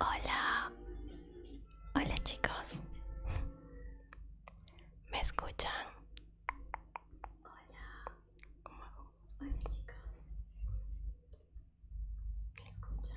Hola, hola chicos, ¿me escuchan? Hola, Hola chicos, ¿me escuchan?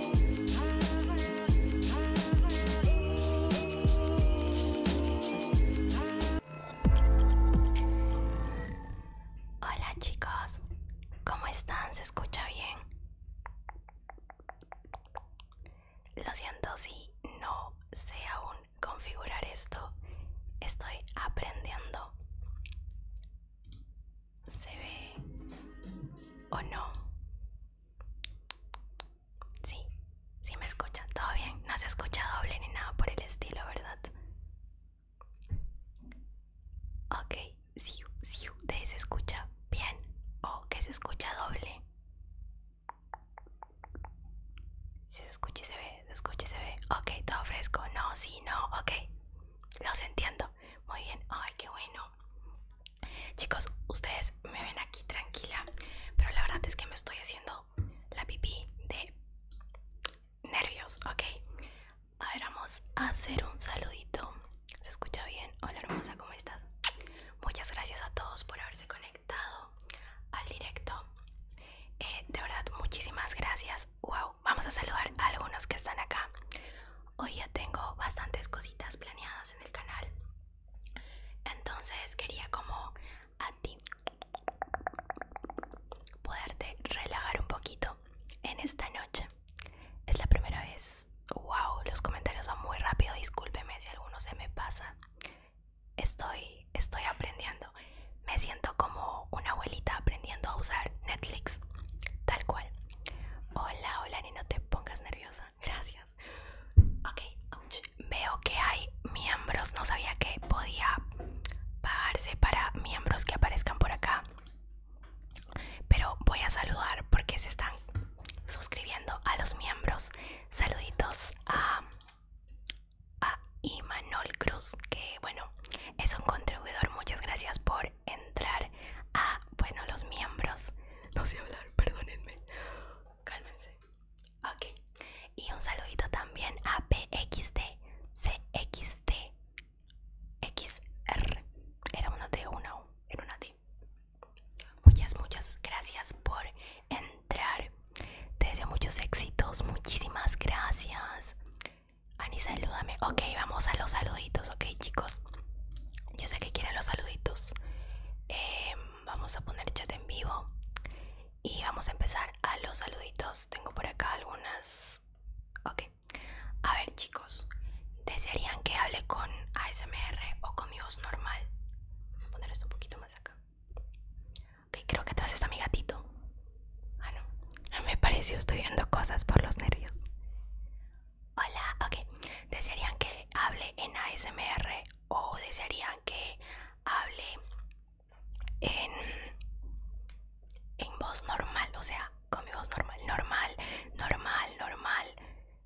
Hola chicos, ¿cómo están? ¿Se escucha bien? Lo siento si no sé aún configurar esto. Estoy aprendiendo. ¿Se ve o no? Sí, sí me escuchan. Todo bien, no se escucha doble ni nada por el estilo, ¿verdad? Ok, sí, sí, de se escucha bien o que se escucha doble. Si se escucha y se ve, se escucha y se ve. Ok, todo fresco. No, sí, no, ok. Los entiendo. Muy bien. Ay, qué bueno. Chicos, ustedes me ven aquí tranquila, pero la verdad es que me estoy haciendo la pipí de nervios, ¿ok? A vamos a hacer un saludito. ¿Se escucha bien? Hola hermosa, ¿cómo estás? Muchas gracias a todos por haberse conectado al directo. Eh, de verdad, muchísimas gracias. Wow, vamos a saludar a algunos que están acá. Hoy ya tengo bastantes cositas planeadas en el canal. Entonces quería como a ti poderte relajar un poquito en esta noche. Es la primera vez. Wow, los comentarios van muy rápido. Discúlpeme si alguno se me pasa. Estoy estoy aprendiendo. Me siento como una abuelita aprendiendo a usar Netflix. Tal cual. Hola, hola, ni no te pongas nerviosa gracias. Ok, veo que hay miembros. No sabía que podía pagarse para miembros que aparezcan por acá. Pero voy a saludar porque se están suscribiendo a los miembros. Saluditos a, a Imanol Cruz, que bueno, es un contribuidor. Muchas gracias por entrar a, bueno, los miembros. No sé hablar, perdónenme. Cálmense. Ok. Y un saludito también a PXD, CXD, XR. Era una T, una era una T. Muchas, muchas gracias por entrar. Te deseo muchos éxitos. Muchísimas gracias. Ani, salúdame. Ok, vamos a los saluditos, ok, chicos. Yo sé que quieren los saluditos. Eh, vamos a poner chat en vivo y vamos a empezar a los saluditos. Tengo por acá algunas. Ok. A ver, chicos. ¿Desearían que hable con ASMR o con mi voz normal? Voy a poner esto un poquito más acá. Ok, creo que atrás está mi gatito. Ah, no. Me pareció, estoy viendo cosas por los nervios. Hola, ok. ¿Desearían que hable en ASMR o desearían que hable en, en voz normal? O sea, con mi voz normal. Normal, normal, normal.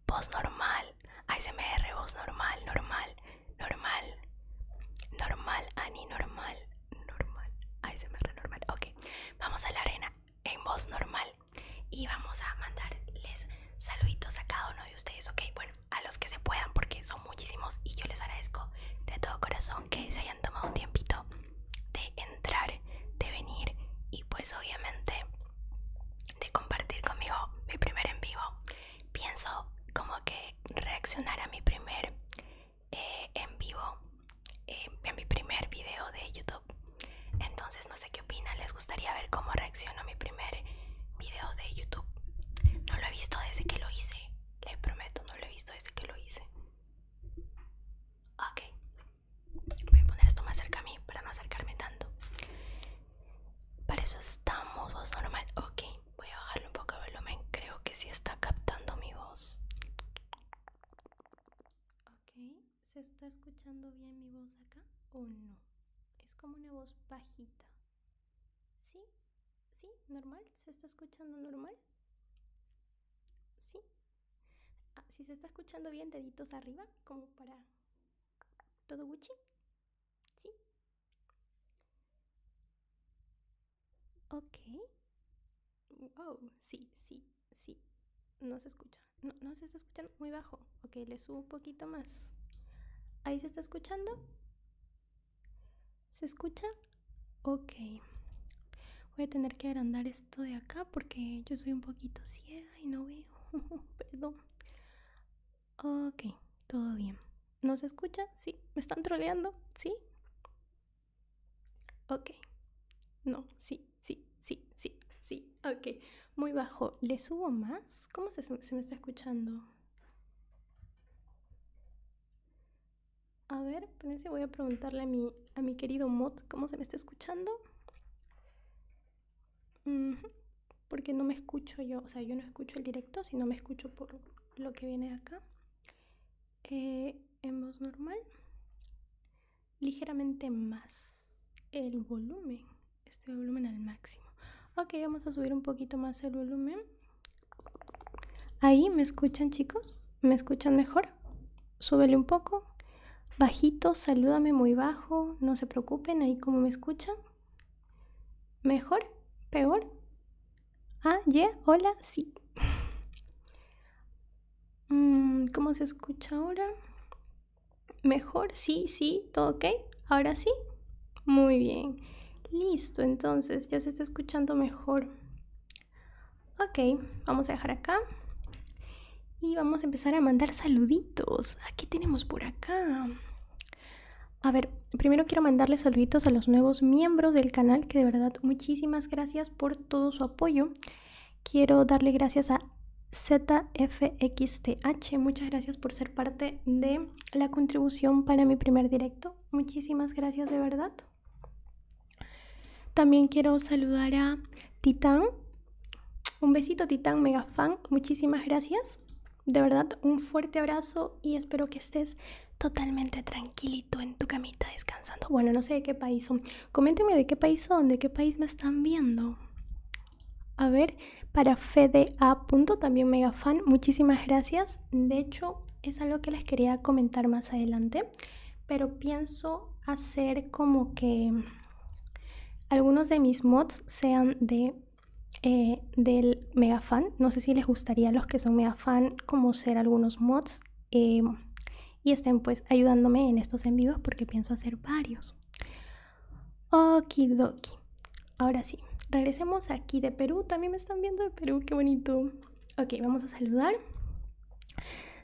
Voz normal. ASMR, voz normal, normal, normal. Normal, Ani, normal, normal. ASMR, normal. Ok, vamos a la arena en voz normal y vamos a mandarles saluditos a cada uno de ustedes, ok, bueno, a los que se puedan porque son muchísimos y yo les agradezco de todo corazón que se hayan tomado un tiempito de entrar, de venir y pues obviamente de compartir conmigo mi primer en vivo. Pienso como que reaccionar a mi primer eh, en vivo, eh, en mi primer video de YouTube. Entonces no sé qué qué les gustaría ver cómo reaccionó mi primer video de YouTube. No lo he visto desde que lo hice, les prometo, no lo he visto desde que lo hice. Ok, voy a poner esto más cerca a mí para no acercarme tanto. Para eso estamos, voz normal. Ok, voy a bajarle un poco el volumen, creo que sí está captando mi voz. Ok, ¿se está escuchando bien mi voz acá o no? Es como una voz bajita. ¿Sí? ¿Sí? ¿Normal? ¿Se está escuchando normal? ¿Sí? Ah, si se está escuchando bien, deditos arriba, como para todo Gucci. ¿Sí? Ok. Oh, sí, sí, sí. No se escucha. No, se está escuchando muy bajo. Ok, le subo un poquito más. ¿Ahí se está escuchando? ¿Se escucha? Ok. Voy a tener que agrandar esto de acá porque yo soy un poquito ciega y no veo. Perdón. Ok, todo bien. ¿No se escucha? Sí. ¿Me están troleando? Sí. Ok. No, sí, sí, sí, sí, sí. Okay, ok. Muy bajo. ¿Le subo más? ¿Cómo se, me está escuchando? A ver, pensé voy a preguntarle a mi, a mi querido Mod cómo se me está escuchando. Porque no me escucho yo, o sea, yo no escucho el directo, sino me escucho por lo que viene acá. Eh, en voz normal, ligeramente más el volumen este volumen al máximo. Ok, vamos a subir un poquito más el volumen. Ahí, ¿me escuchan chicos? ¿Me escuchan mejor? Súbele un poco. Bajito, salúdame muy bajo, no se preocupen, ahí cómo me escuchan. ¿Mejor? ¿Peor? Ah, ye, hola, sí. Mm, ¿Cómo se escucha ahora? Mejor, sí, sí, todo ok. Ahora sí. Muy bien. Listo, entonces ya se está escuchando mejor. Ok, vamos a dejar acá. Y vamos a empezar a mandar saluditos. Aquí tenemos por acá? A ver, primero quiero mandarle saluditos a los nuevos miembros del canal, que de verdad muchísimas gracias por todo su apoyo. Quiero darle gracias a ZFXTH, muchas gracias por ser parte de la contribución para mi primer directo. Muchísimas gracias de verdad. También quiero saludar a Titán. Un besito Titán, mega fan. Muchísimas gracias. De verdad, un fuerte abrazo y espero que estés totalmente tranquilito en tu camita descansando. Bueno, no sé de qué país son. Coméntenme de qué país son, de qué país me están viendo. A ver, para FDA. también mega fan, muchísimas gracias. De hecho, es algo que les quería comentar más adelante, pero pienso hacer como que algunos de mis mods sean de eh, del mega fan. No sé si les gustaría los que son mega fan como ser algunos mods eh, y estén pues ayudándome en estos en porque pienso hacer varios. Okidoki. Ahora sí, regresemos aquí de Perú. También me están viendo de Perú, qué bonito. Ok, vamos a saludar.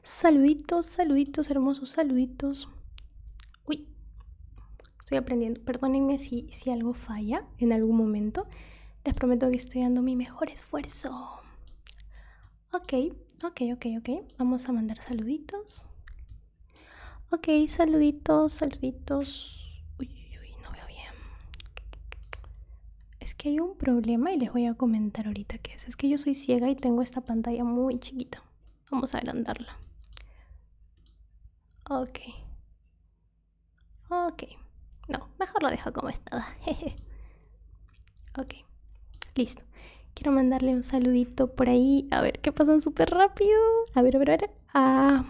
Saluditos, saluditos, hermosos saluditos. Uy, estoy aprendiendo. Perdónenme si, si algo falla en algún momento. Les prometo que estoy dando mi mejor esfuerzo. Ok, ok, ok, ok. Vamos a mandar saluditos. Ok, saluditos, saluditos. Uy, no veo bien. Es que hay un problema y les voy a comentar ahorita qué es. Es que yo soy ciega y tengo esta pantalla muy chiquita. Vamos a agrandarla. Ok. Ok. No, mejor la dejo como estaba. ok. Listo. Quiero mandarle un saludito por ahí. A ver, qué pasan súper rápido. A ver, a ver, a ver a... Ah.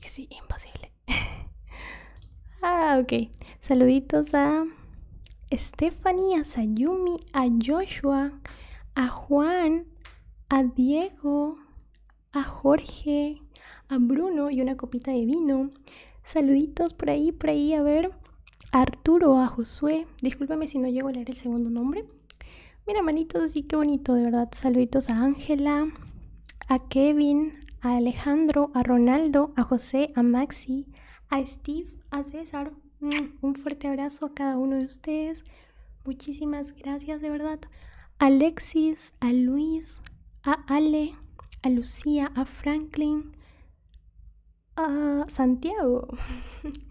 Que sí, imposible. ah, ok. Saluditos a Estefanía, a Sayumi, a Joshua, a Juan, a Diego, a Jorge, a Bruno y una copita de vino. Saluditos por ahí, por ahí, a ver. Arturo, a Josué. Discúlpame si no llego a leer el segundo nombre. Mira, manitos, así que bonito, de verdad. Saluditos a Ángela, a Kevin, a Alejandro, a Ronaldo, a José, a Maxi, a Steve, a César. Mm, un fuerte abrazo a cada uno de ustedes. Muchísimas gracias, de verdad. A Alexis, a Luis, a Ale, a Lucía, a Franklin, a Santiago.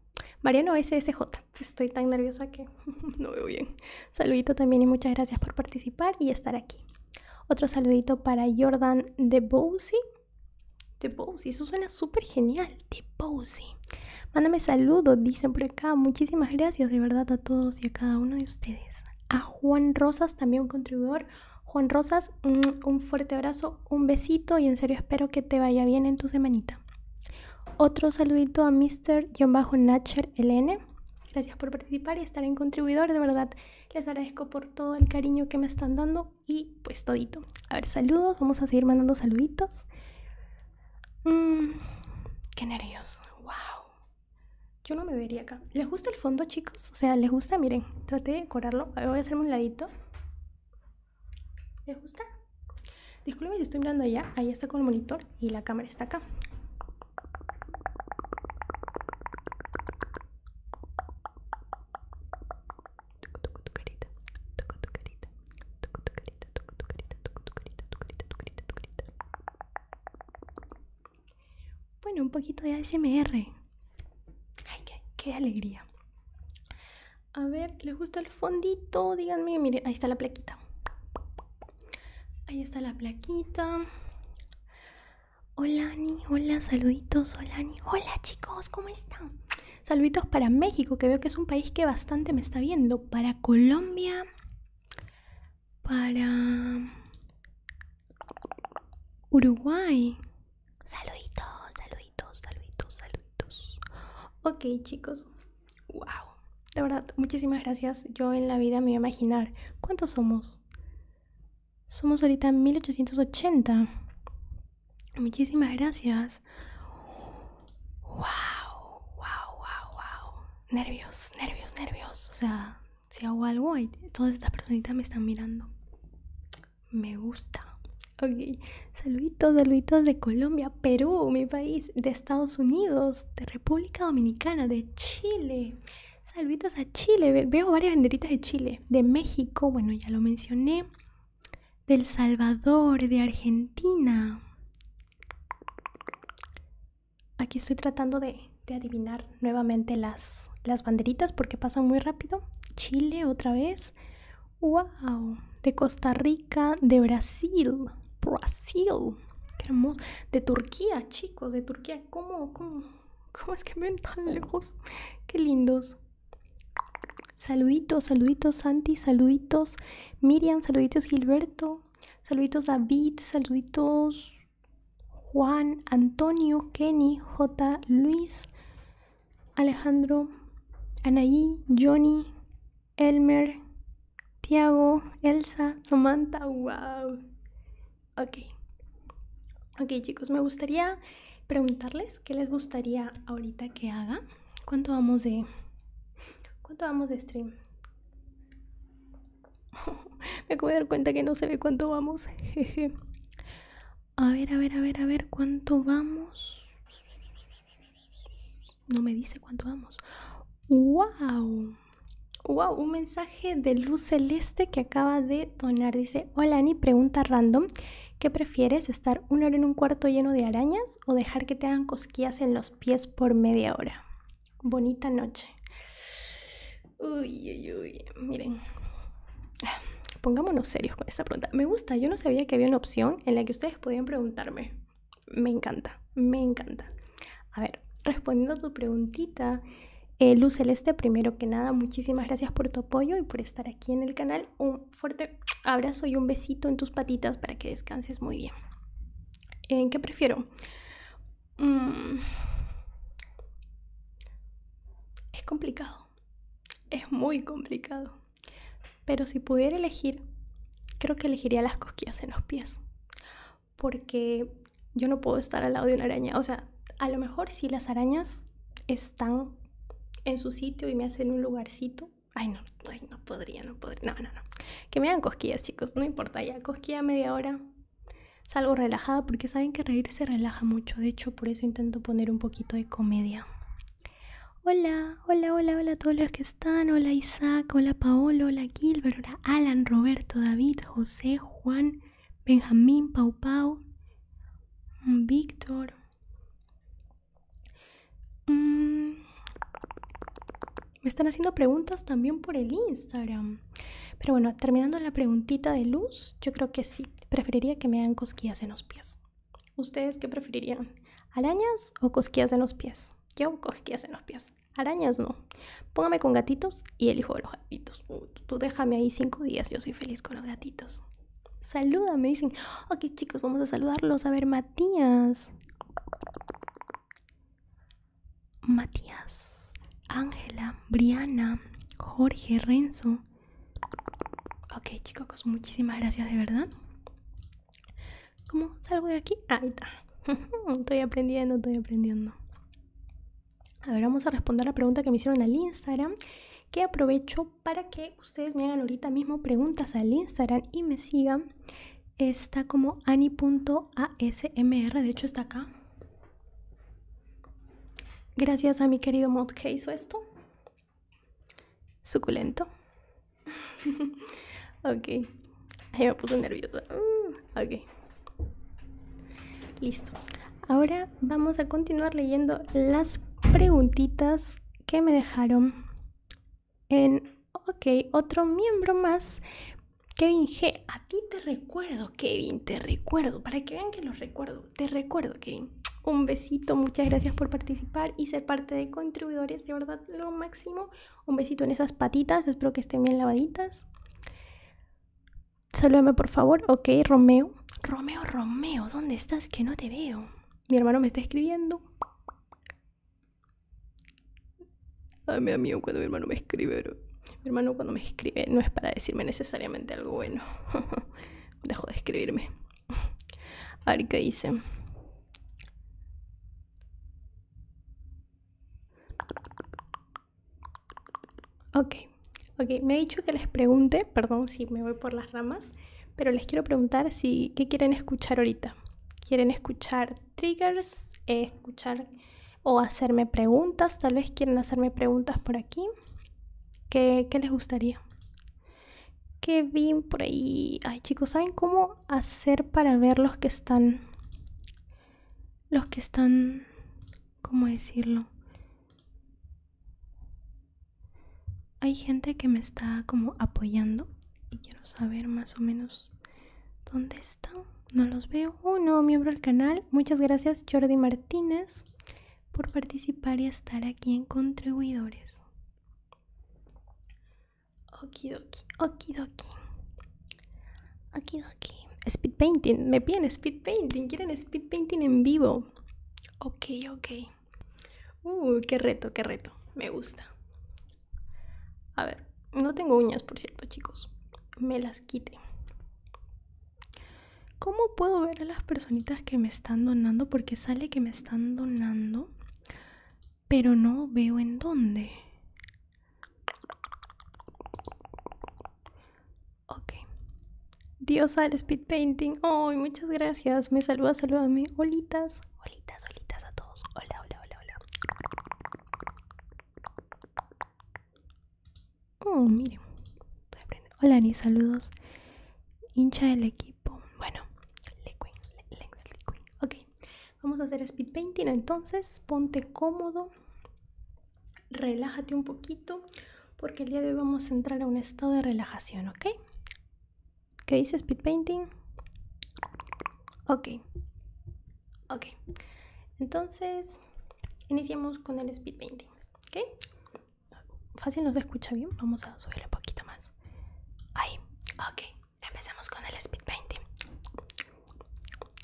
Mariano SSJ. Estoy tan nerviosa que no veo bien. Saludito también y muchas gracias por participar y estar aquí. Otro saludito para Jordan de Bowsy. De Bowsi, eso suena súper genial. De Bowsy. Mándame saludos, dicen por acá. Muchísimas gracias de verdad a todos y a cada uno de ustedes. A Juan Rosas, también un contribuidor. Juan Rosas, un fuerte abrazo, un besito y en serio espero que te vaya bien en tu semanita. Otro saludito a mr Natcher LN. Gracias por participar y estar en contribuidor, de verdad. Les agradezco por todo el cariño que me están dando y pues todito. A ver, saludos, vamos a seguir mandando saluditos. Mmm, qué nervios, wow. Yo no me vería acá. ¿Les gusta el fondo, chicos? O sea, ¿les gusta? Miren, traté de decorarlo. A ver, voy a hacerme un ladito. ¿Les gusta? Disculpe si estoy mirando allá. ahí está con el monitor y la cámara está acá. Bueno, un poquito de ASMR. Ay, qué, alegría. A ver, ¿les gusta el fondito? Díganme, mire, ahí está la plaquita. Ahí está la plaquita. Hola Ani, hola, saluditos, hola Ani. Hola chicos, ¿cómo están? Saluditos para México, que veo que es un país que bastante me está viendo. Para Colombia. Para Uruguay. Saluditos, saluditos, saluditos, saluditos. Ok chicos, ¡Wow! De verdad, muchísimas gracias. Yo en la vida me voy a imaginar cuántos somos. Somos ahorita 1880. Muchísimas gracias. ¡Wow! ¡Wow, wow, wow! Nervios, nervios, nervios. O sea, si hago algo, todas estas personitas me están mirando. Me gusta. Ok, saluditos, saluditos de Colombia. Perú, mi país, de Estados Unidos, de República Dominicana, de Chile. Saluditos a Chile, veo varias banderitas de Chile, de México, bueno, ya lo mencioné, del Salvador, de Argentina. Aquí estoy tratando de, adivinar nuevamente las, las banderitas porque pasan muy rápido. Chile otra vez. ¡Wow! De Costa Rica, de Brasil. Brasil. De Turquía, chicos, de Turquía. ¿Cómo, cómo, cómo es que ven tan lejos? ¡Qué lindos! Saluditos, saluditos Santi, saluditos Miriam, saluditos Gilberto, saluditos David, saluditos Juan, Antonio, Kenny, J, Luis, Alejandro, Anaí, Johnny, Elmer, Tiago, Elsa, Samantha, wow. Ok. Ok chicos, me gustaría preguntarles qué les gustaría ahorita que haga. ¿Cuánto vamos de... ¿Cuánto vamos de stream? me acabo de dar cuenta que no se ve cuánto vamos. A ver, a ver, a ver, a ver, ¿cuánto vamos? No me dice cuánto vamos. ¡Wow! ¡Wow! Un mensaje de luz celeste que acaba de donar. Dice, hola Ani, pregunta random. ¿Qué prefieres, estar una hora en un cuarto lleno de arañas o dejar que te hagan cosquillas en los pies por media hora? Bonita noche. Uy, uy, uy. Miren. Pongámonos serios con esta pregunta. Me gusta, yo no sabía que había una opción en la que ustedes podían preguntarme. Me encanta, me encanta. A ver, respondiendo a tu preguntita, eh, Luz Celeste, primero que nada, muchísimas gracias por tu apoyo y por estar aquí en el canal. Un fuerte abrazo y un besito en tus patitas para que descanses muy bien. ¿En eh, qué prefiero? Mm, es complicado, es muy complicado. Pero si pudiera elegir, creo que elegiría las cosquillas en los pies porque yo no puedo estar al lado de una araña. O sea, a lo mejor si las arañas están en su sitio y me hacen un lugarcito. Ay, no, no podría, no podría. No, no, no. Que me hagan cosquillas, chicos. No importa, ya cosquilla media hora. Salgo relajada porque saben que reír se relaja mucho. De hecho, por eso intento poner un poquito de comedia. Hola, hola, hola, hola a todos los que Hola Isaac, hola Paolo, hola Gilbert, hola Alan, Roberto, David, José, Juan, Benjamín, Pau Pau, mm, Víctor. Mm. Me están haciendo preguntas también por el Instagram. Pero bueno, terminando la preguntita de luz, yo creo que sí. Preferiría que me hagan cosquillas en los pies. ¿Ustedes qué preferirían? ¿Arañas o cosquillas en los pies? Yo cosquillas en los pies. Arañas no. Póngame con gatitos y el hijo de los gatitos. tú déjame ahí cinco días, yo soy feliz con los gatitos. me dicen. Ok, chicos, vamos a saludarlos. A ver, Matías. Matías, Ángela, Briana, Jorge, Renzo. Ok, chicos, muchísimas gracias de verdad. ¿Cómo salgo de aquí? Ahí está. estoy aprendiendo, estoy aprendiendo. A ver, vamos a responder la pregunta que me hicieron al Instagram. Que aprovecho para que ustedes me hagan ahorita mismo preguntas al Instagram y me sigan. Está como ani.asmr, de hecho está acá. Gracias a mi querido que hizo esto. Suculento. ok. Ahí me puse nerviosa. Uh, Listo. Ahora vamos a continuar leyendo las preguntitas que me dejaron en, ok, otro miembro más. Kevin G, a ti te recuerdo, Kevin, te recuerdo, para que vean que los recuerdo, te recuerdo, Kevin. Un besito, muchas gracias por participar y ser parte de contribuidores, de verdad, lo máximo. Un besito en esas patitas, espero que estén bien lavaditas. Salúdame por favor, ok, Romeo. Romeo, Romeo, ¿dónde estás? Que no te veo. Mi hermano me está escribiendo. Ay, me da cuando mi hermano me escribe, Mi hermano cuando me escribe no es para decirme necesariamente algo bueno. Dejo de escribirme. A ver qué dice. Ok, ok, me ha dicho que les pregunte, perdón si me voy por las ramas, pero les quiero preguntar si qué quieren escuchar ahorita. ¿Quieren escuchar triggers? Eh, ¿Escuchar o hacerme preguntas? Tal vez quieren hacerme preguntas por aquí. ¿Qué, les gustaría? Que bien por ahí. Ay, chicos, ¿saben cómo hacer para ver los que están los que están como decirlo hay gente que me está como apoyando y quiero saber más o menos dónde están no los veo un oh, nuevo miembro del canal muchas gracias Jordi Martínez por participar y estar aquí en contribuidores Okidoki, okidoki. Okidoki. Speed painting. Me piden speed painting. Quieren speed painting en vivo. Ok, ok. Uh, qué reto, qué reto. Me gusta. A ver, no tengo uñas, por cierto, chicos. Me las quite ¿Cómo puedo ver a las personitas que me están donando? Porque sale que me están donando, pero no veo en dónde. Ok. Diosa al speed painting. Oh, muchas gracias. Me saluda, salúdame. holitas Holitas, olitas a todos. Hola, hola, hola, hola. Oh, miren. Hola, Ani, saludos. Hincha del equipo. Bueno, Ok vamos a hacer speed painting entonces. Ponte cómodo, relájate un poquito porque el día de hoy vamos a entrar a un estado de relajación, ¿ok? ¿Qué dice speed painting? Ok, ok. Entonces, iniciamos con el speed painting, ¿ok? Fácil nos escucha bien, vamos a subir un poquito más. Ahí, ok empecemos con el speed painting.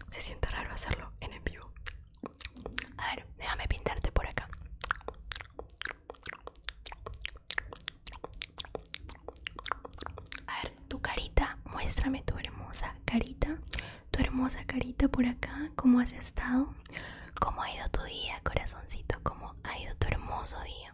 Se siente raro hacerlo en el vivo. A ver, déjame pintarte por acá. A ver, tu carita, muéstrame tu hermosa carita. Tu hermosa carita por acá, ¿cómo has estado? ¿Cómo ha ido tu día, corazoncito? ¿Cómo ha ido tu hermoso día?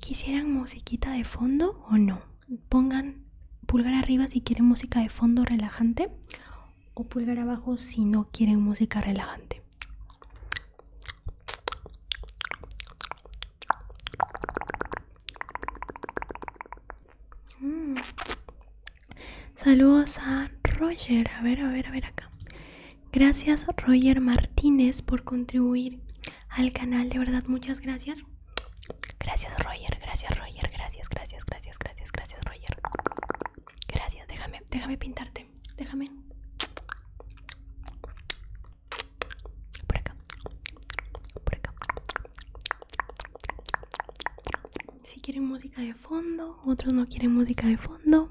¿Quisieran musiquita de fondo o no? Pongan pulgar arriba si quieren música de fondo relajante o pulgar abajo si no quieren música relajante. Mm. Saludos a Roger. A ver, a ver, a ver acá. Gracias Roger Martínez por contribuir al canal, de verdad, muchas gracias. Gracias Roger, gracias Roger, gracias, gracias, gracias, gracias, gracias Roger. Gracias, déjame, déjame pintarte, déjame. Por acá, por acá. Si quieren música de fondo, otros no quieren música de fondo.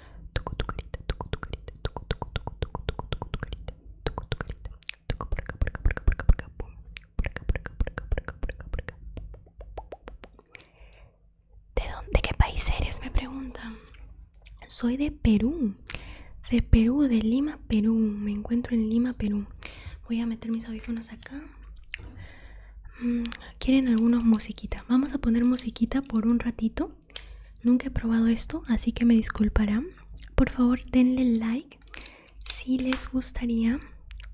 Toco tu carita, toco tu carita, toco, toco, toco, toco, toco, toco tu carita, toco tu carita, toco por acá, por acá, por acá, por acá, por acá, por acá, por acá, por acá, por acá, por acá, por acá. ¿De dónde, de qué país eres? Me preguntan. Soy de Perú, de Perú, de Lima, Perú. Me encuentro en Lima, Perú. Voy a meter mis audífonos acá. ¿Quieren algunos musiquitas? Vamos a poner musiquita por un ratito Nunca he probado esto, así que me disculparán. Por favor, denle like si les gustaría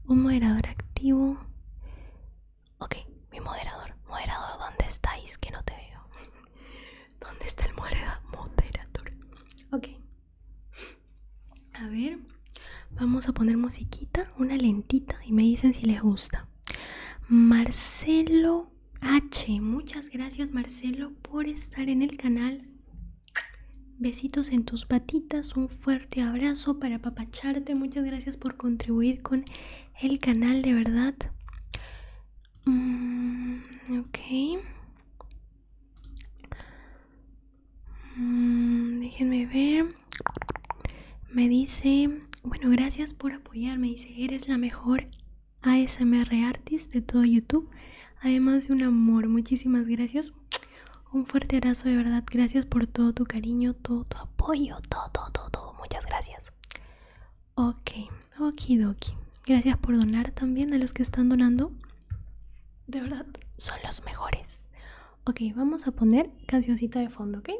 un moderador activo. Ok, mi moderador. Moderador, ¿dónde estáis? Que no te veo. ¿Dónde está el moderador? Ok. A ver, vamos a poner musiquita, una lentita, y me dicen si les gusta. Marcelo H. Muchas gracias Marcelo por estar en el canal. Besitos en tus patitas, un fuerte abrazo para papacharte. Muchas gracias por contribuir con el canal, de verdad. Mm, ok. Mm, déjenme ver. Me dice, bueno, gracias por apoyarme. Dice, eres la mejor ASMR artist de todo YouTube. Además de un amor, muchísimas gracias. Un fuerte abrazo de verdad. Gracias por todo tu cariño, todo tu apoyo, todo, todo, todo. Muchas gracias. Ok, okidoki. Gracias por donar también a los que están donando. De verdad, son los mejores. Ok, vamos a poner cancioncita de fondo, ¿ok?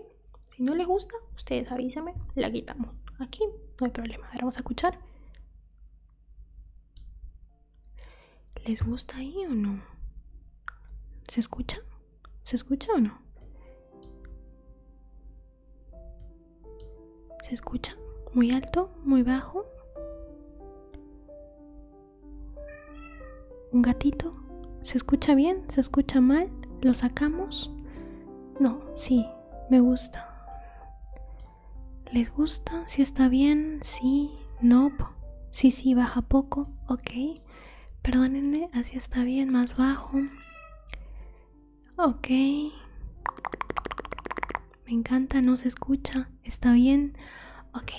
Si no les gusta, ustedes avísame la quitamos. Aquí no hay problema. vamos a escuchar. ¿Les gusta ahí o no? ¿Se escucha? ¿Se escucha o no? ¿Se escucha? ¿Muy alto? ¿Muy bajo? ¿Un gatito? ¿Se escucha bien? ¿Se escucha mal? ¿Lo sacamos? No, sí, me gusta. ¿Les gusta? Si está bien, sí, no, si sí, sí, baja poco, ok. Perdónenme, así está bien, más bajo. Ok. Me encanta, no se escucha, está bien. Ok,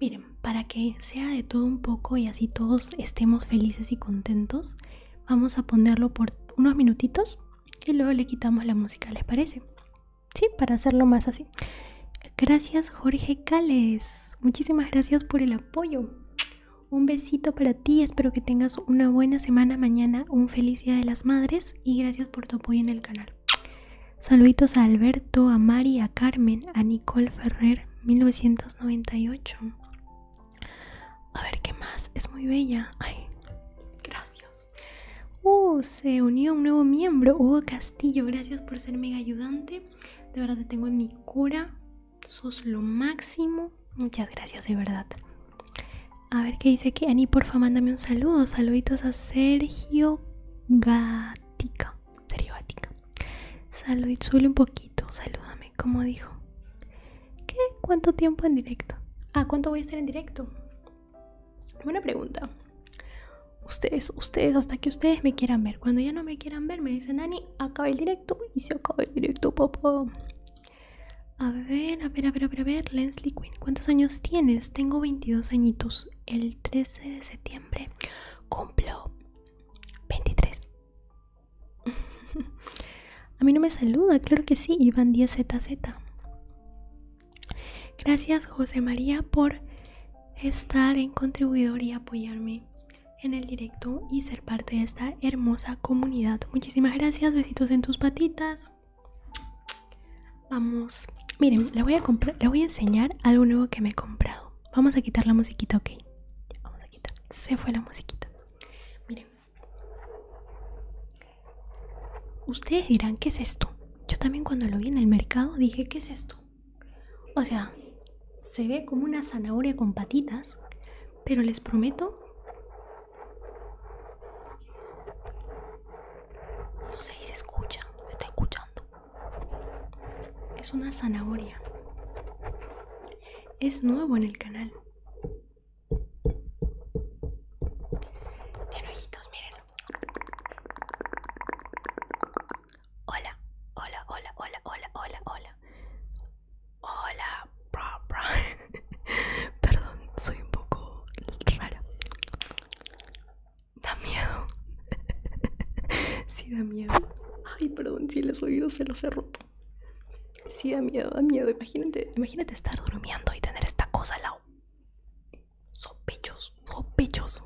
miren, para que sea de todo un poco y así todos estemos felices y contentos, Vamos a ponerlo por unos minutitos y luego le quitamos la música, ¿les parece? Sí, para hacerlo más así. Gracias Jorge Cales. Muchísimas gracias por el apoyo. Un besito para ti, espero que tengas una buena semana mañana, un feliz Día de las Madres y gracias por tu apoyo en el canal. Saluditos a Alberto, a Mari, a Carmen, a Nicole Ferrer, 1998. A ver qué más. Es muy bella. Ay, gracias. Uh, se unió un nuevo miembro. Hugo Castillo, gracias por ser mega ayudante. De verdad te tengo en mi cura. Sos lo máximo. Muchas gracias, de verdad. A ver qué dice aquí. Ani, porfa, mándame un saludo. Saluditos a Sergio Gatica. Sergio Gatica. solo un poquito. Saludame como dijo? ¿Qué? ¿Cuánto tiempo en directo? a ah, cuánto voy a estar en directo? una pregunta. Ustedes, ustedes, hasta que ustedes me quieran ver. Cuando ya no me quieran ver, me dicen, Nani, acaba el directo y se acaba el directo, papá. A ver, a ver, a ver, a ver, a ver, Quinn, ¿cuántos años tienes? Tengo 22 añitos. El 13 de septiembre cumplo 23. A mí no me saluda, claro que sí, Iván 10ZZ. Gracias José María por estar en contribuidor y apoyarme en el directo y ser parte de esta hermosa comunidad. Muchísimas gracias, besitos en tus patitas. Vamos, miren, les voy a comprar, voy a enseñar algo nuevo que me he comprado. Vamos a quitar la musiquita, ok. Vamos a quitar. Se fue la musiquita. Miren, Ustedes dirán, ¿qué es esto? Yo también cuando lo vi en el mercado dije, ¿qué es esto? O sea, se ve como una zanahoria con patitas, pero les prometo... No sé si se escucha, me está escuchando. Es una zanahoria. Es nuevo en el canal. Ten ojitos, miren. Hola, hola, hola, hola, hola, hola, hola. Hola, bra, bra. Perdón, soy un poco rara. Da miedo. sí, da miedo. Ay, perdón, si los oídos se los he roto. Si da miedo, da miedo. Imagínate, imagínate estar durmiendo y tener esta cosa al lado. Sospechos, sospechos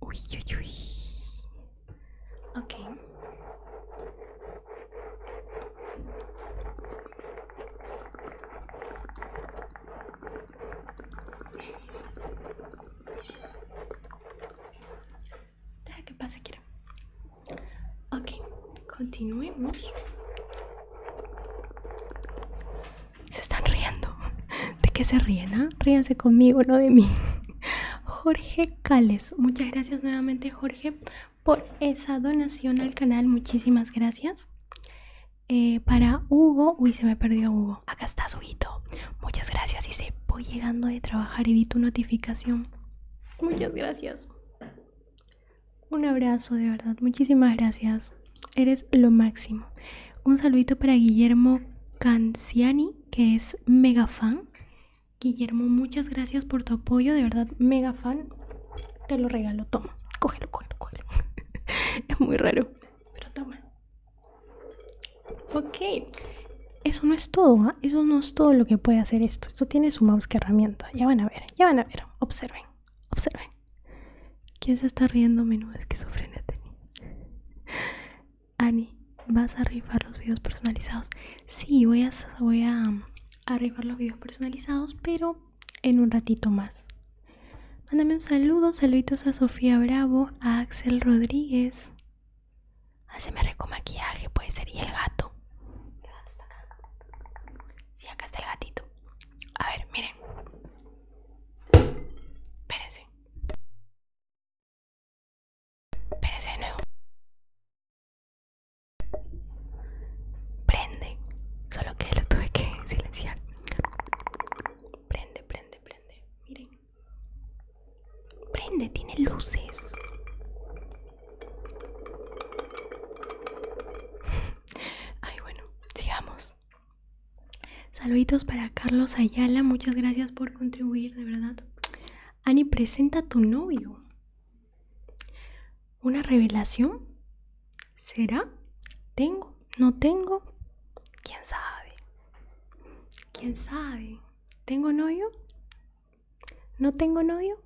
Uy, uy, uy que pase, quiero Ok, continuemos. Se están riendo. ¿De qué se ríen? Ah? Ríanse conmigo, no de mí. Jorge Cales. Muchas gracias nuevamente, Jorge, por esa donación al canal. Muchísimas gracias. Eh, para Hugo, uy, se me perdió Hugo. Acá está Huguito. Muchas gracias. Y se Voy llegando de trabajar y vi tu notificación. Muchas gracias. Un abrazo, de verdad. Muchísimas gracias. Eres lo máximo. Un saludito para Guillermo Canciani, que es mega fan. Guillermo, muchas gracias por tu apoyo. De verdad, mega fan. Te lo regalo. Toma. Cógelo, cógelo, cógelo. es muy raro. Pero toma. Ok eso no es todo, ¿ah? eso no es todo lo que puede hacer esto. Esto tiene su mouse que herramienta. Ya van a ver, ya van a ver. Observen, observen. ¿Quién se está riendo? Menudo a Tini. Ani, ¿vas a rifar los videos personalizados? Sí, voy a, voy a rifar los videos personalizados, pero en un ratito más. Mándame un saludo, saluditos a Sofía Bravo, a Axel Rodríguez, ASMR con maquillaje puede ser. Y el gato. Si acá. acá está el gatito. A ver, miren. Espérense. Espérense de nuevo. Prende. Solo que lo tuve que silenciar. Prende, prende, prende. Miren. Prende, tiene luces. Ay, bueno, sigamos. Saluditos para Carlos Ayala, muchas gracias por contribuir, de verdad. Ani, presenta tu novio. ¿Una revelación? ¿Será? ¿Tengo? ¿No tengo? ¿Quién sabe? ¿Quién sabe? ¿Tengo novio? No tengo novio.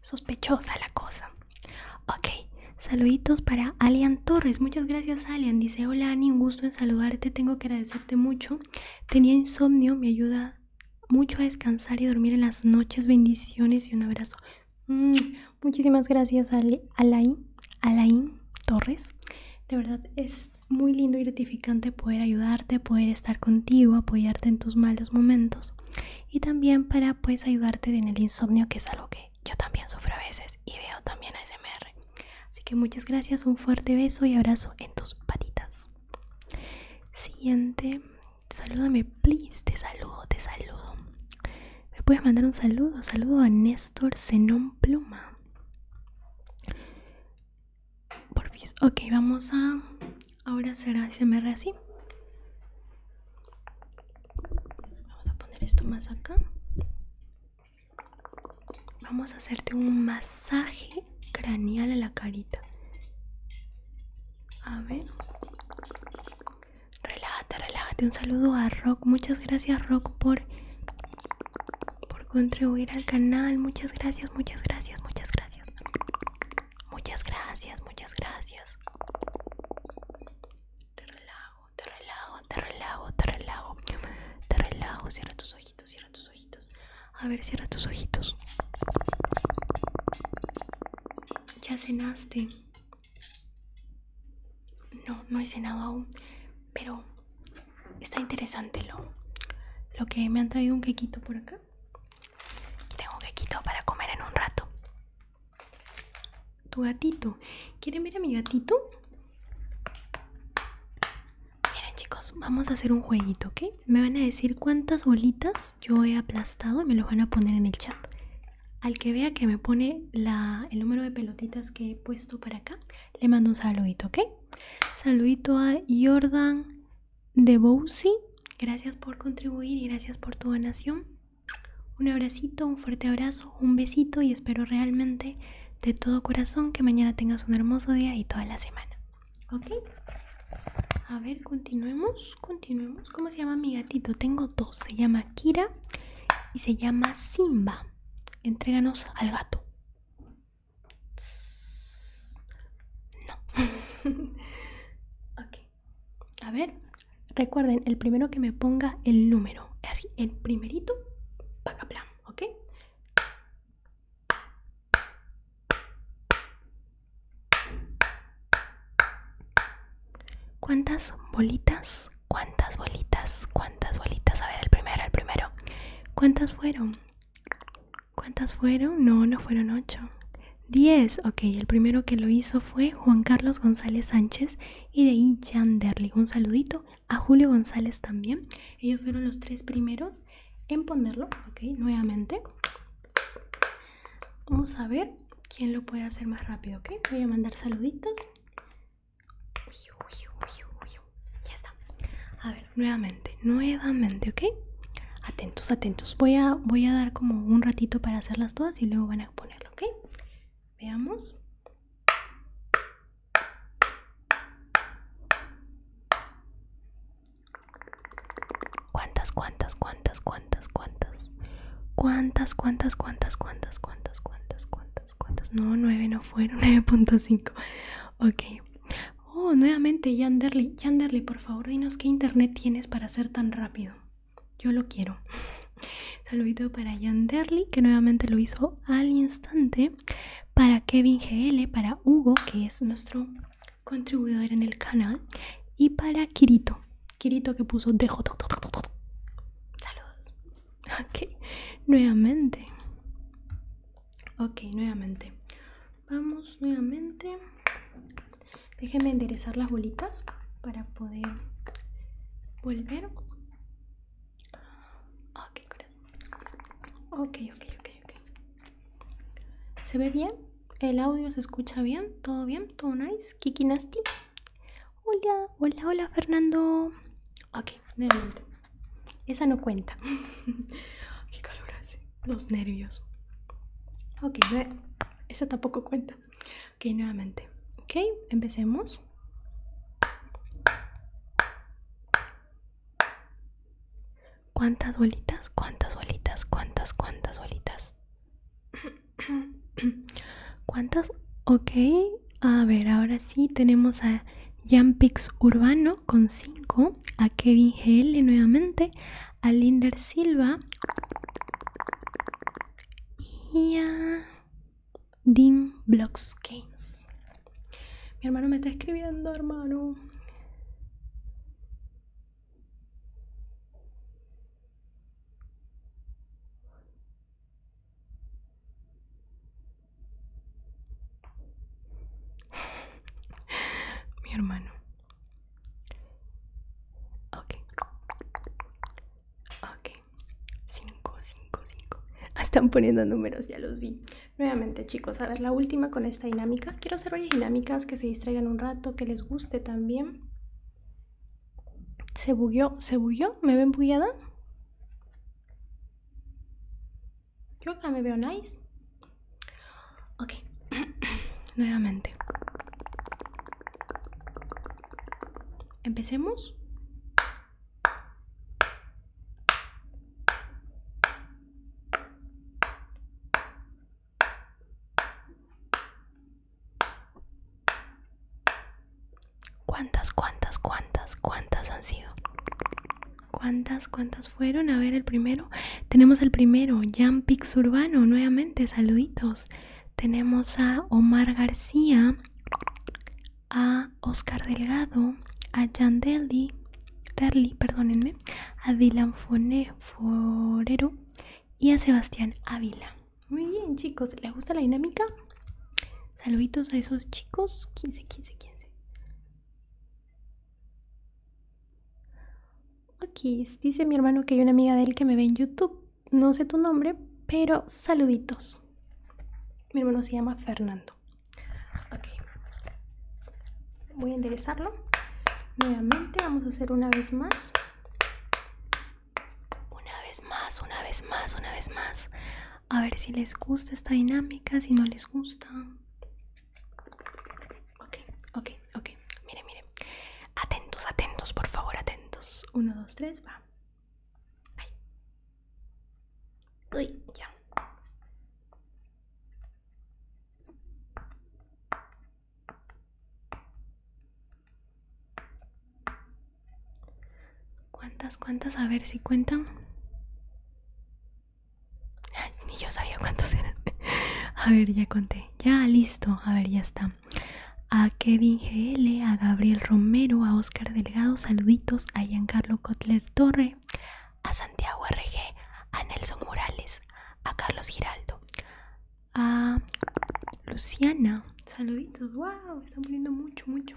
Sospechosa la cosa. Ok, saluditos para Alian Torres. Muchas gracias, Alian. Dice: Hola, Ani, un gusto en saludarte. Tengo que agradecerte mucho. Tenía insomnio, me ayuda mucho a descansar y dormir en las noches. Bendiciones y un abrazo. Mm, muchísimas gracias, Alain, Alain Torres. De verdad, es muy lindo y gratificante poder ayudarte, poder estar contigo, apoyarte en tus malos momentos y también para pues ayudarte en el insomnio que es algo que yo también sufro a veces y veo también a S.M.R. Así que muchas gracias, un fuerte beso y abrazo en tus patitas. Siguiente, salúdame, please, te saludo, te saludo. Me puedes mandar un saludo, saludo a Néstor Zenón Pluma. Porfis. Ok, vamos a ahora hacer re así. Vamos a poner esto más acá. Vamos a hacerte un masaje craneal a la carita. A ver. Relájate, relájate. Un saludo a Rock. Muchas gracias Rock por, por contribuir al canal. Muchas gracias, muchas gracias, muchas gracias. Muchas gracias, muchas gracias. Te relajo, te relajo, te relajo, te relajo. Te relajo, cierra tus ojitos, cierra tus ojitos. A ver, cierra tus ojitos. Ya cenaste. No, no he cenado aún, pero está interesante lo, lo que me han traído un quequito por acá. Tengo Tengo quitar para comer en un rato. Tu gatito. ¿Quieren ver a mi gatito? Miren chicos, vamos a hacer un jueguito, ¿ok? Me van a decir cuántas bolitas yo he aplastado y me los van a poner en el chat. Al que vea que me pone el número de pelotitas que he puesto para acá, le mando un saludito, ¿ok? Saludito a Jordan de Gracias por contribuir y gracias por tu donación. Un abracito, un fuerte abrazo, un besito y espero realmente de todo corazón que mañana tengas un hermoso día y toda la semana. ¿Ok? A ver, continuemos, continuemos. ¿Cómo se llama mi gatito? Tengo dos. Se llama Kira y se llama Simba. Entréganos al gato. No. A ver, recuerden, el primero que me ponga el número. es Así, el primerito, paga plan, ¿ok? ¿Cuántas bolitas? ¿Cuántas bolitas? ¿Cuántas bolitas? A ver, el primero, el primero. ¿Cuántas fueron? ¿Cuántas fueron? No, no fueron 8 Diez. Ok, el primero que lo hizo fue Juan Carlos González Sánchez y de ahí Jan Derling. Un saludito a Julio González también. Ellos fueron los tres primeros en ponerlo. Ok, nuevamente. Vamos a ver quién lo puede hacer más rápido. Ok, voy a mandar saluditos. ya está a ver, nuevamente, nuevamente, ¿ok? Atentos, atentos. Voy a, voy a dar como un ratito para hacerlas todas y luego van a ponerlo, ¿ok? Veamos. ¿Cuántas, cuántas, cuántas, cuántas, cuántas? ¿Cuántas, cuántas, cuántas, cuántas, cuántas, cuántas, cuántas, cuántas? No, 9 no fueron, 9.5. Ok, Oh, nuevamente Yanderly. Yanderly, por favor, dinos qué internet tienes para ser tan rápido. Yo lo quiero. Saludito para Yanderly, que nuevamente lo hizo al instante. Para Kevin GL, para Hugo, que es nuestro contribuidor en el canal. Y para Kirito. Kirito que puso dejo. Saludos. Ok, nuevamente. Ok, nuevamente vamos nuevamente déjenme enderezar las bolitas para poder volver ah, ok ok ok ok se ve bien el audio se escucha bien todo bien todo nice kiki nasty hola hola hola fernando ok nuevamente esa no cuenta qué calor hace los nervios. Ok, esa tampoco cuenta. Ok, nuevamente. Ok, empecemos. ¿Cuántas bolitas? ¿Cuántas bolitas? ¿Cuántas? ¿Cuántas bolitas? ¿Cuántas? Ok, a ver, ahora sí tenemos a Jampix Urbano con cinco a Kevin y nuevamente, a Linder Silva y a Dean Blocks Games. Mi hermano me está escribiendo, hermano. Mi hermano, Ok. Ok. 5, 5, 5. Están poniendo números, ya los vi. Nuevamente, chicos, a ver la última con esta dinámica. Quiero hacer varias dinámicas que se distraigan un rato, que les guste también. ¿Se bugueó? ¿Se bugueó? ¿Me ven embullada. Yo acá me veo nice. Ok, nuevamente. Empecemos. ¿Cuántas, cuántas, cuántas, cuántas han sido? ¿Cuántas? ¿cuántas fueron? A ver el primero. Tenemos el primero, Jan Pix Urbano, nuevamente, saluditos. Tenemos a Omar García, a Oscar Delgado, a Jan Deli perdónenme, a Dylan Fone, Forero y a Sebastián Ávila. Muy bien, chicos, ¿les gusta la dinámica? Saluditos a esos chicos, 15, 15, 15. Aquí dice mi hermano que hay una amiga de él que me ve en YouTube. No sé tu nombre, pero saluditos. Mi hermano se llama Fernando. Voy a enderezarlo. Nuevamente vamos a hacer una vez más. Una vez más, una vez más, una vez más. A ver si les gusta esta dinámica, si no les gusta. Ok, ok, ok. Mire, mire. Atentos, atentos, por favor, atentos. Uno, dos, tres, va. Ay. Uy, ya. ¿Cuántas, cuántas? A ver si cuentan. Ni yo sabía cuántos eran. A ver, ya conté. Ya, listo. A ver, ya está. A Kevin GL, a Gabriel Romero, a Oscar Delgado, saluditos, a Giancarlo Kotler Torre, a Santiago RG, a Nelson Morales, a Carlos Giraldo, a Luciana, saluditos, wow, están poniendo mucho, mucho.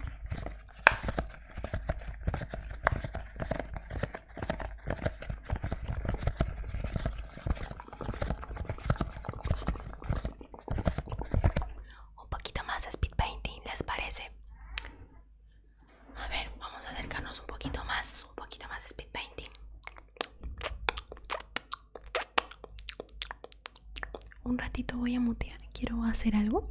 Un poquito más speed painting, ¿les parece? A ver, vamos a acercarnos un poquito más, un poquito más speed painting. Un ratito voy a mutear, quiero hacer algo.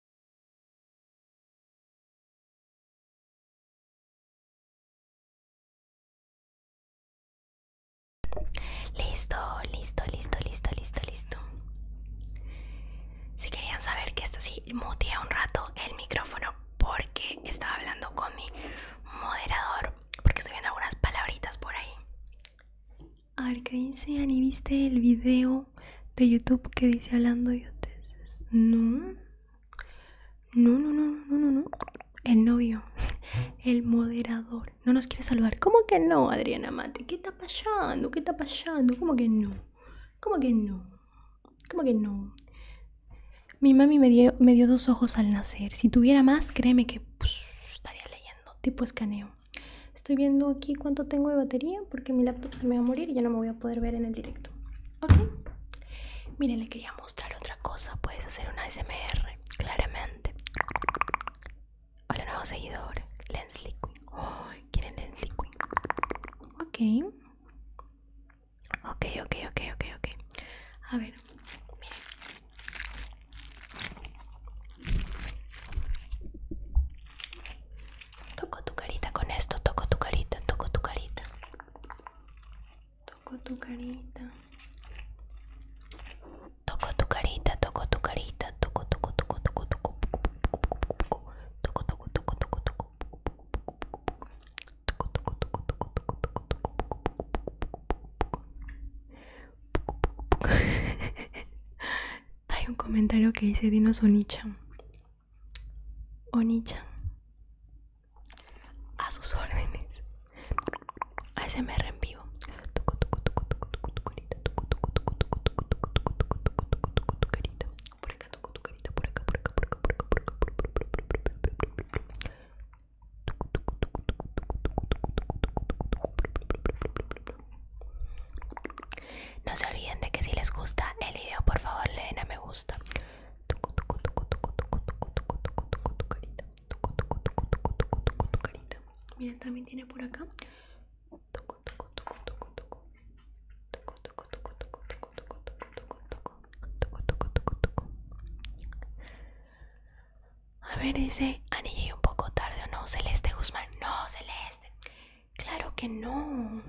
Listo, listo, listo, listo, listo, listo. Si querían saber que esto sí, muteé un rato el micrófono porque estaba hablando con mi moderador, porque estoy viendo algunas palabritas por ahí. A ver, ¿qué dice Ani? ¿Viste el video de YouTube que dice hablando de No, no, no, no, no, no, no. El novio, el moderador, no nos quiere saludar. ¿Cómo que no, Adriana Mate? ¿Qué está pasando? ¿Qué está pasando? ¿Cómo que no? ¿Cómo que no? ¿Cómo que no? Mi mami me dio, dos ojos al nacer. Si tuviera más, créeme que pues, estaría leyendo, tipo escaneo. Estoy viendo aquí cuánto tengo de batería porque mi laptop se me va a morir y ya no me voy a poder ver en el directo. Ok. Miren, le quería mostrar otra cosa. Puedes hacer una SMR, claramente. Hola, nuevo seguidor. Lens Oh, ¿Quieren Lens Liquid? Ok. Ok, ok, ok, ok, ok. A ver. Toco tu carita con esto, toco tu carita, toco tu carita. Toco tu carita. Toco tu carita, toco tu carita, toco, toco, toco, toco, toco, toco, toco, toco, toco, toco. Hay un comentario que dice Dino Onichan. A sus órdenes. ASMR en vivo. No se olviden de que si les gusta el video por favor le den a me gusta Toco, toco, toco, toco, toco, toco, toco tu carita. Toco, toco, toco, toco, toco, toco tu carita. también tiene por acá. Toco, toco, toco, toco, toco Toco, toco, toco, toco, toco, toco, toco Toco, toco, toco, toco, toco A ver, dice, Ani, un poco tarde o no, Celeste Guzmán. No, Celeste. Claro que no.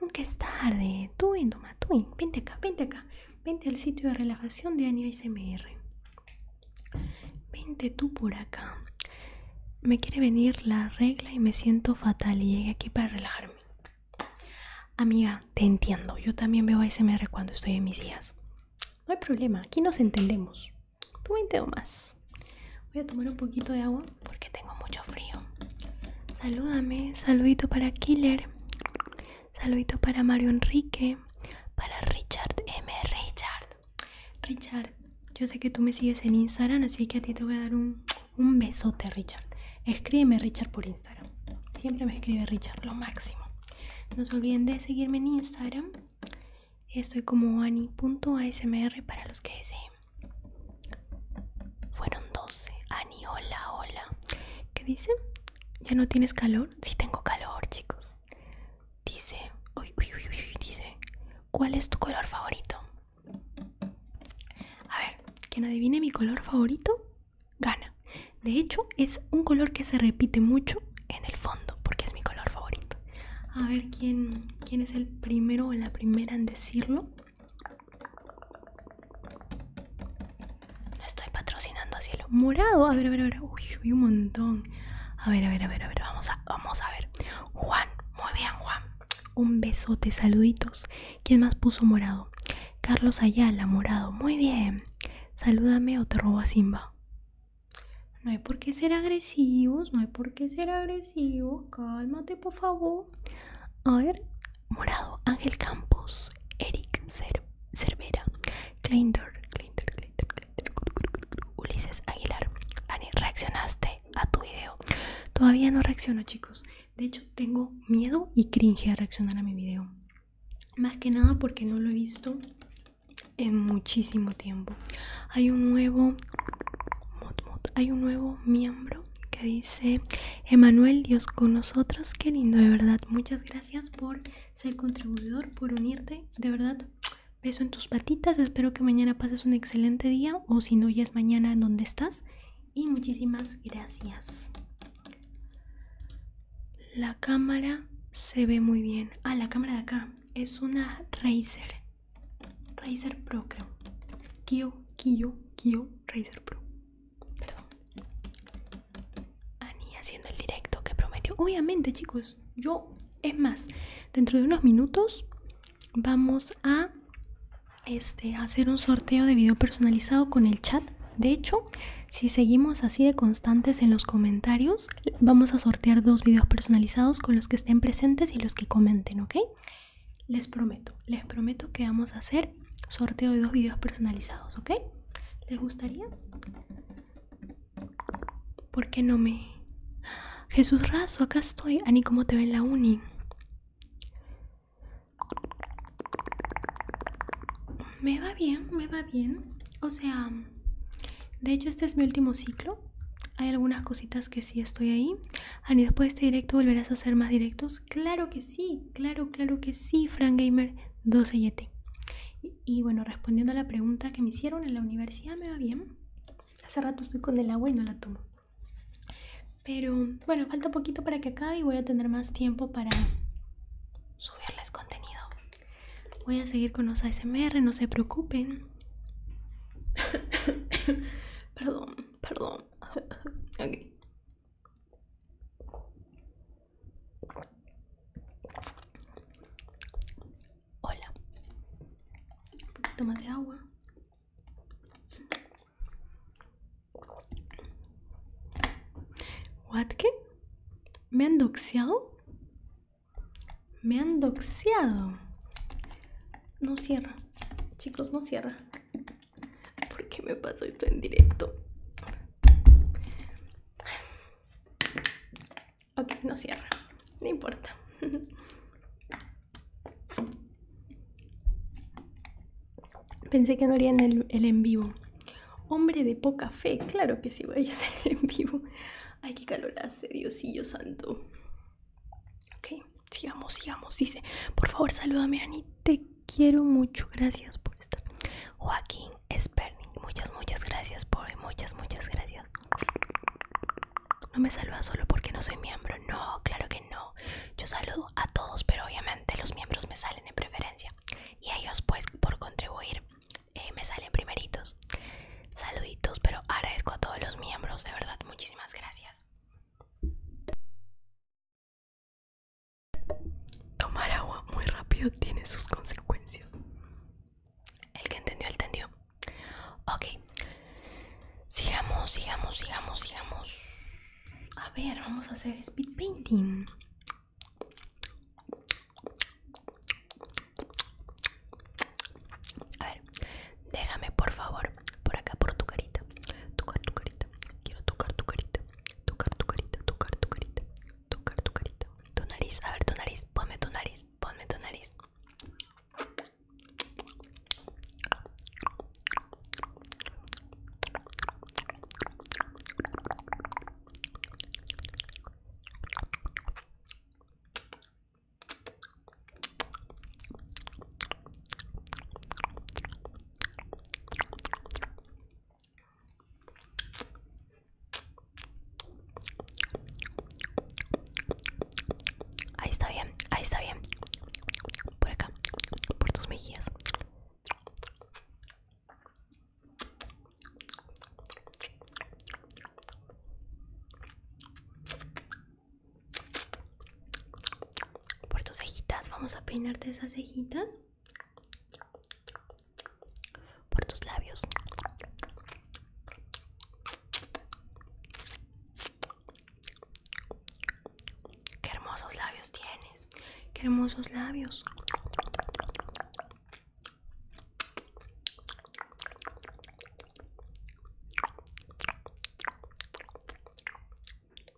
Nunca es tarde. Tú Twin, tú Twin. Vente acá, vente acá. Vente al sitio de relajación de Ania SMR. Vente tú por acá. Me quiere venir la regla y me siento fatal y llegué aquí para relajarme. Amiga, te entiendo. Yo también veo ASMR cuando estoy en mis días. No hay problema, aquí nos entendemos. Tú vente o más. Voy a tomar un poquito de agua porque tengo mucho frío. Salúdame, saludito para Killer, saludito para Mario Enrique, para Richard M. Richard. Richard, yo sé que tú me sigues en Instagram, así que a ti te voy a dar un, un besote, Richard. Escríbeme, Richard, por Instagram. Siempre me escribe Richard, lo máximo. No se olviden de seguirme en Instagram. Estoy como ani.asmr para los que deseen. Fueron 12. Ani, hola, hola. ¿Qué dice? ¿Ya no tienes calor? Sí tengo calor, chicos. Dice, uy, uy, uy, dice, ¿cuál es tu color favorito? A ver, quien adivine mi color favorito, gana. De hecho, es un color que se repite mucho en el fondo, porque es mi color favorito. A ver quién, quién es el primero o la primera en decirlo. No estoy patrocinando a cielo morado. A ver, a ver, a ver. Uy, un montón. A ver, a ver, a ver, a ver. Vamos a, vamos a ver. Juan, muy bien, Juan. Un besote, saluditos. ¿Quién más puso morado? Carlos Ayala, morado. Muy bien. Salúdame o te robo a Simba. No hay por qué ser agresivos, no hay por qué ser agresivos. Cálmate, por favor. A ver, Morado, Ángel Campos, Eric Cervera, Clintor, Ulises Aguilar. Ani, ¿reaccionaste a tu video? Todavía no reacciono, chicos. De hecho, tengo miedo y cringe a reaccionar a mi video. Más que nada porque no lo he visto en muchísimo tiempo. Hay un nuevo... hay un nuevo miembro que dice Emanuel Dios con nosotros, qué lindo de verdad, muchas gracias por ser contribuidor, por unirte, de verdad, beso en tus patitas, espero que mañana pases un excelente día o si no ya es mañana donde estás y muchísimas gracias. La cámara se ve muy bien, ah la cámara de acá es una Razer, Razer Pro creo, Kio, Kio, Kio, Razer Pro Perdón. Ani haciendo el directo que prometió. Obviamente, chicos, yo... Es más, dentro de unos minutos vamos a este, hacer un sorteo de video personalizado con el chat. De hecho, si seguimos así de constantes en los comentarios, vamos a sortear dos videos personalizados con los que estén presentes y los que comenten, ¿ok? les prometo, les prometo que vamos a hacer sorteo de dos videos personalizados, ¿ok? ¿Les gustaría? ¿Por qué no me...? Jesús Razo, acá estoy. Ani, ¿cómo te ve en la uni? Me va bien, me va bien. O sea, de hecho este es mi último ciclo. Hay algunas cositas que sí estoy ahí. Ani, después de este directo volverás a hacer más directos claro que sí, claro, claro que sí, Frank Gamer 12 Y, bueno, respondiendo a la pregunta que me hicieron en la universidad, me va bien. Hace rato estoy con el agua y no la tomo. Pero bueno, falta poquito para que acabe y voy a tener más tiempo para subirles contenido. Voy a seguir con los ASMR, no se preocupen. perdón, perdón. ok. Hola. Un poquito más de agua. ¿What qué? ¿Me han doxeado? Me han doxeado. No cierra. Chicos, no cierra. ¿Por qué me pasó esto en directo? Ok, no cierra. No importa. Pensé que no harían el, en vivo. Hombre de poca fe, claro que sí vaya a hacer el en vivo. Ay, qué calor hace, Diosillo santo. Ok, sigamos, sigamos. Dice, por favor, salúdame, Ani, quiero mucho. Gracias por esto. Joaquín Sperning, muchas, muchas gracias por muchas, muchas gracias. No me saluda solo porque no soy miembro. No, claro que no. Yo saludo a todos, pero obviamente los miembros me salen en preferencia. Y a ellos, pues, por contribuir, eh, me salen primeritos. Saluditos, pero agradezco a todos los miembros. De verdad, muchísimas gracias. Tomar agua muy rápido tiene sus consecuencias. El que entendió, entendió. Ok. Sigamos, sigamos, sigamos, sigamos. A ver, vamos a hacer speed painting. A ver, déjame por favor por acá por tu carita. Tocar tu carita. Quiero tocar tu carita. Tocar tu carita, tocar tu carita, tocar tu carita. Tu nariz, a ver tu nariz, ponme tu nariz, ponme tu nariz. Ahí está bien, ahí está bien. Por acá, por tus mejillas. Por tus cejitas, vamos a peinarte esas cejitas por tus labios. Qué hermosos labios tienes. Qué hermosos labios.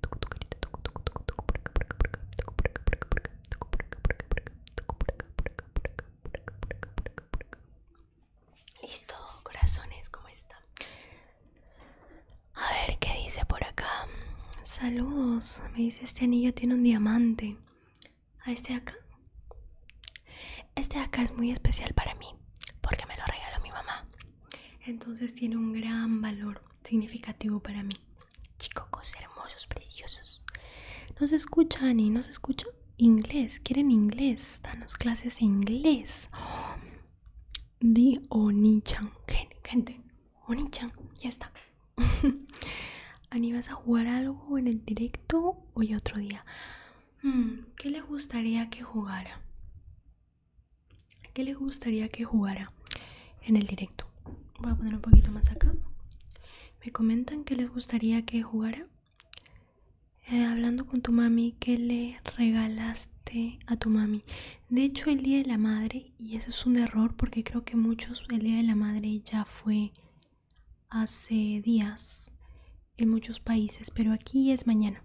toco tu carita, toco, toco, toco, toco por acá, por acá, por acá, toco por acá, por acá, por acá, toco por acá, por acá, por acá, toco por acá, por acá, por acá, por acá, por acá, por acá, por acá. Listo, corazones, como están? A ver qué dice por acá. Saludos, me dice este anillo tiene un diamante. ¿A este de acá? Este de acá es muy especial para mí porque me lo regaló mi mamá. Entonces tiene un gran valor significativo para mí chicos hermosos, preciosos. no ¿Nos escucha, Ani? se escucha? Inglés, quieren inglés, danos clases de inglés. The Onichan, gente, gente, Onichan, ya está. Ani, ¿vas a jugar algo en el directo hoy otro día? Hmm, ¿Qué le gustaría que jugara? ¿Qué le gustaría que jugara? en el directo. Voy a poner un poquito más acá. Me comentan que les gustaría que jugara. Eh, hablando con tu mami, que le regalaste a tu mami? De hecho, el Día de la Madre, y eso es un error porque creo que muchos, el Día de la Madre ya fue hace días en muchos países, pero aquí es mañana.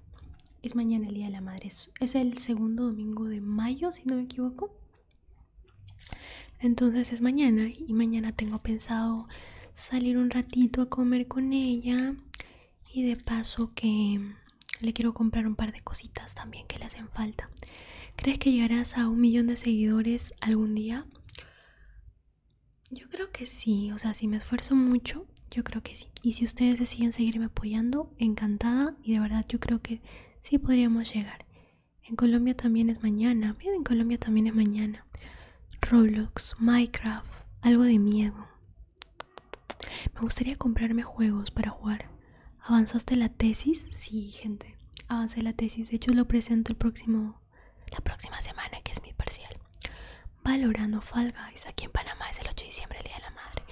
Es mañana el Día de la Madre. es el segundo domingo de mayo, si no me equivoco. Entonces es mañana y mañana tengo pensado salir un ratito a comer con ella y de paso que le quiero comprar un par de cositas también que le hacen falta. ¿Crees que llegarás a un millón de seguidores algún día? Yo creo que sí, o sea, si me esfuerzo mucho, yo creo que sí. Y si ustedes deciden seguirme apoyando, encantada y de verdad yo creo que sí podríamos llegar. En Colombia también es mañana. Bien, en Colombia también es mañana. Roblox, Minecraft, algo de miedo. Me gustaría comprarme juegos para jugar. ¿Avanzaste la tesis? Sí, gente. Avancé la tesis. De hecho, lo presento el próximo, la próxima semana, que es mi parcial. Valorando Fall Guys. Aquí en Panamá es el 8 de diciembre, el Día de la Madre.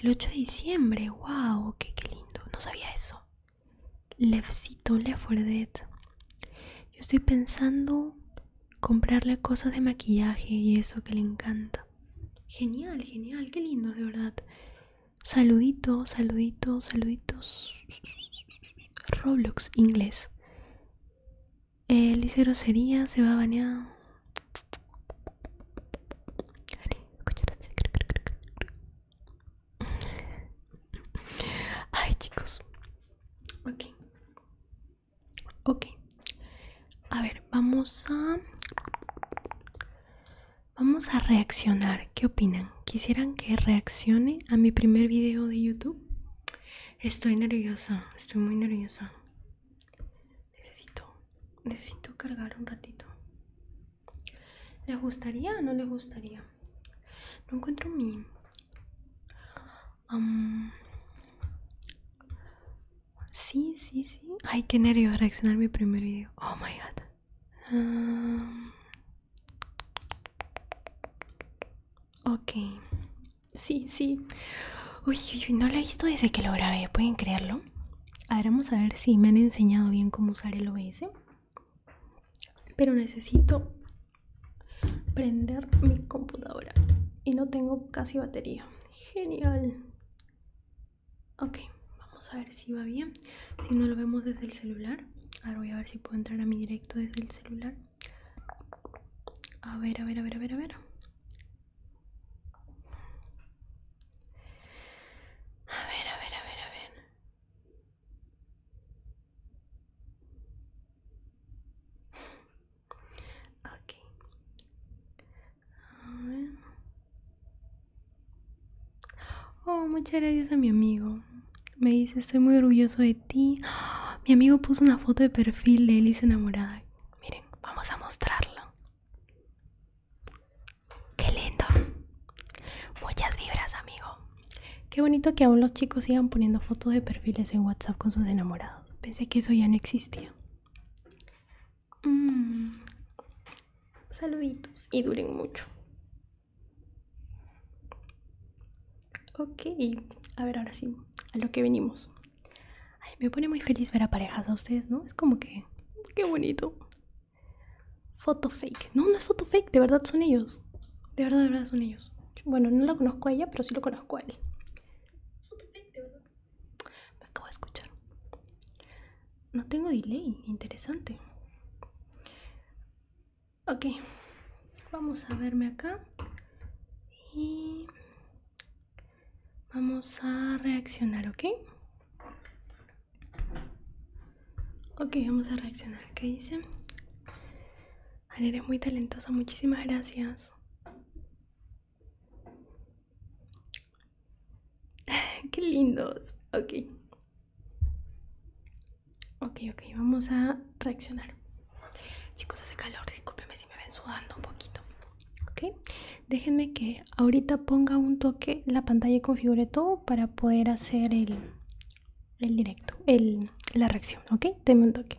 El 8 de diciembre, wow, qué lindo. No sabía eso. Lefcito, Lefordet. Yo estoy pensando comprarle cosas de maquillaje y eso que le encanta. Genial, genial, qué lindo, de verdad. Saluditos, saluditos, saluditos. Roblox inglés. El dice sería se va a bañar. Ay, chicos. Ok. Ok. A ver, vamos a... Vamos a reaccionar. ¿Qué opinan? ¿Quisieran que reaccione a mi primer video de YouTube? Estoy nerviosa, estoy muy nerviosa. Necesito, necesito cargar un ratito. ¿Les gustaría o no les gustaría? No encuentro mi... Sí, sí, sí. Ay, qué nervios reaccionar mi primer video. Oh, my God. Ok. Sí, sí. Uy, uy, uy, no lo he visto desde que lo grabé, ¿pueden creerlo? A ver, vamos a ver si me han enseñado bien cómo usar el OBS. Pero necesito prender mi computadora y no tengo casi batería. Genial. Ok, vamos a ver si va bien. Si no lo vemos desde el celular. Ahora voy a ver si puedo entrar a mi directo desde el celular. A ver, a ver, a ver, a ver, a ver. A ver, a ver, a ver, a ver. Ok. Oh, muchas gracias a mi amigo. Me dice, estoy muy orgulloso de ti. mi amigo puso una foto de perfil de él y enamorada. Miren, vamos a mostrarla. Qué lindo. Muchas vibras, amigo. Qué bonito que aún los chicos sigan poniendo fotos de perfiles en WhatsApp con sus enamorados. Pensé que eso ya no existía. Mm. Saluditos y duren mucho. Ok, a ver, ahora sí, a lo que venimos. Ay, me pone muy feliz ver a parejas a ustedes, ¿no? Es como que, qué bonito. Foto fake. No, no es foto fake, de verdad son ellos. De verdad, de verdad son ellos. Bueno, no lo conozco a ella, pero sí lo conozco a él. Me acabo de escuchar. No tengo delay, interesante. Ok, vamos a verme acá. Y vamos a reaccionar, ¿ok? Ok, vamos a reaccionar. ¿Qué dice? eres muy talentosa. Muchísimas gracias. Qué lindos. Ok. Ok, ok. Vamos a reaccionar. Chicos, hace calor. Discúlpenme si me ven sudando un poquito. Ok. Déjenme que ahorita ponga un toque la pantalla y configure todo para poder hacer el el directo, el, la reacción, ¿ok? Te un toque.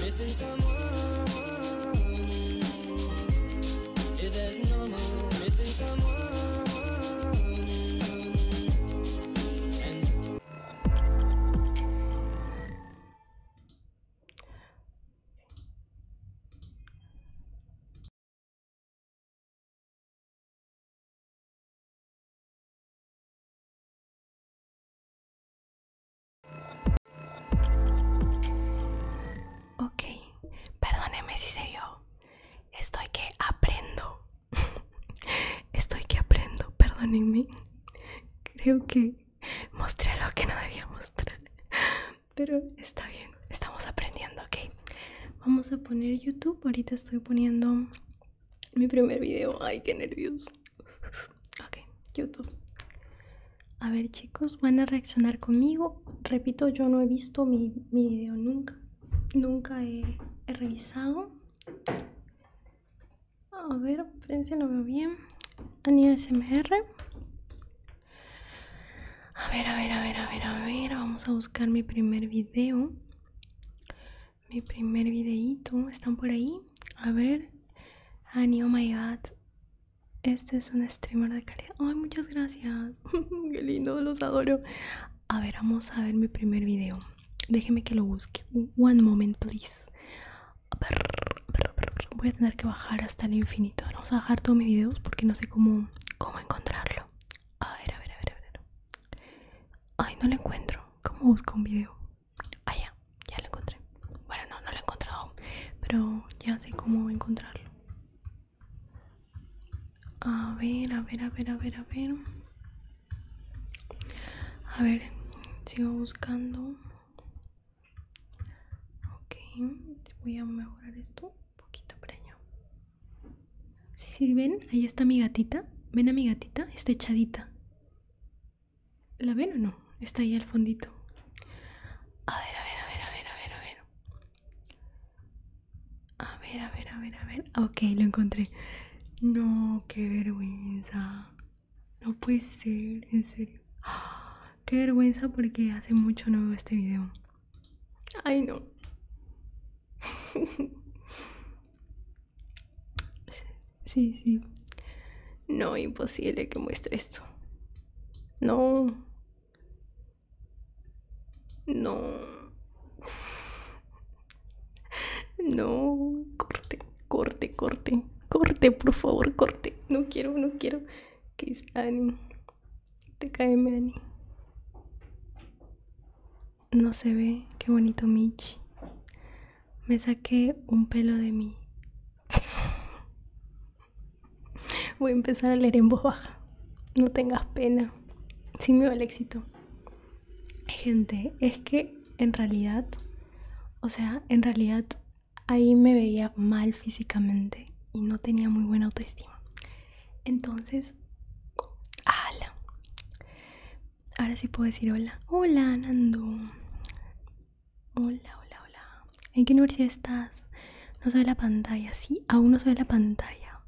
Missing someone is as normal. Missing someone. Ok, perdóneme si se vio. Estoy que aprendo. Estoy que aprendo, perdónenme. Creo que mostré lo que no debía mostrar. Pero está bien, estamos aprendiendo, ok. Vamos a poner YouTube. Ahorita estoy poniendo mi primer video. Ay, qué nervioso Ok, YouTube. A ver chicos, van a reaccionar conmigo. Repito, yo no he visto mi, mi video nunca. Nunca he, revisado. A ver, prensa no veo bien. Ania SMR. A ver, a ver, a ver, a ver, a ver. Vamos a buscar mi primer video mi primer videíto están por ahí a ver Annie oh my god este es un streamer de calidad ay muchas gracias qué lindo los adoro a ver vamos a ver mi primer video déjeme que lo busque one moment please voy a tener que bajar hasta el infinito vamos a bajar todos mis videos porque no sé cómo cómo encontrarlo a ver a ver a ver a ver ay no lo encuentro cómo busco un video Ah, ya, ya lo encontré. Bueno, no, no lo he encontrado pero ya sé cómo encontrarlo. A ver, a ver, a ver, a ver, a ver. A ver, sigo buscando. Ok, voy a mejorar esto un poquito, preño. Si ven, ahí está mi gatita. Ven a mi gatita, está echadita. ¿La ven o no? Está ahí al fondito. A ver, a ver, a ver, a ver, a ver, a ver. A ver, a ver, a ver, a ver. Ok, lo encontré. No, qué vergüenza. No puede ser, en serio. Qué vergüenza porque hace mucho no veo este video. Ay, no. Sí, sí. No, imposible que muestre esto. No. No. No. Corte, corte, corte. Corte, por favor, corte. No quiero, no quiero. Que Te Annie. TKM Annie. No se ve. Qué bonito Michi me saqué un pelo de mí. Voy a empezar a leer en voz baja. No tengas pena. si me va el éxito. Gente, es que en realidad, o sea, en realidad ahí me veía mal físicamente y no tenía muy buena autoestima. Entonces, ¡Hala! Ahora sí puedo decir hola. Hola, Nando. Hola, hola, hola. ¿En qué universidad estás? No se ve la pantalla, sí, aún no se ve la pantalla.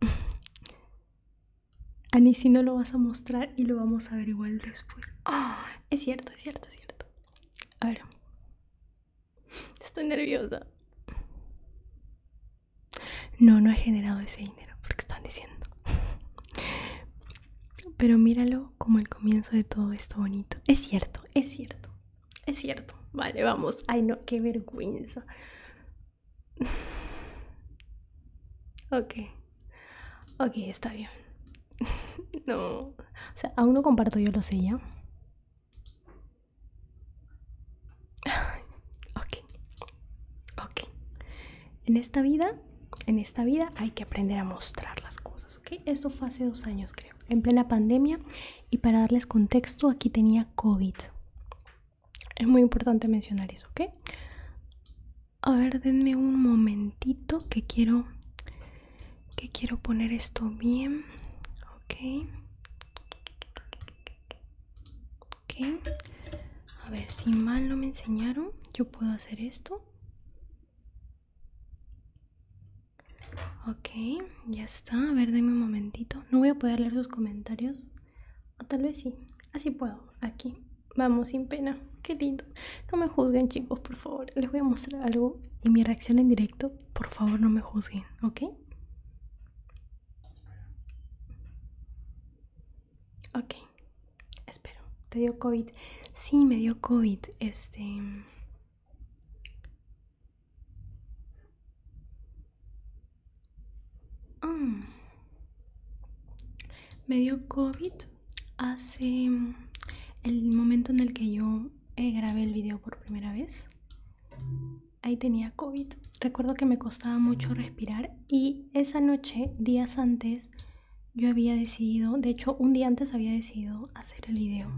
Ani, si no lo vas a mostrar y lo vamos a ver igual después. Ah, es cierto, es cierto, es cierto. A ver. Estoy nerviosa. No, no he generado ese dinero porque están diciendo. Pero míralo como el comienzo de todo esto bonito. Es cierto, es cierto, es cierto. Vale, vamos. Ay, no, qué vergüenza. ok, ok, está bien. no, o sea, aún no comparto, yo lo sé ya. ok, ok. En esta vida, en esta vida hay que aprender a mostrar las cosas, ¿ok? Esto fue hace dos años, creo, en plena pandemia. Y para darles contexto, aquí tenía COVID. Es muy importante mencionar eso, ¿ok? A ver, denme un momentito que quiero que quiero poner esto bien. Ok. Ok. A ver, si mal no me enseñaron, yo puedo hacer esto. Ok, ya está. A ver, denme un momentito. No voy a poder leer los comentarios. O tal vez sí. Así puedo. Aquí. Vamos, sin pena. Qué lindo. No me juzguen, chicos, por favor. Les voy a mostrar algo y mi reacción en directo. Por favor, no me juzguen, ¿ok? Ok espero, ¿te dio COVID? Sí, me dio COVID, este... Mm, me dio COVID hace el momento en el que yo eh, grabé el video por primera vez. Ahí tenía COVID. Recuerdo que me costaba mucho respirar y esa noche, días antes, yo había decidido, de hecho un día antes había decidido hacer el video.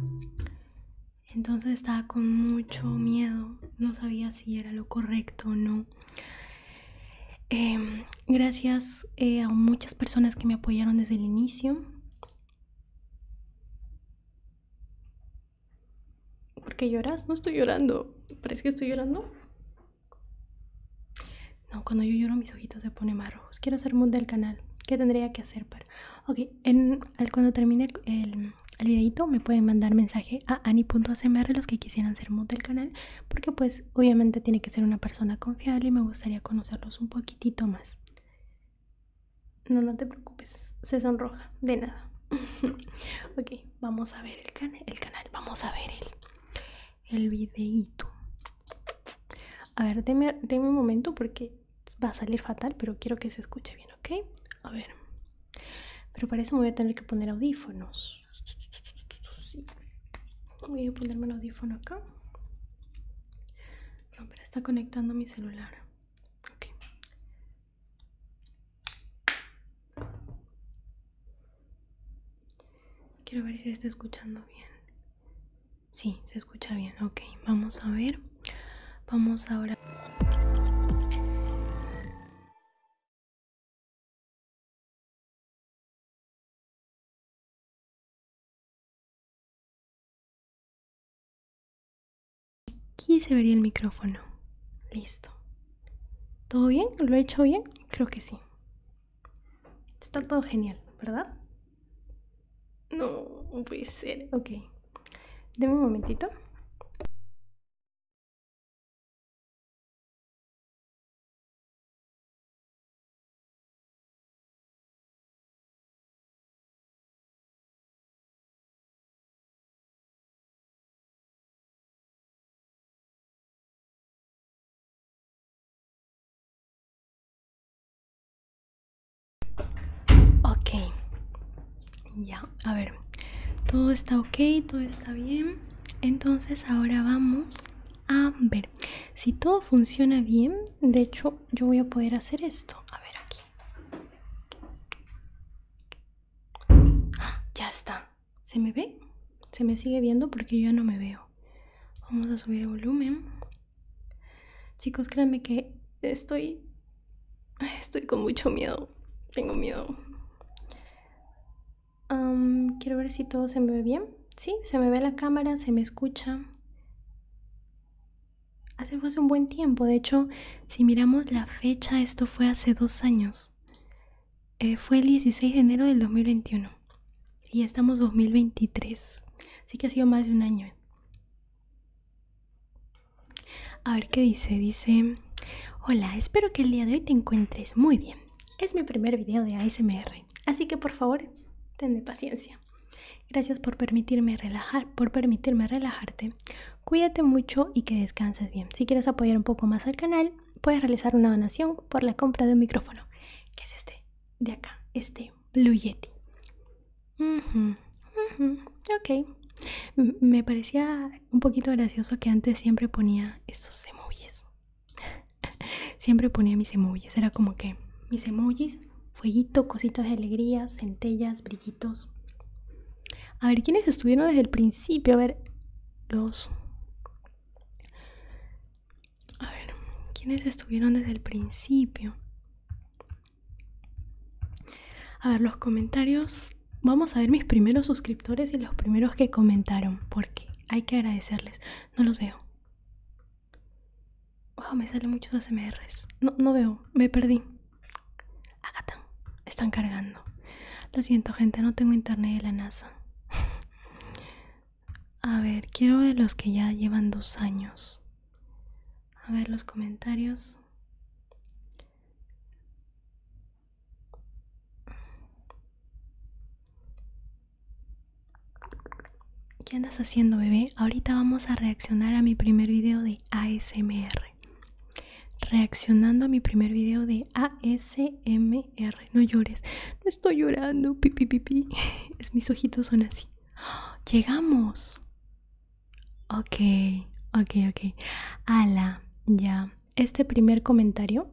Entonces estaba con mucho miedo, no sabía si era lo correcto o no. Em, gracias eh, a muchas personas que me apoyaron desde el inicio. ¿Por qué lloras? No estoy llorando. ¿Parece que estoy llorando? No, cuando yo lloro mis ojitos se ponen más rojos. Quiero ser mood del canal. ¿Qué tendría que hacer para...? Ok, cuando termine el, el, videito me pueden mandar mensaje a ani.acmr los que quisieran ser mood del canal. Porque pues obviamente tiene que ser una persona confiable y me gustaría conocerlos un poquitito más. No, no te preocupes. Se sonroja. De nada. ok, vamos a ver el, el canal. Vamos a ver el, el videíto. A ver, déme un momento porque va a salir fatal, pero quiero que se escuche bien, ¿ok? A ver. Pero para eso me voy a tener que poner audífonos. Voy a ponerme el audífono acá. No, pero está conectando mi celular. Quiero ver si está escuchando bien. Sí, se escucha bien. Ok, vamos a ver. Vamos ahora. Aquí se vería el micrófono. Listo. ¿Todo bien? ¿Lo he hecho bien? Creo que sí. Está todo genial, ¿verdad? No, puede ser. Ok. Deme un momentito. Ok, ya, a ver, todo está ok, todo está bien. Entonces ahora vamos a ver si todo funciona bien. De hecho, yo voy a poder hacer esto. A ver aquí. Ah, ya está. ¿Se me ve? ¿Se me sigue viendo? Porque yo no me veo. Vamos a subir el volumen. Chicos, créanme que estoy. Estoy con mucho miedo. Tengo miedo. quiero ver si todo se me ve bien. Sí, se me ve la cámara, se me escucha. Hace, un buen tiempo. De hecho, si miramos la fecha, esto fue hace dos años. Eh, fue el 16 de enero del 2021. Y ya estamos 2023. Así que ha sido más de un año. A ver qué dice. Dice, hola, espero que el día de hoy te encuentres muy bien. Es mi primer video de ASMR. Así que por favor, ten paciencia. Gracias por permitirme relajar, por permitirme relajarte. Cuídate mucho y que descanses bien. Si quieres apoyar un poco más al canal, puedes realizar una donación por la compra de un micrófono, que es este de acá, este Luyeti. ok. me parecía un poquito gracioso que antes siempre ponía esos emojis. siempre ponía mis emojis. Era como que mis emojis, fueguito, cositas de alegría, centellas, brillitos. A ver, ¿quiénes estuvieron desde el principio? A ver, los... A ver, ¿quiénes estuvieron desde el principio? A ver, los comentarios. Vamos a ver mis primeros suscriptores y los primeros que comentaron, porque hay que agradecerles. No los veo. me salen muchos acmrs. No, no veo, me perdí. Acá están, están cargando. Lo siento, gente, no tengo internet de la NASA. A ver, quiero ver los que ya llevan dos años. A ver los comentarios. ¿Qué andas haciendo, bebé? Ahorita vamos a reaccionar a mi primer video de ASMR. Reaccionando a mi primer video de ASMR. No llores. No estoy llorando. pipí Es, mis ojitos son así llegamos. Ok, ok, ok. Ala, ya. Este primer comentario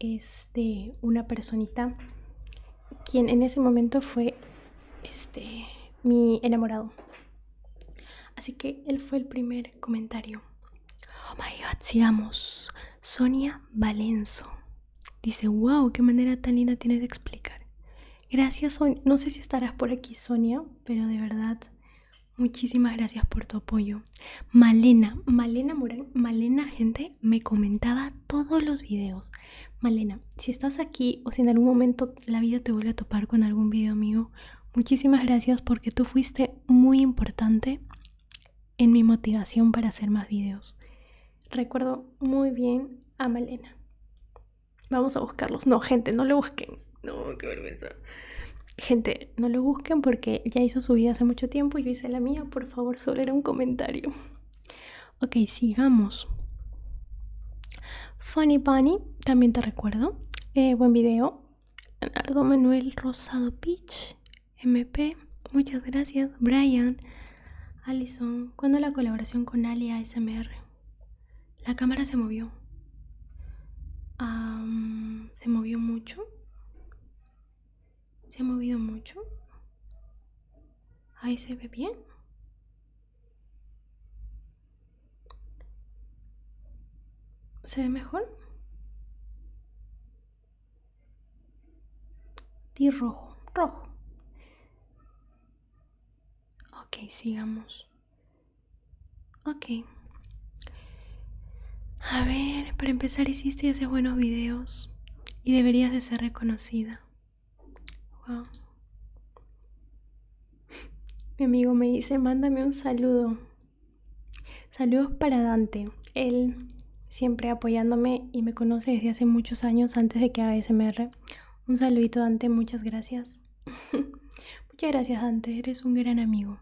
es de una personita quien en ese momento fue este mi enamorado. Así que él fue el primer comentario. Oh my god, sigamos. Sonia Valenzo. Dice, wow, qué manera tan linda tienes de explicar. Gracias, Sonia. No sé si estarás por aquí, Sonia, pero de verdad, muchísimas gracias por tu apoyo. Malena, Malena Morán, Malena, gente, me comentaba todos los videos. Malena, si estás aquí o si en algún momento la vida te vuelve a topar con algún video mío, muchísimas gracias porque tú fuiste muy importante en mi motivación para hacer más videos. Recuerdo muy bien a Malena. Vamos a buscarlos. No, gente, no lo busquen. No, qué vergüenza. Gente, no lo busquen porque ya hizo su vida hace mucho tiempo y yo hice la mía. Por favor, solo era un comentario. Ok, sigamos. Funny Bunny, también te recuerdo. Eh, buen video. Leonardo Manuel Rosado pitch MP. Muchas gracias, Brian. Alison, ¿cuándo la colaboración con AliA SMR? La cámara se movió. ¿Se movió mucho? ¿Se ha movido mucho? Ahí se ve bien. ¿Se ve mejor? Di rojo, rojo. Ok, sigamos. Ok. A ver, para empezar hiciste y buenos videos y deberías de ser reconocida. Wow. Mi amigo me dice, mándame un saludo. Saludos para Dante. Él siempre apoyándome y me conoce desde hace muchos años antes de que ASMR. Un saludito Dante, muchas gracias. muchas gracias Dante, eres un gran amigo.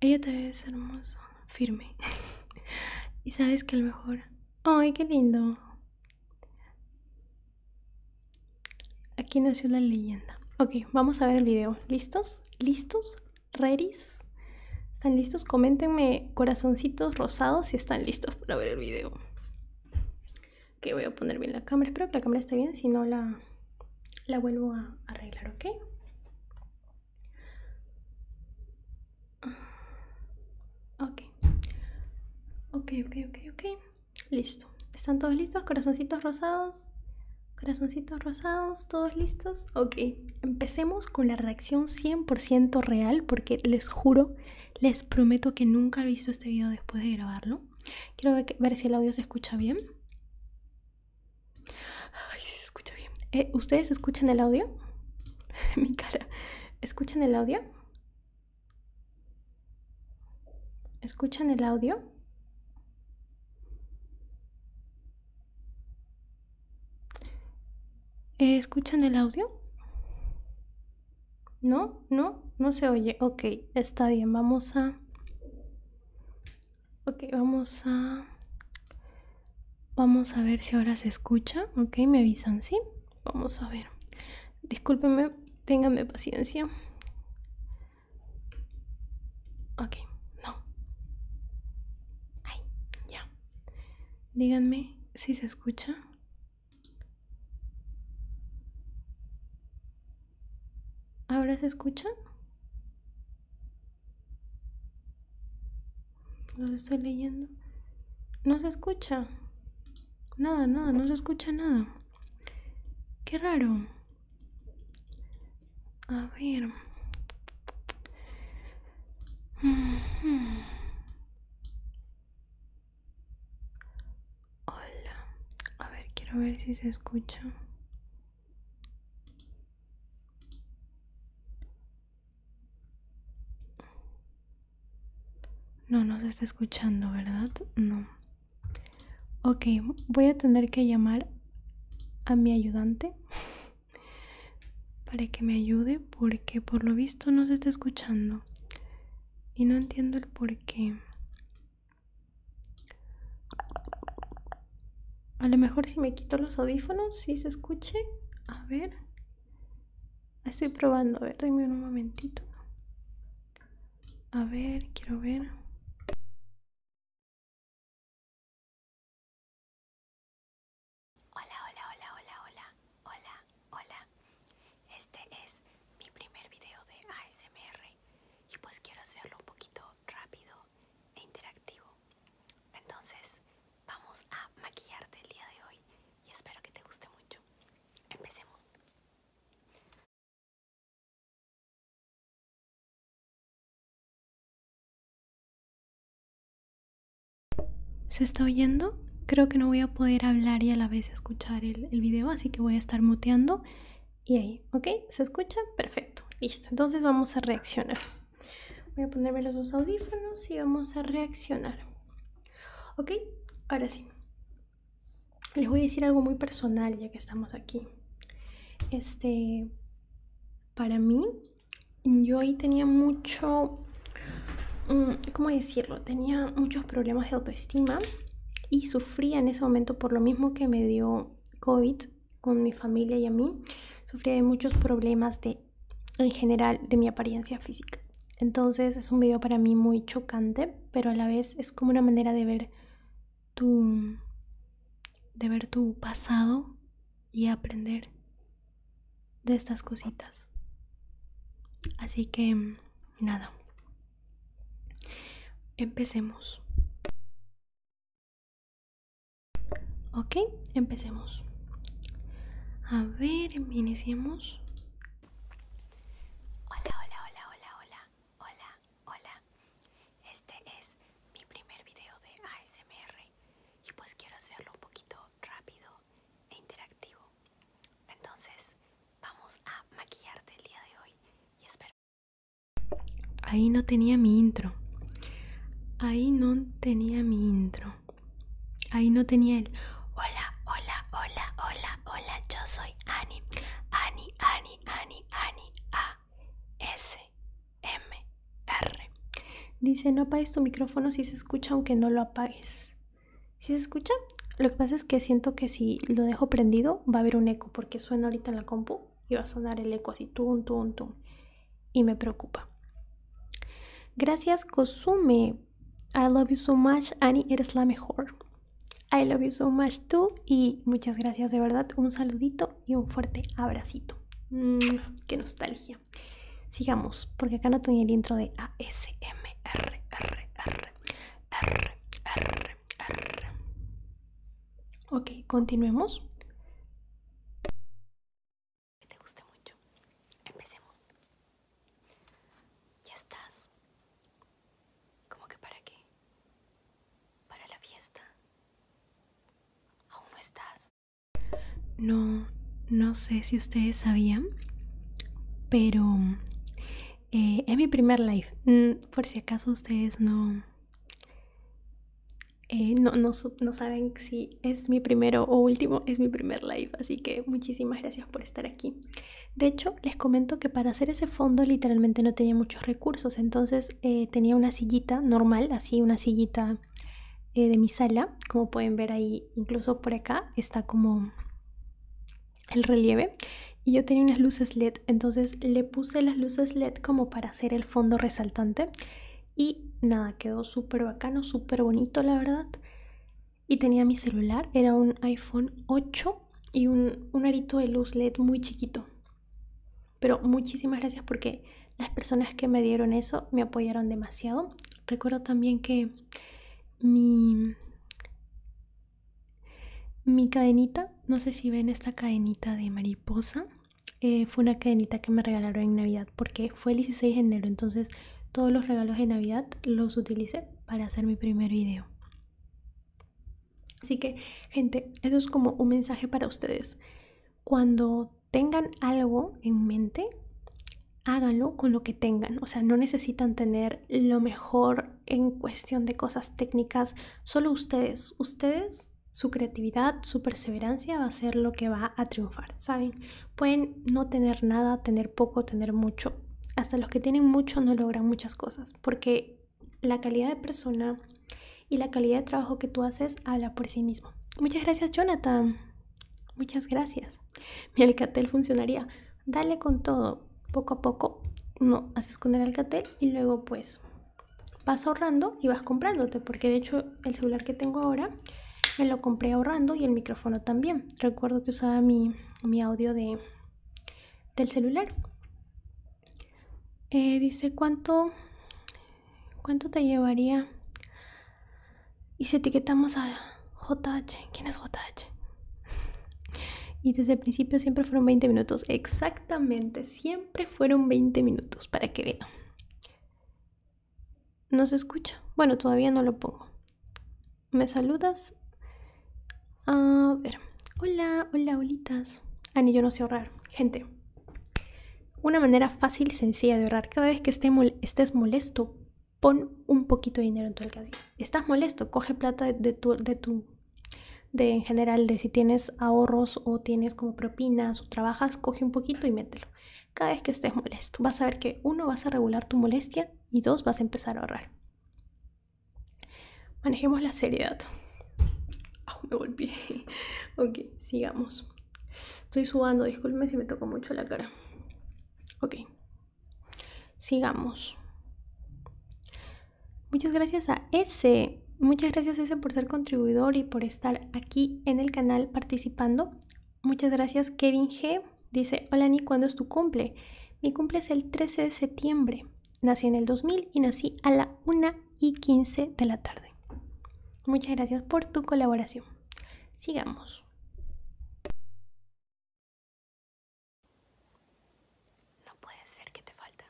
Ella te es hermosa, firme. y sabes que a lo mejor... ¡Ay, qué lindo! Aquí nació la leyenda. Ok, vamos a ver el video. ¿Listos? ¿Listos? ¿Ready? ¿Están listos? Coméntenme corazoncitos rosados si están listos para ver el video. Que voy a poner bien la cámara. Espero que la cámara esté bien, si no la, la vuelvo a arreglar, Ok. Ok, ok, ok, ok. Listo. ¿Están todos listos? Corazoncitos rosados. Corazoncitos rosados, todos listos. Ok, empecemos con la reacción 100% real porque les juro, les prometo que nunca he visto este video después de grabarlo. Quiero ver, si el audio se escucha bien. Ay, sí se escucha bien. Eh, ¿Ustedes escuchan el audio? Mi cara. ¿Escuchan el audio? ¿Escuchan el audio? Eh, ¿Escuchan el audio? ¿No? ¿No? ¿No se oye? Ok, está bien, vamos a... Ok, vamos a... Vamos a ver si ahora se escucha. Ok, me avisan, ¿sí? Vamos a ver. Discúlpenme, ténganme paciencia. Ok, no. Ay, ya. Díganme si se escucha. ¿Ahora se escucha? Los estoy leyendo. No se escucha. Nada, nada, no se escucha nada. Qué raro. A ver. Mm-hmm. Hola. A ver, quiero ver si se escucha. No, nos está escuchando, ¿verdad? No. Ok, voy a tener que llamar a mi ayudante para que me ayude porque por lo visto no se está escuchando y no entiendo el por qué. A lo mejor si me quito los audífonos, si se escuche. A ver. Estoy probando, a ver, dame un momentito. A ver, quiero ver. Hola, hola, hola, hola, hola, hola, hola. Este es mi primer video de ASMR y pues quiero hacerlo un poquito rápido e interactivo. Entonces vamos a maquillarte el día de hoy y espero que te guste mucho. Empecemos. ¿Se está oyendo? Creo que no voy a poder hablar y a la vez escuchar el, video, así que voy a estar muteando. Y ahí, ¿ok? ¿Se escucha? Perfecto, listo. Entonces vamos a reaccionar. Voy a ponerme los dos audífonos y vamos a reaccionar. ¿Ok? Ahora sí. Les voy a decir algo muy personal ya que estamos aquí. Este, para mí, yo ahí tenía mucho, mm, ¿cómo decirlo? Tenía muchos problemas de autoestima y sufría en ese momento por lo mismo que me dio COVID con mi familia y a mí. Sufría de muchos problemas de, en general de mi apariencia física. Entonces es un video para mí muy chocante, pero a la vez es como una manera de ver tu, de ver tu pasado y aprender de estas cositas. Así que nada. Empecemos. Ok, empecemos. A ver, iniciemos. Hola, hola, hola, hola, hola, hola, hola. Este es mi primer video de ASMR y pues quiero hacerlo un poquito rápido e interactivo. Entonces, vamos a maquillarte el día de hoy y espero. Ahí no tenía mi intro. Ahí no tenía mi intro. Ahí no tenía el hola, hola, hola, hola, hola, yo soy Ani. Ani, Ani, Ani, Ani, A, S, M, R. Dice, no apagues tu micrófono si se escucha aunque no lo apagues. Si se escucha, lo que pasa es que siento que si lo dejo prendido va a haber un eco porque suena ahorita en la compu y va a sonar el eco así, tum, tum, tum. Y me preocupa. Gracias, Cosume. I love you so much, Annie, eres la mejor. I love you so much too. Y muchas gracias de verdad. Un saludito y un fuerte abracito. Mm, qué nostalgia sigamos, porque acá no tenía el intro de ASMR. Ok, continuemos. Que te guste mucho. Empecemos. Ya estás. ¿Cómo que para qué? Para la fiesta. Aún estás. No, no sé si ustedes sabían, pero eh, es mi primer live. Mm, por si acaso ustedes no, eh, no, saben si es mi primero o último, es mi primer live. Así que muchísimas gracias por estar aquí. De hecho, les comento que para hacer ese fondo literalmente no tenía muchos recursos. Entonces eh, tenía una sillita normal, así una sillita de mi sala. Como pueden ver ahí incluso por acá está como el relieve y yo tenía unas luces LED, entonces le puse las luces LED como para hacer el fondo resaltante y nada, quedó súper bacano, súper bonito la verdad. Y tenía mi celular, era un iPhone 8 y un, un arito de luz LED muy chiquito. Pero muchísimas gracias porque las personas que me dieron eso me apoyaron demasiado Recuerdo también que mi, cadenita, no sé si ven esta cadenita de mariposa, eh, fue una cadenita que me regalaron en Navidad porque fue el 16 de enero, entonces todos los regalos de Navidad los utilicé para hacer mi primer video. Así que, gente, eso es como un mensaje para ustedes. Cuando tengan algo en mente, háganlo con lo que tengan. O sea, no necesitan tener lo mejor en cuestión de cosas técnicas. Solo ustedes, ustedes, su creatividad, su perseverancia va a ser lo que va a triunfar, ¿saben? Pueden no tener nada, tener poco, tener mucho. Hasta los que tienen mucho no logran muchas cosas, porque la calidad de persona y la calidad de trabajo que tú haces habla por sí mismo. Muchas gracias, Jonathan. Muchas gracias. mi alcatel funcionaría. Dale con todo, poco a poco, no, haces esconder el alcatel y luego pues vas ahorrando y vas comprándote, porque de hecho el celular que tengo ahora me lo compré ahorrando y el micrófono también. Recuerdo que usaba mi, audio del celular. Eh, dice, ¿cuánto, ¿cuánto te llevaría y si etiquetamos a JH, ¿quién es JH? y desde el principio siempre fueron 20 minutos. Exactamente, siempre fueron 20 minutos, para que vean. ¿No se escucha? Bueno, todavía no lo pongo. ¿Me saludas? A ver. Hola, hola, holitas. Ani, ah, yo no sé ahorrar. Gente, una manera fácil y sencilla de ahorrar. Cada vez que estés molesto pon un poquito de dinero en tu alcaldía Estás molesto, coge plata de, tu, de tu, de en general, de si tienes ahorros o tienes como propinas o trabajas, coge un poquito y mételo. Cada vez que estés molesto, vas a ver que uno, vas a regular tu molestia y dos, vas a empezar a ahorrar. Manejemos la seriedad. Ah, me golpeé. ok, sigamos. Estoy subando disculpe si me toco mucho la cara. Ok, Sigamos. Muchas gracias a ese. Muchas gracias ese por ser contribuidor y por estar aquí en el canal participando. Muchas gracias Kevin G. Dice, hola y ¿cuándo es tu cumple? Mi cumple es el 13 de septiembre. Nací en el 2000 y nací a la 1 y 15 de la tarde. Muchas gracias por tu colaboración. Sigamos. No puede ser que te falta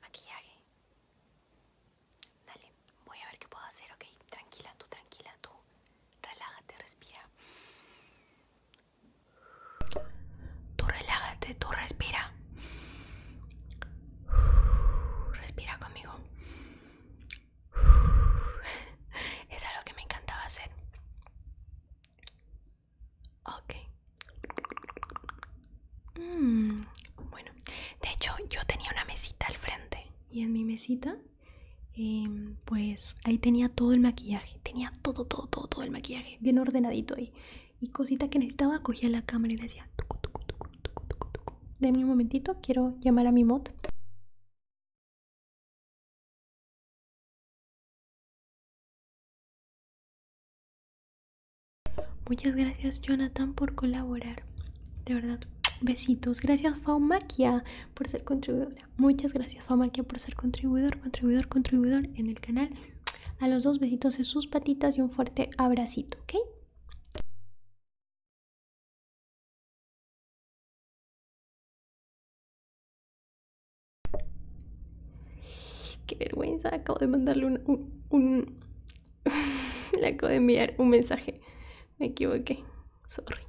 maquillaje. Dale, voy a ver qué puedo hacer, ok. Tranquila, tú tranquila, tú. Relájate, respira. Tú relájate, tú respira. Respira conmigo. Es algo que me encantaba hacer. Ok. Mm, bueno, de hecho yo tenía una mesita al frente. Y en mi mesita, em, pues ahí tenía todo el maquillaje. Tenía todo, todo, todo, todo el maquillaje. Bien ordenadito ahí. Y cosita que necesitaba, cogía la cámara y le decía... De un momentito, quiero llamar a mi mod. Muchas gracias Jonathan por colaborar. De verdad, besitos. Gracias Faumaquia por ser contribuidora. Muchas gracias Faumaquia por ser contribuidor, contribuidor, contribuidor en el canal. A los dos besitos en sus patitas y un fuerte abracito, ¿ok? Qué vergüenza, acabo de mandarle un... un, acabo de enviar un mensaje. Me equivoqué. Sorry.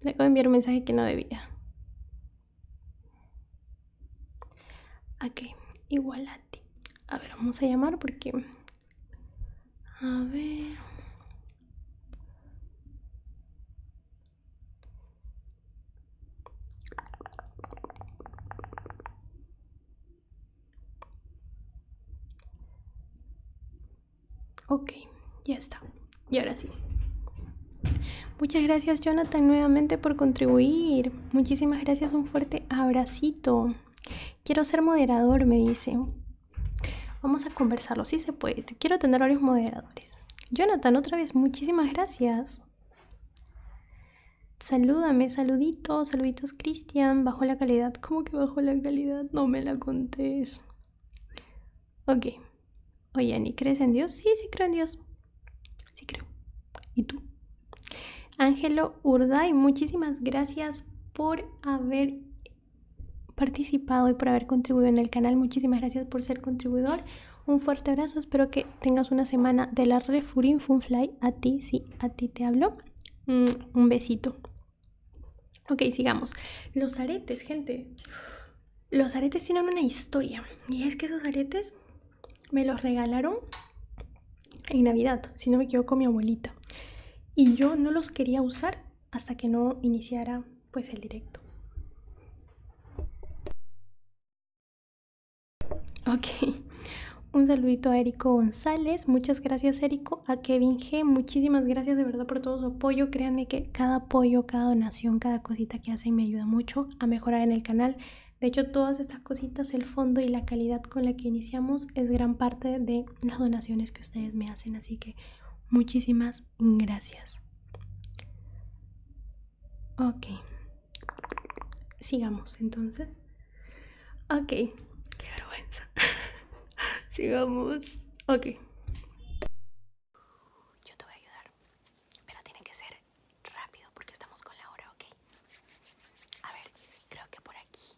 Le acabo de enviar un mensaje que no debía. Ok, igual a ti. A ver, vamos a llamar porque... A ver... Ok, ya está. Y ahora sí. Muchas gracias Jonathan nuevamente por contribuir. Muchísimas gracias, un fuerte abracito. Quiero ser moderador, me dice. Vamos a conversarlo, si sí se puede. Quiero tener varios moderadores. Jonathan, otra vez, muchísimas gracias. Salúdame, saluditos, saluditos, Cristian. Bajo la calidad. ¿Cómo que bajo la calidad? No me la contés. Ok. Oye, ¿ni crees en Dios? Sí, sí creo en Dios. Sí creo. ¿Y tú? Ángelo Urday, muchísimas gracias por haber participado y por haber contribuido en el canal. Muchísimas gracias por ser contribuidor. Un fuerte abrazo. Espero que tengas una semana de la Refurin Funfly. A ti, sí, a ti te hablo. Mm, un besito. Ok, sigamos. Los aretes, gente. Los aretes tienen una historia. Y es que esos aretes me los regalaron en Navidad, si no me equivoco, mi abuelita. Y yo no los quería usar hasta que no iniciara pues el directo. Ok, un saludito a Érico González, muchas gracias Érico, a Kevin G, muchísimas gracias de verdad por todo su apoyo, créanme que cada apoyo, cada donación, cada cosita que hacen me ayuda mucho a mejorar en el canal. De hecho, todas estas cositas, el fondo y la calidad con la que iniciamos es gran parte de las donaciones que ustedes me hacen, así que muchísimas gracias gracias. Ok. Sigamos entonces. Ok. Qué vergüenza. Sigamos. Ok. Yo te voy a ayudar. Pero tiene que ser rápido porque estamos con la hora, ¿ok? A ver, creo que por aquí.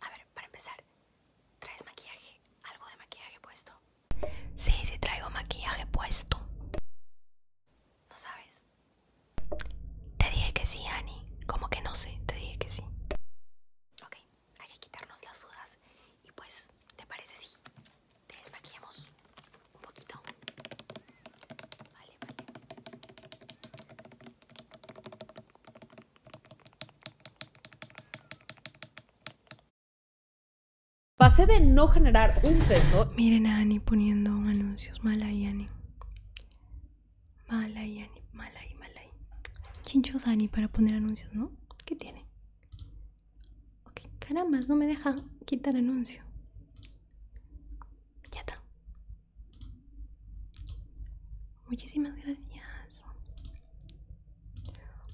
A ver, para empezar, ¿traes maquillaje? ¿Algo de maquillaje puesto? Sí, si traigo maquillaje puesto. ¿No sabes? Te dije que sí, Annie. Como que no sé, te dije que sí. Ok, hay que quitarnos las dudas. Y pues, ¿te parece si te desmaquillamos un poquito? vale. Pasé de no generar un peso. Miren a Ani poniendo anuncios. Mala y Ani. Mala y Ani. Mala y mala y. Chinchos Ani para poner anuncios, ¿no? ¿Qué tiene? Ok, caramba, no me deja quitar anuncio. Ya está. Muchísimas gracias.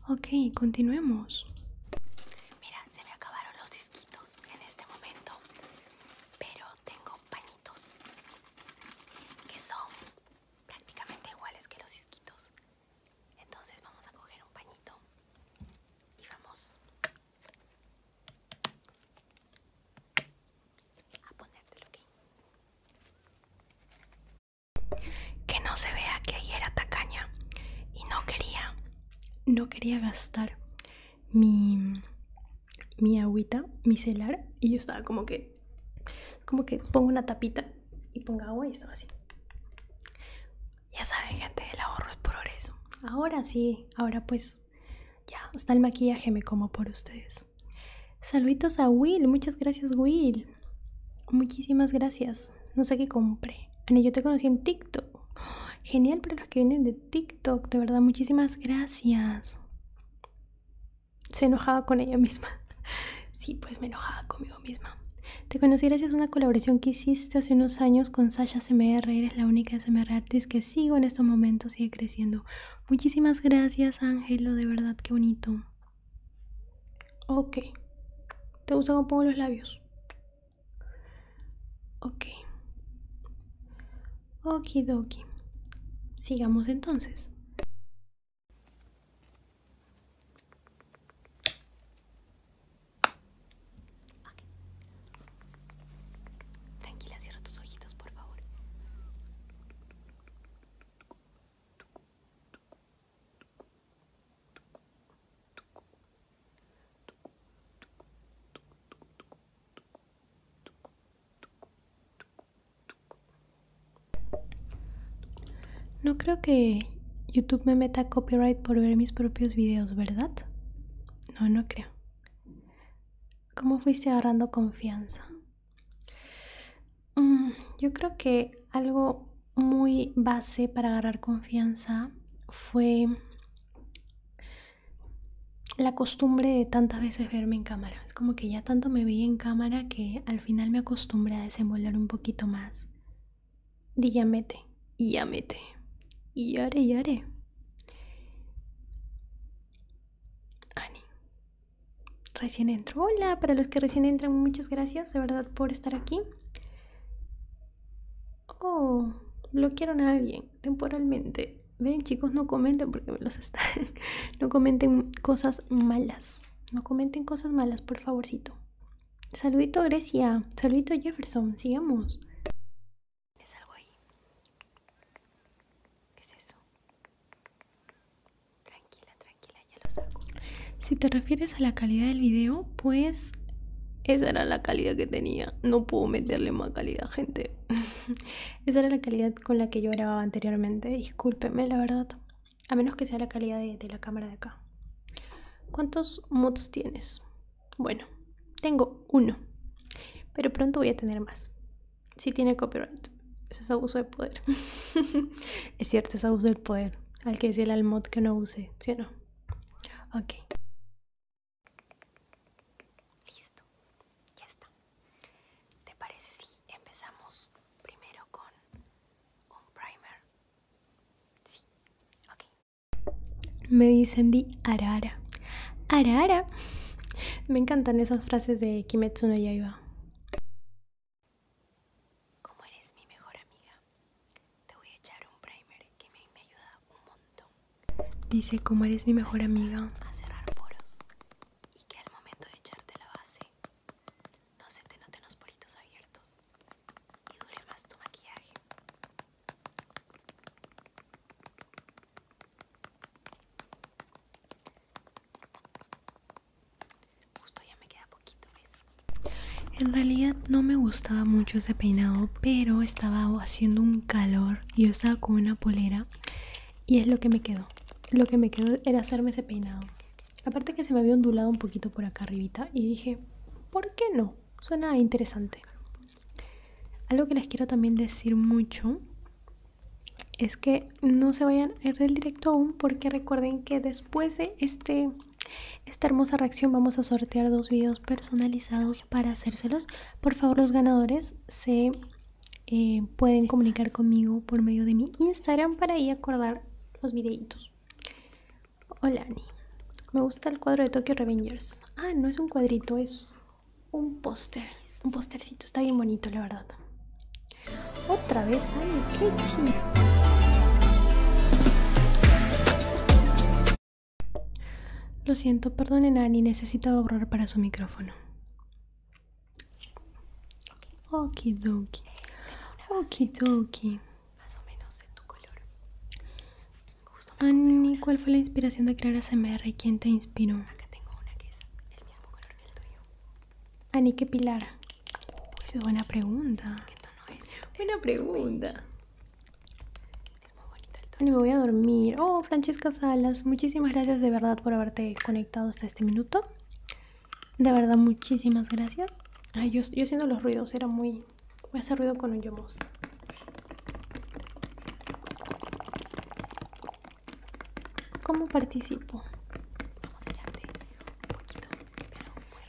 Ok, continuemos. Mira, se me acabaron los disquitos en este momento, pero tengo pañitos que son prácticamente iguales que los disquitos. Entonces vamos a coger un pañito y vamos a ponértelo aquí. Que no se vea que ayer era tacaña y no quería no quería gastar mi, mi agüita y yo estaba como que como que pongo una tapita y pongo agua y estaba así ya saben gente el ahorro es progreso ahora sí ahora pues ya está el maquillaje me como por ustedes saluditos a Will muchas gracias Will muchísimas gracias no sé qué compré. Ani, yo te conocí en TikTok. genial para los que vienen de TikTok. De verdad, muchísimas gracias. Se enojaba con ella misma. sí, pues me enojaba conmigo misma. Te conocí gracias a una colaboración que hiciste hace unos años con Sasha CMR. Eres la única SMR artist que sigo en estos momentos. Sigue creciendo. Muchísimas gracias, Ángelo. De verdad, qué bonito. Ok. ¿Te gusta cómo pongo los labios? Ok. Okidoki. Sigamos entonces. Tranquila, cierra tus ojitos, por favor. No creo que YouTube me meta copyright por ver mis propios videos, ¿verdad? No, no creo. ¿Cómo fuiste agarrando confianza? Mm, yo creo que algo muy base para agarrar confianza fue la costumbre de tantas veces verme en cámara. Es como que ya tanto me veía en cámara que al final me acostumbré a desenvolver un poquito más. Di ya mete, y ya mete, y llore, llore. Ani, recién entró Hola, para los que recién entran, muchas gracias de verdad por estar aquí. Oh, bloquearon a alguien temporalmente. Ven chicos, no comenten porque los están. no comenten cosas malas. No comenten cosas malas, por favorcito. Saludito Grecia. Saludito Jefferson. Sigamos. ahí. ¿Qué es eso? Tranquila, tranquila, ya lo saco. Si te refieres a la calidad del video, pues esa era la calidad que tenía. No puedo meterle más calidad, gente. esa era la calidad con la que yo grababa anteriormente. Discúlpeme, la verdad. A menos que sea la calidad de, la cámara de acá. ¿Cuántos mods tienes? Bueno, tengo uno. Pero pronto voy a tener más. Si tiene copyright. Eso es abuso de poder. es cierto, es abuso del poder. Al que decirle al mod que no use, si no? Ok. Listo. Ya está. ¿Te parece si empezamos primero con un primer? Sí. Ok. Me dicen di arara. Arara. Me encantan esas frases de Kimetsu no Yaiba. Como eres mi mejor amiga, te voy a echar un primer que me, me ayuda un montón. Dice como eres mi mejor amiga. A cerrar poros y que al momento de echarte la base no se te noten los poritos abiertos y dure más tu maquillaje. Justo ya me queda poquito, ¿ves? En realidad no me gustaba mucho ese peinado, pero estaba haciendo un calor y yo estaba con una polera y es lo que me quedó. Lo que me quedó era hacerme ese peinado. Aparte que se me había ondulado un poquito por acá arribita y dije, ¿por qué no? Suena interesante. Algo que les quiero también decir mucho es que no se vayan a ir del directo aún porque recuerden que después de este esta hermosa reacción vamos a sortear dos videos personalizados para hacérselos. Por favor, los ganadores se eh, pueden comunicar conmigo por medio de mi Instagram para ir acordar los videitos. Hola, Ani. Me gusta el cuadro de Tokyo Revengers. Ah, no es un cuadrito, es un póster. Un póstercito, está bien bonito, la verdad. Otra vez, ay, qué chido. Lo siento, perdonen Ani, necesitaba borrar para su micrófono. Okidoki. Okidoki. Más o menos de tu color. ¿cuál fue la inspiración de crear ASMR y quién te inspiró? Acá tengo una que es el mismo color que el tuyo. Ani, ¿qué pilar? es buena pregunta. Buena pues, pregunta. Es muy el Y me voy a dormir. Oh, Francesca Salas, muchísimas gracias de verdad por haberte conectado hasta este minuto. De verdad, muchísimas gracias. Ay, yo, yo haciendo los ruidos, era muy... Voy a hacer ruido con un yomos. ¿Cómo participo? Vamos a un poquito,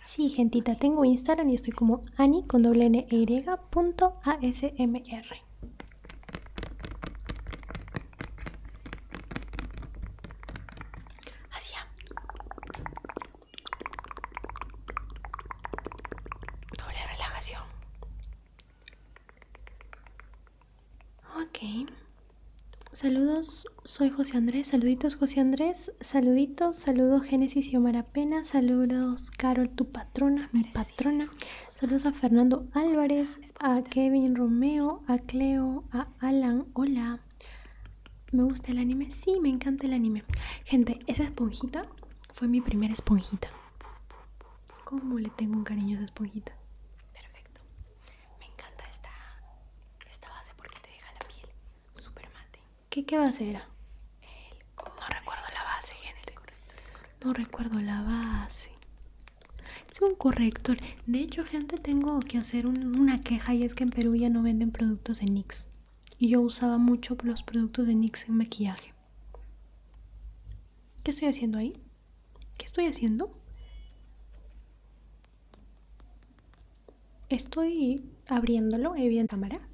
Sí, gentita, tengo Instagram y estoy como ani con doble n e punto asmr. doble relajación. Ok. Saludos, soy José Andrés. Saluditos, José Andrés. Saluditos, saludos, Génesis y Omar Pena, saludos Carol, tu patrona, mi patrona, saludos a Fernando Álvarez, a Kevin Romeo, a Cleo, a Alan, hola, ¿me gusta el anime? Sí, me encanta el anime. Gente, esa esponjita fue mi primera esponjita. ¿Cómo le tengo un cariño a esa esponjita? Perfecto, me encanta esta, esta base porque te deja la piel super mate. ¿Qué, qué base era? No recuerdo la base, gente. No recuerdo la base. Es un corrector. De hecho, gente, tengo que hacer una queja y es que en Perú ya no venden productos de NYX. Y yo usaba mucho los productos de NYX en maquillaje. ¿Qué estoy haciendo ahí? ¿Qué estoy haciendo? Estoy abriéndolo, evidentemente, cámara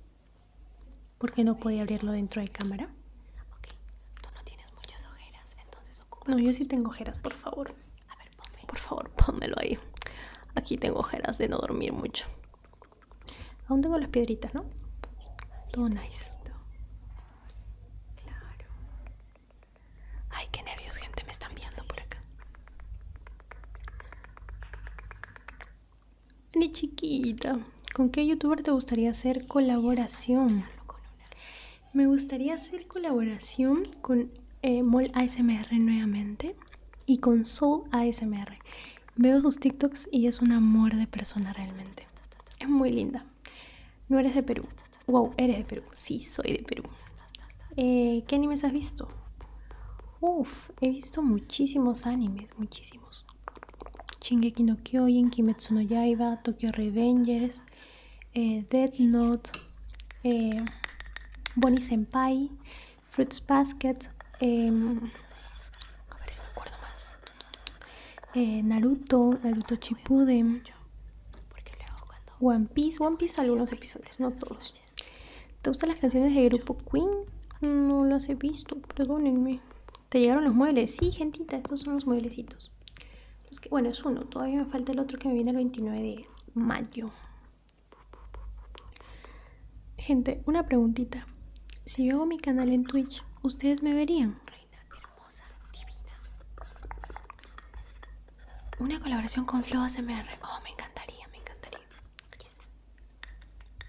porque no podía abrirlo dentro de cámara. tú no tienes muchas ojeras, entonces yo sí tengo ojeras, por favor. Por favor, pónmelo ahí. Aquí tengo ojeras de no dormir mucho. Aún tengo las piedritas, ¿no? Todo nice. Claro. Ay, qué nervios, gente, me están viendo por acá. Ni chiquita. ¿Con qué youtuber te gustaría hacer colaboración? Me gustaría hacer colaboración con eh, ASMR nuevamente y con Soul ASMR. Veo sus TikToks y es un amor de persona realmente. Es muy linda. No eres de Perú. Wow, eres de Perú. Sí, soy de Perú. Eh, ¿Qué animes has visto? Uf, he visto muchísimos animes, muchísimos. Chingeki no Kyojin, Kimetsuno no Yaiba, Tokyo Revengers, Dead eh, Death Note, eh, Bonnie Senpai, Fruits Basket, eh, Naruto, Naruto Shippuden, One Piece, One Piece algunos episodios, no todos. ¿Te gustan las canciones de grupo Queen? No las he visto, perdónenme. ¿Te llegaron los muebles? Sí, gentita, estos son los mueblecitos. bueno, es uno, todavía me falta el otro que me viene el 29 de mayo. Gente, una preguntita. Si yo hago mi canal en Twitch, ¿ustedes me verían? Reina hermosa, divina. Una colaboración con flo ASMR. Oh, me encantaría, me encantaría.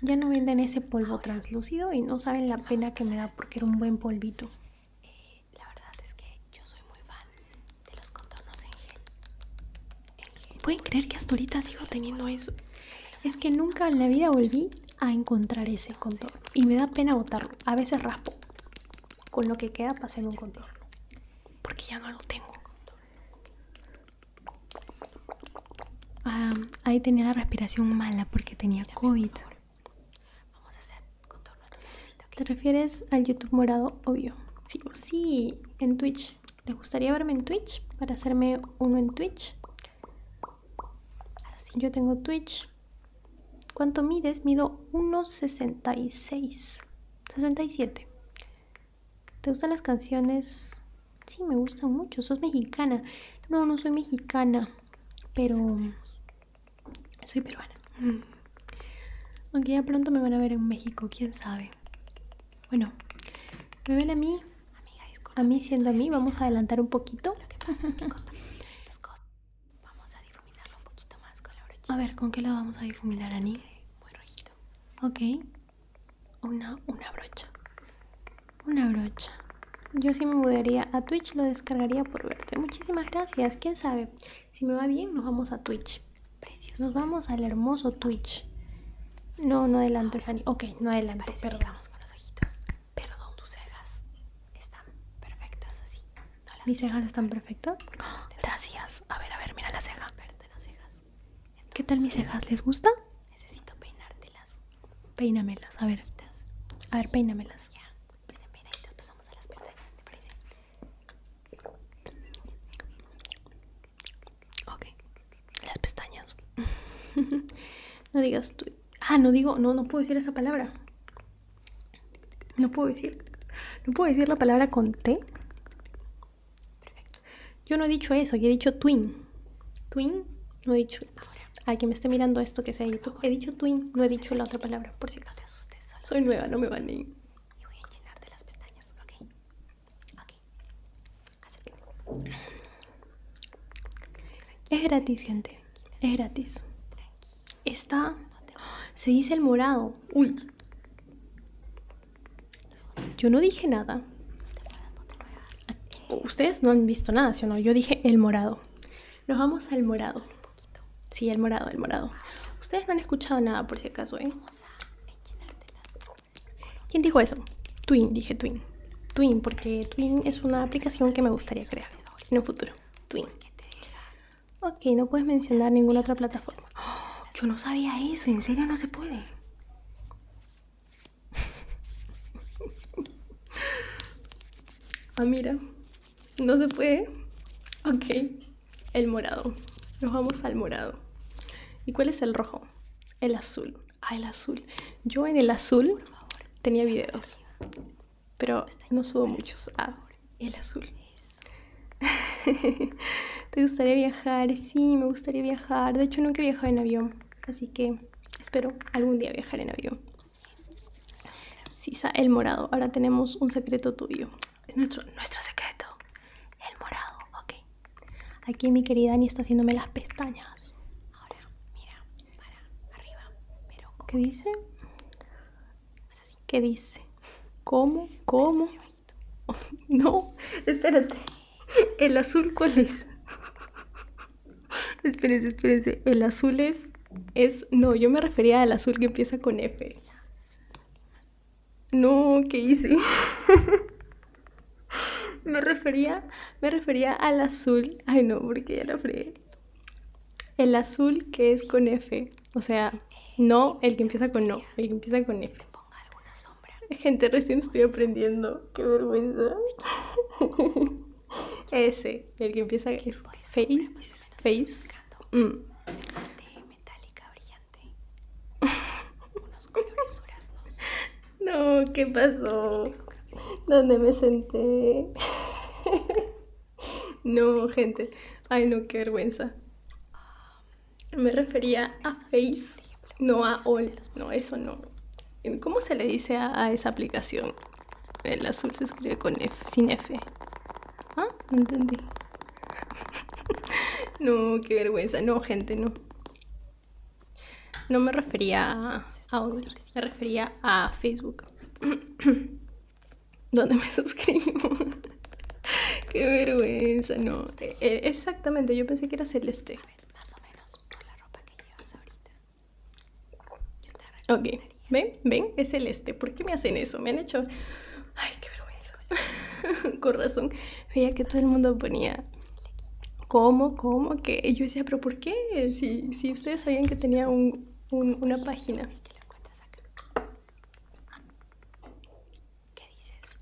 Ya, no venden ese polvo translúcido y no saben la pena que me da porque era un buen polvito. Eh, la verdad es que yo soy muy fan de los contornos en gel. ¿Pueden creer que hasta ahorita sigo teniendo eso? Es que nunca en la vida volví a encontrar ese contorno y me da pena botarlo. A veces raspo con lo que queda para hacer un contorno porque ya no lo tengo ahí tenía la respiración mala porque tenía COVID. Vamos a hacer ¿Te refieres al YouTube morado? Obvio. Sí, sí, en Twitch. ¿Te gustaría verme en Twitch? Para hacerme uno en Twitch. Así. Yo tengo Twitch. ¿Cuánto mides? Mido 1,66. 67. ¿Te gustan las canciones Sí, me gusta mucho. Sos mexicana. No, no soy mexicana, pero soy peruana. Mm. Aunque ya pronto me van a ver en México, quién sabe. Bueno, me ven a mí. Amiga, a mí siendo a mí, vamos a adelantar un poquito. Lo que pasa es que vamos a difuminarlo un poquito más con la brochita. A ver, ¿con qué la vamos a difuminar, Ani? Muy rojito. Ok una, una brocha. Una brocha. Yo sí me mudaría a Twitch, lo descargaría por verte. Muchísimas gracias. ¿Quién sabe? Si me va bien, nos vamos a Twitch. precios Nos vamos al hermoso Twitch. No, no adelante, Ok, no adelante. Perdón. con los ojitos. Perdón, tus cejas están perfectas así. ¿Mis cejas están perfectas? gracias. A ver, a ver, mira las cejas. las cejas. ¿Qué tal mis cejas? ¿Les gusta? Necesito peinártelas. Peínamelas, a ver. A ver, peínamelas. Ya, pues pasamos a las pestañas, Ok, las pestañas. no digas tú. Ah, no digo, no, no puedo decir esa palabra. No puedo decir, no puedo decir la palabra con T. Perfecto. Yo no he dicho eso, yo he dicho twin. Twin, no he dicho. A quien me esté mirando esto que sea YouTube, he dicho twin, no he dicho la otra palabra, por si acaso. Soy nueva, no me van ni. Y voy a enchilarte las pestañas, ok. Ok. Es gratis, gente. Es gratis. Está. ¡ah! Se dice el morado. Uy. Yo no dije nada. Ustedes no han visto nada, sino no? Yo dije el morado. Nos vamos al morado. Sí, el morado, el morado. Ustedes no han escuchado nada por si acaso, ¿eh? ¿Quién dijo eso? Twin, dije Twin. Twin, porque Twin es una aplicación que me gustaría crear en el futuro. Twin. Ok, no puedes mencionar ninguna otra plataforma. yo no sabía eso, en serio no se puede ah, mira. No se puede. Ok. El morado. Nos vamos al morado. ¿Y cuál es el rojo? El azul. Ah, el azul. Yo en el azul tenía videos. Pero no subo muchos. Ah, el azul. ¿Te gustaría viajar? Sí, me gustaría viajar. De hecho, nunca he viajado en avión. Así que espero algún día viajar en avión. Sisa, el morado. Ahora tenemos un secreto tuyo. Es nuestro, secreto. El morado, ok. Aquí mi querida Ani está haciéndome las pestañas. Ahora, mira, para arriba. ¿Qué dice? ¿Qué dice? ¿Cómo? ¿Cómo? no, espérate. ¿El azul cuál es? espérense, espérense. El azul es, es. No, yo me refería al azul que empieza con F. No, ¿qué hice? me refería. Me refería al azul. Ay no, porque ya la fregué. El azul que es con F. O sea, no, el que empieza con no, el que empieza con F. Gente, recién estoy aprendiendo qué vergüenza. Ese, el que empieza Face. Face. Mm. metálica brillante. Unos colores No, ¿qué pasó? ¿Dónde me senté? no, gente. Ay, no, qué vergüenza. Ah. Me refería a Face, no a All. No, eso no. ¿Cómo se le dice a, esa aplicación? El azul se escribe con F, sin F. ¿Ah? No entendí. no, qué vergüenza. No, gente, no. No me refería a me refería a Facebook. ¿Dónde me suscribo? qué vergüenza, no. Eh, exactamente, yo pensé que era celeste. más o menos, la ropa que llevas ahorita. Ok, ven, ven, es el este. ¿Por qué me hacen eso? Me han hecho... Ay, qué vergüenza. Con razón, veía que todo el mundo ponía... ¿Cómo? ¿Cómo? que Y yo decía, pero ¿por qué? Si, ustedes sabían que tenía una página. ¿Qué dices?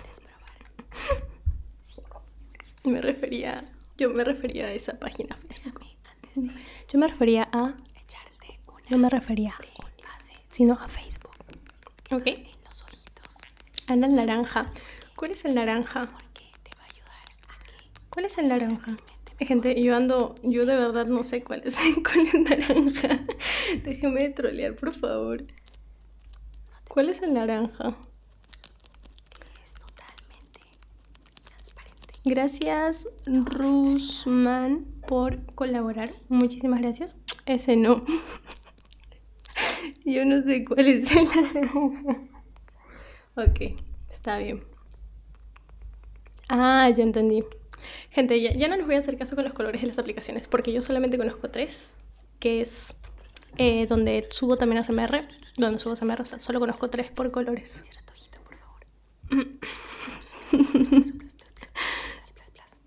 ¿Quieres probar? Me refería, yo me refería a esa página Facebook. yo me refería a echarte No me refería a sino a Facebook. Ok. En los ojitos. A la naranja. ¿Cuál es el naranja? Porque te va a ayudar ¿Cuál es el naranja? Gente, yo ando, yo de verdad no sé cuál es, cuál es naranja. Déjeme de trolear, por favor. ¿Cuál es el naranja? totalmente Gracias, Rusman, por colaborar. Muchísimas gracias. Ese no. Yo no sé cuál es el. ok, está bien. Ah, ya entendí. Gente, ya, no les voy a hacer caso con los colores de las aplicaciones, porque yo solamente conozco tres, que es eh, donde subo también a CMR. No, no subo samba rosa, solo conozco tres por colores. por favor.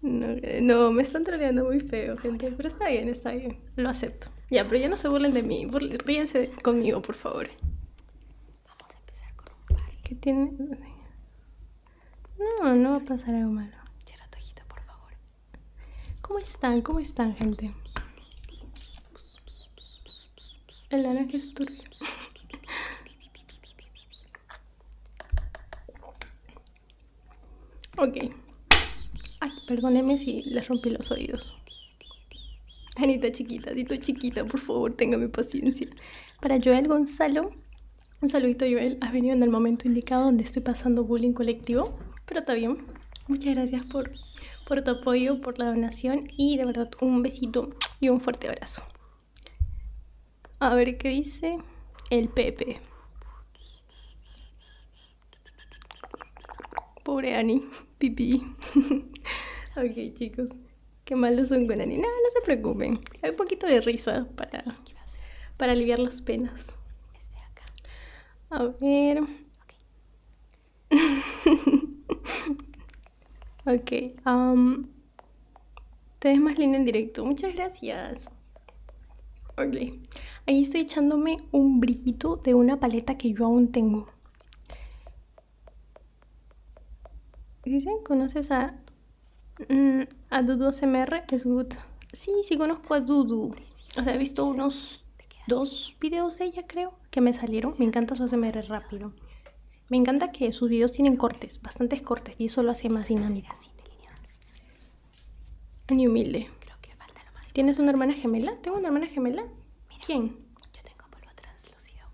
no, me están troleando muy feo, gente. Pero está bien, está bien. Lo acepto. Ya, pero ya no se burlen de mí. ríense conmigo, por favor. Vamos a empezar con un par. ¿Qué tiene? No, no va a pasar algo malo. Cierra tu por favor. ¿Cómo están? ¿Cómo están, gente? El naranja ok. Ay, perdóneme si les rompí los oídos. Anita chiquita, dito chiquita, por favor, téngame paciencia. Para Joel Gonzalo, un saludito Joel, has venido en el momento indicado donde estoy pasando bullying colectivo, pero está bien. Muchas gracias por por tu apoyo, por la donación y de verdad un besito y un fuerte abrazo. A ver qué dice el Pepe. Pobre Ani, pipí. ok chicos, qué malos son con Ani. No, no se preocupen. Hay un poquito de risa para, para aliviar las penas. Este A ver. ok. Um, te más línea en directo. Muchas gracias. Ahí estoy echándome un brillito de una paleta que yo aún tengo. Dicen, ¿conoces a, mm, Dudu CMR? Es good. Sí, sí conozco a Dudu. O sea, he visto unos dos videos de ella, creo que me salieron. Me encanta su ASMR rápido. Me encanta que sus videos tienen cortes, bastantes cortes, y eso lo hace más dinámico. Ni humilde. ¿Tienes una hermana gemela? ¿Tengo una hermana gemela? ¿Quién? Yo tengo polvo translúcido,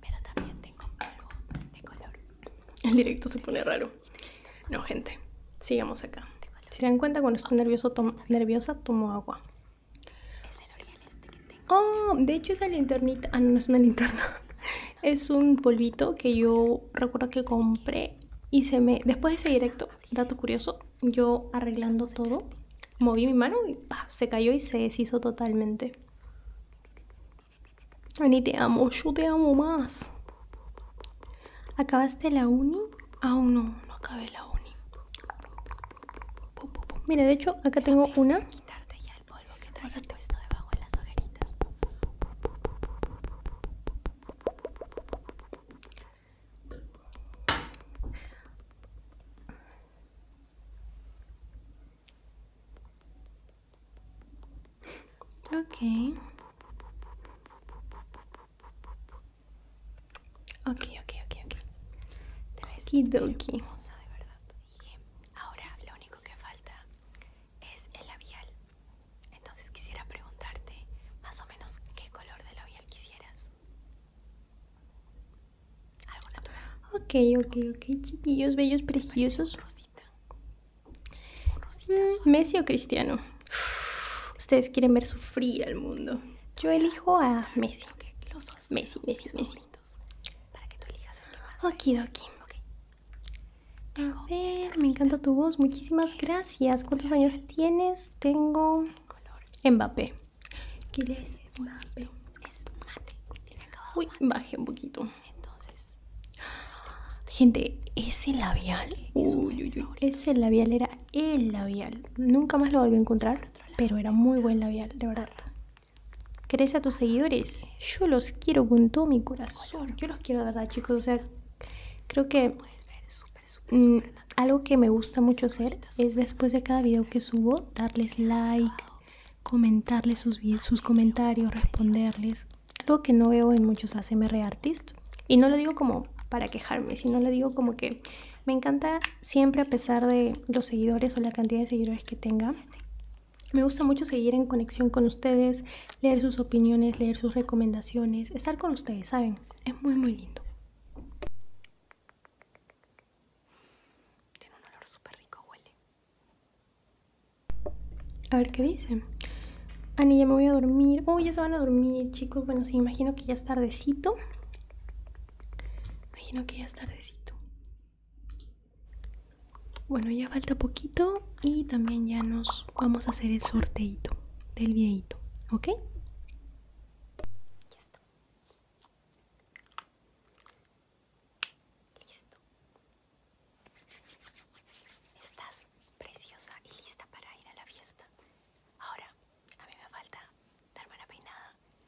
pero también tengo polvo de color. El directo se pone raro. No, gente, sigamos acá. Si se dan cuenta, cuando estoy nervioso, nerviosa, tomo agua. Es este Oh, de hecho esa linternita. Ah, no, es una linterna. es un polvito que yo recuerdo que compré y se me. Después de ese directo, dato curioso, yo arreglando todo, moví mi mano y se cayó y se deshizo totalmente. Ani, te amo, yo te amo más. ¿Acabaste la uni? Aún no, no acabé la uni. Mira, de hecho, acá tengo una. Quitarte ya el polvo que te has puesto debajo de las orejitas. Ok. Ok, ok, ok, ok. Te ves de verdad. ahora lo único que falta es el labial. Entonces quisiera preguntarte más o menos qué color de labial quisieras. Algo natural. Ok, ok, ok, chiquillos, bellos, preciosos. rosita. rosita mm, Messi o Cristiano. ustedes quieren ver sufrir al mundo. Yo elijo a Messi. Messi, Messi, Messi. para que tú elijas el más. Okidoki. Okay. A ver, me encanta tu voz. Muchísimas gracias. ¿Cuántos años tienes? Tengo. Mbappé. le es Mbappé? Es mate. Tiene acabado. Uy, baje un poquito. Entonces. Gente, ese labial. uy, uy. Ese labial era el labial. Nunca más lo volví a encontrar. Pero era muy buen labial, de verdad. Ah. ¿Querés a tus seguidores? Yo los quiero con todo mi corazón. Yo los quiero de verdad, chicos. O sea, creo que mm, algo que me gusta mucho hacer es después de cada video que subo, darles like, ah, comentarles sus, sus comentarios, responderles. Algo que no veo en muchos ASMR artists. Y no lo digo como para quejarme, sino lo digo como que me encanta siempre a pesar de los seguidores o la cantidad de seguidores que tenga. Me gusta mucho seguir en conexión con ustedes, leer sus opiniones, leer sus recomendaciones, estar con ustedes, ¿saben? Es muy, muy lindo. Tiene un olor súper rico, huele. A ver qué dicen. Ani, ya me voy a dormir. Uy, ya se van a dormir, chicos. Bueno, sí, imagino que ya es tardecito. Imagino que ya es tardecito. Bueno, ya falta poquito y también ya nos vamos a hacer el sorteito del videito, ¿ok? Ya está. Listo. Estás preciosa y lista para ir a la fiesta. Ahora, a mí me falta darme una peinada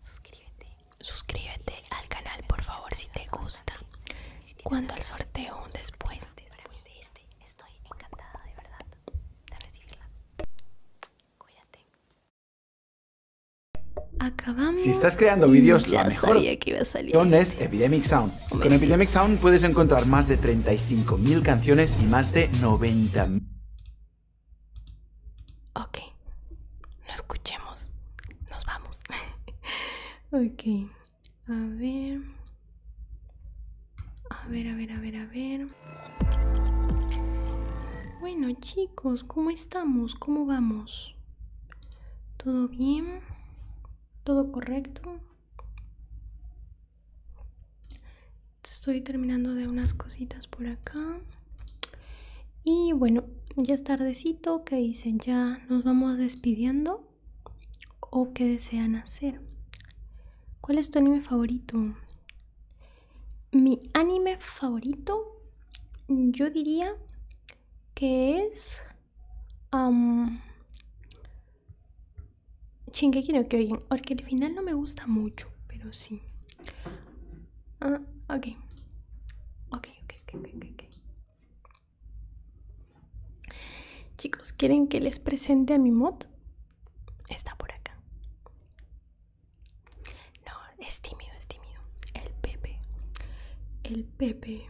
Suscríbete. Suscríbete al canal, por favor, si te gusta. Cuando el sorteo después, de este, estoy encantada de verdad de recibirlas. Cuídate. Acabamos. Si estás creando vídeos, ya mejor que es este. Epidemic Sound. Con Epidemic Sound puedes encontrar más de mil canciones y más de 90.000. Ok, no escuchemos, nos vamos. ok, a ver. A ver, a ver, a ver, a ver. Bueno chicos, ¿cómo estamos? ¿Cómo vamos? ¿Todo bien? ¿Todo correcto? Estoy terminando de unas cositas por acá. Y bueno, ya es tardecito, ¿qué dicen? ¿Ya nos vamos despidiendo? ¿O que desean hacer? ¿Cuál es tu anime favorito? Mi anime favorito, yo diría que es... Um, quiero no Kyojin, porque al final no me gusta mucho, pero sí. Ah, ok Okay, ok, ok, ok, Chicos, ¿quieren que les presente a mi mod? Está por acá. No, es tímido, es tímido. El Pepe. El Pepe.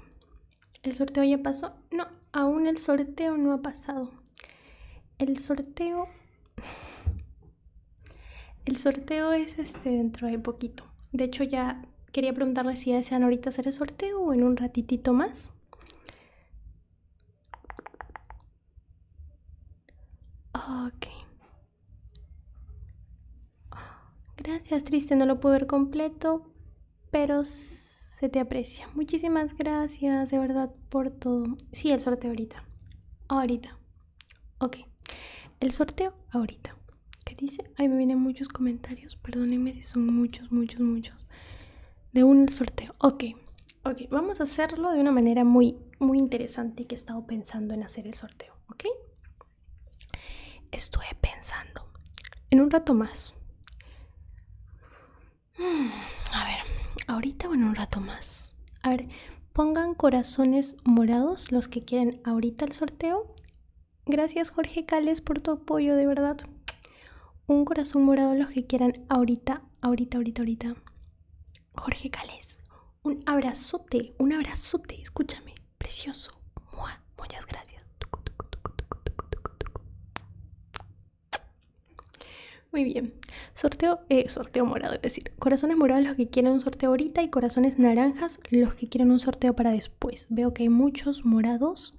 ¿El sorteo ya pasó? No, aún el sorteo no ha pasado. El sorteo... El sorteo es este dentro de poquito. De hecho, ya quería preguntarle si desean ahorita hacer el sorteo o en un ratitito más. Ok. Gracias, triste, no lo pude ver completo, pero se te aprecia. Muchísimas gracias, de verdad, por todo. Sí, el sorteo ahorita. Ahorita. Ok, el sorteo ahorita. ¿Qué dice? Ahí me vienen muchos comentarios. Perdónenme si son muchos, muchos, muchos. De un sorteo. Ok, ok. Vamos a hacerlo de una manera muy, muy interesante que he estado pensando en hacer el sorteo. Ok. Estuve pensando. En un rato más. Hmm, a ver, ahorita o en un rato más. A ver, Pongan corazones morados los que quieren ahorita el sorteo. Gracias Jorge Cales por tu apoyo, de verdad. Un corazón morado los que quieran ahorita, ahorita, ahorita, ahorita. Jorge Cales, un abrazote, un abrazote, escúchame, precioso. muchas gracias. Muy bien, sorteo, eh, sorteo morado, es decir. Corazones morados los que quieren un sorteo ahorita y corazones naranjas los que quieren un sorteo para después. Veo que hay muchos morados.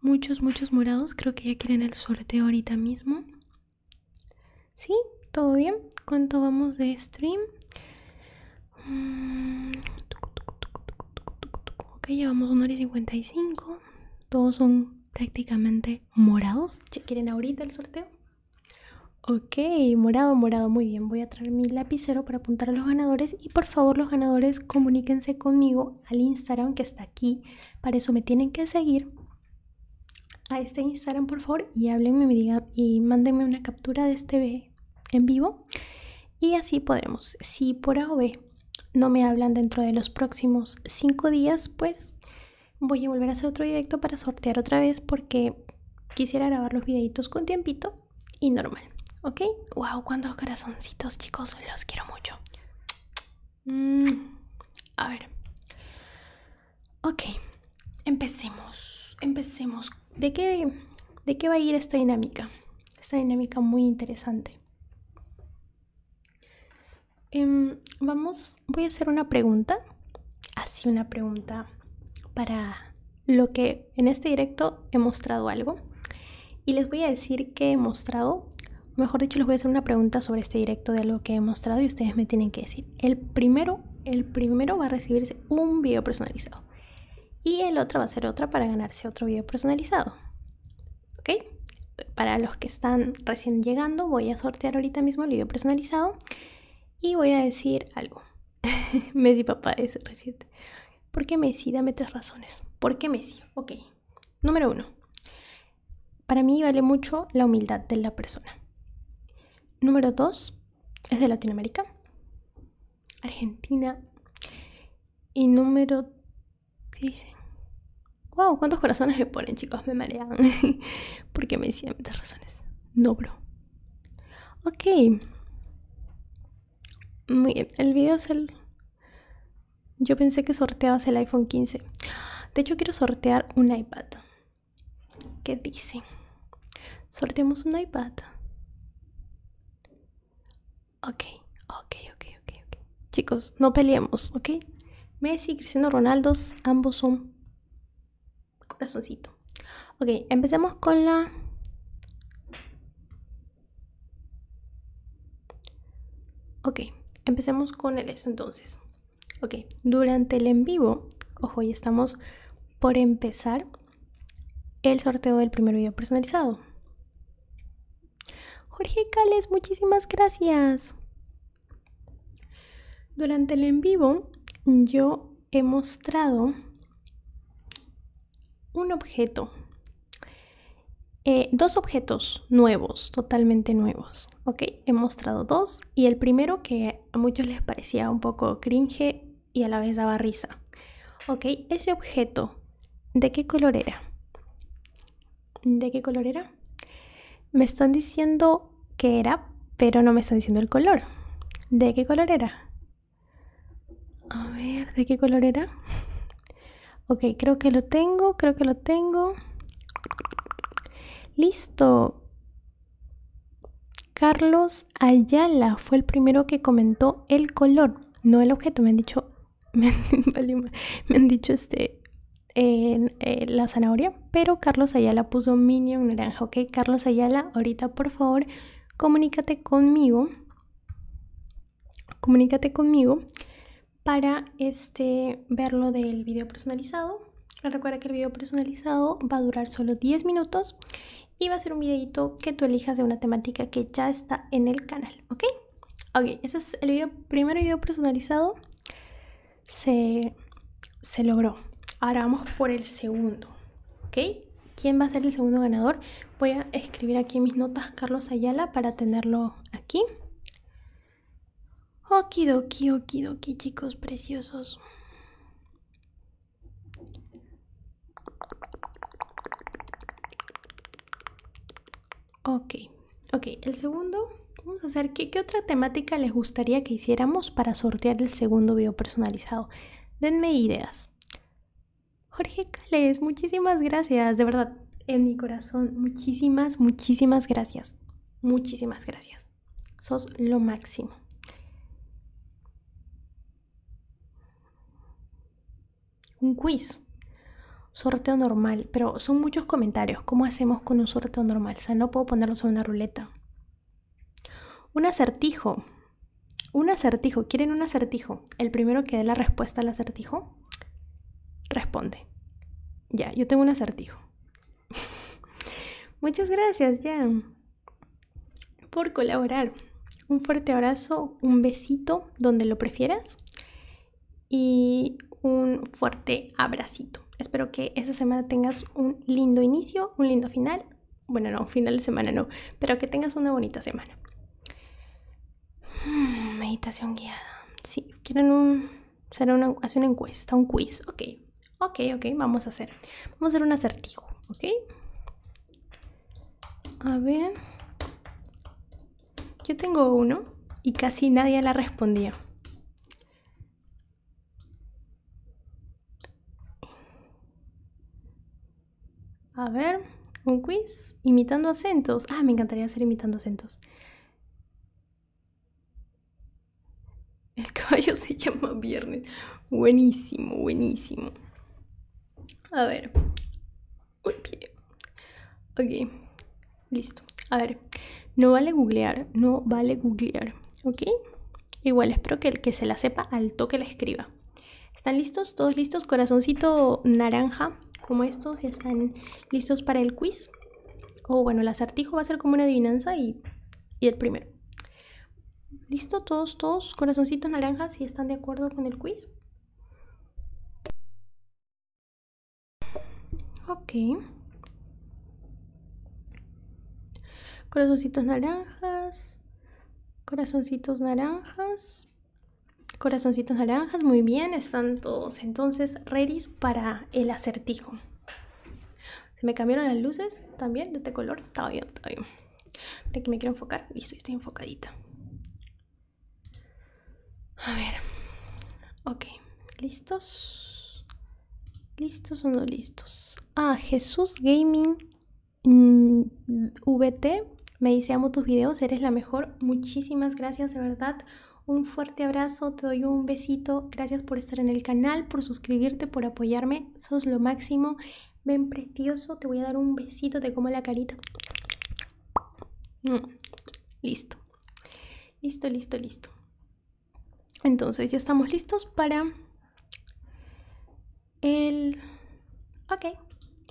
Muchos, muchos morados. Creo que ya quieren el sorteo ahorita mismo. ¿Sí? ¿Todo bien? ¿Cuánto vamos de stream? Mm, ok, llevamos 1 hora y 55. Todos son prácticamente morados. ¿Ya quieren ahorita el sorteo? Ok, morado, morado, muy bien. Voy a traer mi lapicero para apuntar a los ganadores y por favor los ganadores comuníquense conmigo al Instagram que está aquí. Para eso me tienen que seguir a este Instagram por favor y háblenme me y mándenme una captura de este en vivo y así podremos. Si por A o no me hablan dentro de los próximos 5 días, pues voy a volver a hacer otro directo para sortear otra vez porque quisiera grabar los videitos con tiempito y normal, ¿ok? ¡Wow! ¡Cuántos corazoncitos, chicos! Los quiero mucho. Mm, a ver. Ok, empecemos. Empecemos. ¿De qué, va a ir esta dinámica? Esta dinámica muy interesante. Em, vamos, voy a hacer una pregunta, así una pregunta para lo que en este directo he mostrado algo y les voy a decir que he mostrado, mejor dicho les voy a hacer una pregunta sobre este directo de lo que he mostrado y ustedes me tienen que decir. El primero, el primero va a recibirse un video personalizado y el otro va a ser otra para ganarse otro video personalizado. ¿Ok? Para los que están recién llegando voy a sortear ahorita mismo el video personalizado y voy a decir algo. Messi papá es reciente ¿Por qué Messi? Dame tres razones. ¿Por qué Messi? Ok. Número uno. Para mí vale mucho la humildad de la persona. Número dos. Es de Latinoamérica. Argentina. Y número... ¿Qué dicen? ¡Wow! ¿Cuántos corazones me ponen, chicos? Me marean. ¿Por qué Messi? Dame tres razones. No, bro. Ok. Muy bien. El video es el... Yo pensé que sorteabas el iPhone 15. De hecho, quiero sortear un iPad. ¿Qué dicen? Sorteamos un iPad. Ok, ok, ok, ok, Chicos, no peleemos, ¿ok? Messi y Cristiano Ronaldo ambos son corazoncito. Ok, empecemos con la Ok, empecemos con el eso entonces. Ok, durante el en vivo, ojo, ya estamos por empezar el sorteo del primer video personalizado. Jorge Cales, muchísimas gracias. Durante el en vivo, yo he mostrado un objeto, eh, dos objetos nuevos, totalmente nuevos. Ok, he mostrado dos y el primero que a muchos les parecía un poco cringe y a la vez daba risa. Ok, ese objeto, ¿de qué color era? ¿De qué color era? Me están diciendo que era, pero no me están diciendo el color. ¿De qué color era? A ver, ¿de qué color era? Ok, creo que lo tengo, creo que lo tengo. Listo. Carlos Ayala fue el primero que comentó el color, no el objeto. Me han dicho, me han, dicho este, en, eh, la zanahoria, pero Carlos Ayala puso Minion naranja, ¿ok? Carlos Ayala, ahorita por favor comunícate conmigo, comunícate conmigo para este, del video personalizado. Recuerda que el video personalizado va a durar solo 10 minutos y va a ser un videito que tú elijas de una temática que ya está en el canal, ¿ok? Ok, ese es el video, primer video personalizado. se logró. Ahora vamos por el segundo, ¿ok? quién va a ser el segundo ganador. Voy a escribir aquí mis notas Carlos Ayala para tenerlo aquí. Okidoki, okidoki, chicos preciosos. Ok, ok, el segundo, vamos a hacer, ¿qué, ¿qué, otra temática les gustaría que hiciéramos para sortear el segundo video personalizado? Denme ideas. Jorge Cales, muchísimas gracias, de verdad, en mi corazón, muchísimas, muchísimas gracias. Muchísimas gracias. Sos lo máximo. Un quiz. Sorteo normal, pero son muchos comentarios. ¿Cómo hacemos con un sorteo normal? O sea, no puedo ponerlos en una ruleta. Un acertijo. Un acertijo. ¿Quieren un acertijo? El primero que dé la respuesta al acertijo responde. Ya, yo tengo un acertijo. Muchas gracias, Jan, por colaborar. Un fuerte abrazo, un besito donde lo prefieras y un fuerte abracito. Espero que esta semana tengas un lindo inicio, un lindo final bueno, no, final de semana no, pero que tengas una bonita semana. Hmm, meditación guiada. Sí, quieren un, hacer una, encuesta, un quiz, ok. Ok, ok, vamos a hacer. Vamos a hacer un acertijo, ok. A ver. Yo tengo uno y casi nadie la respondió. A ver, un quiz. Imitando acentos. Ah, me encantaría hacer imitando acentos. El caballo se llama Viernes. Buenísimo, buenísimo. A ver. Ok. Listo. A ver. No vale googlear. No vale googlear. ¿Ok? Igual espero que el que se la sepa al toque la escriba. ¿Están listos? ¿Todos listos? Corazoncito naranja, como estos, si están listos para el quiz. O bueno, el acertijo va a ser como una adivinanza y, y el primero. ¿Listo? ¿Todos, todos? Corazoncitos naranjas, si están de acuerdo con el quiz. Ok. Corazoncitos naranjas corazoncitos naranjas. Corazoncitos naranjas, muy bien, están todos entonces ready para el acertijo. Se me cambiaron las luces también de este color, está bien, está bien. Aquí me quiero enfocar, listo, estoy enfocadita. A ver, ok, listos. ¿Listos o no listos? Ah, Jesús Gaming Mm, VT me dice, amo tus videos, eres la mejor. Muchísimas gracias, de verdad. Un fuerte abrazo, te doy un besito. Gracias por estar en el canal, por suscribirte, por apoyarme. Sos lo máximo. Ven precioso, te voy a dar un besito, te como la carita. Mm, listo. Listo, listo, listo. Entonces ya estamos listos para el... Ok,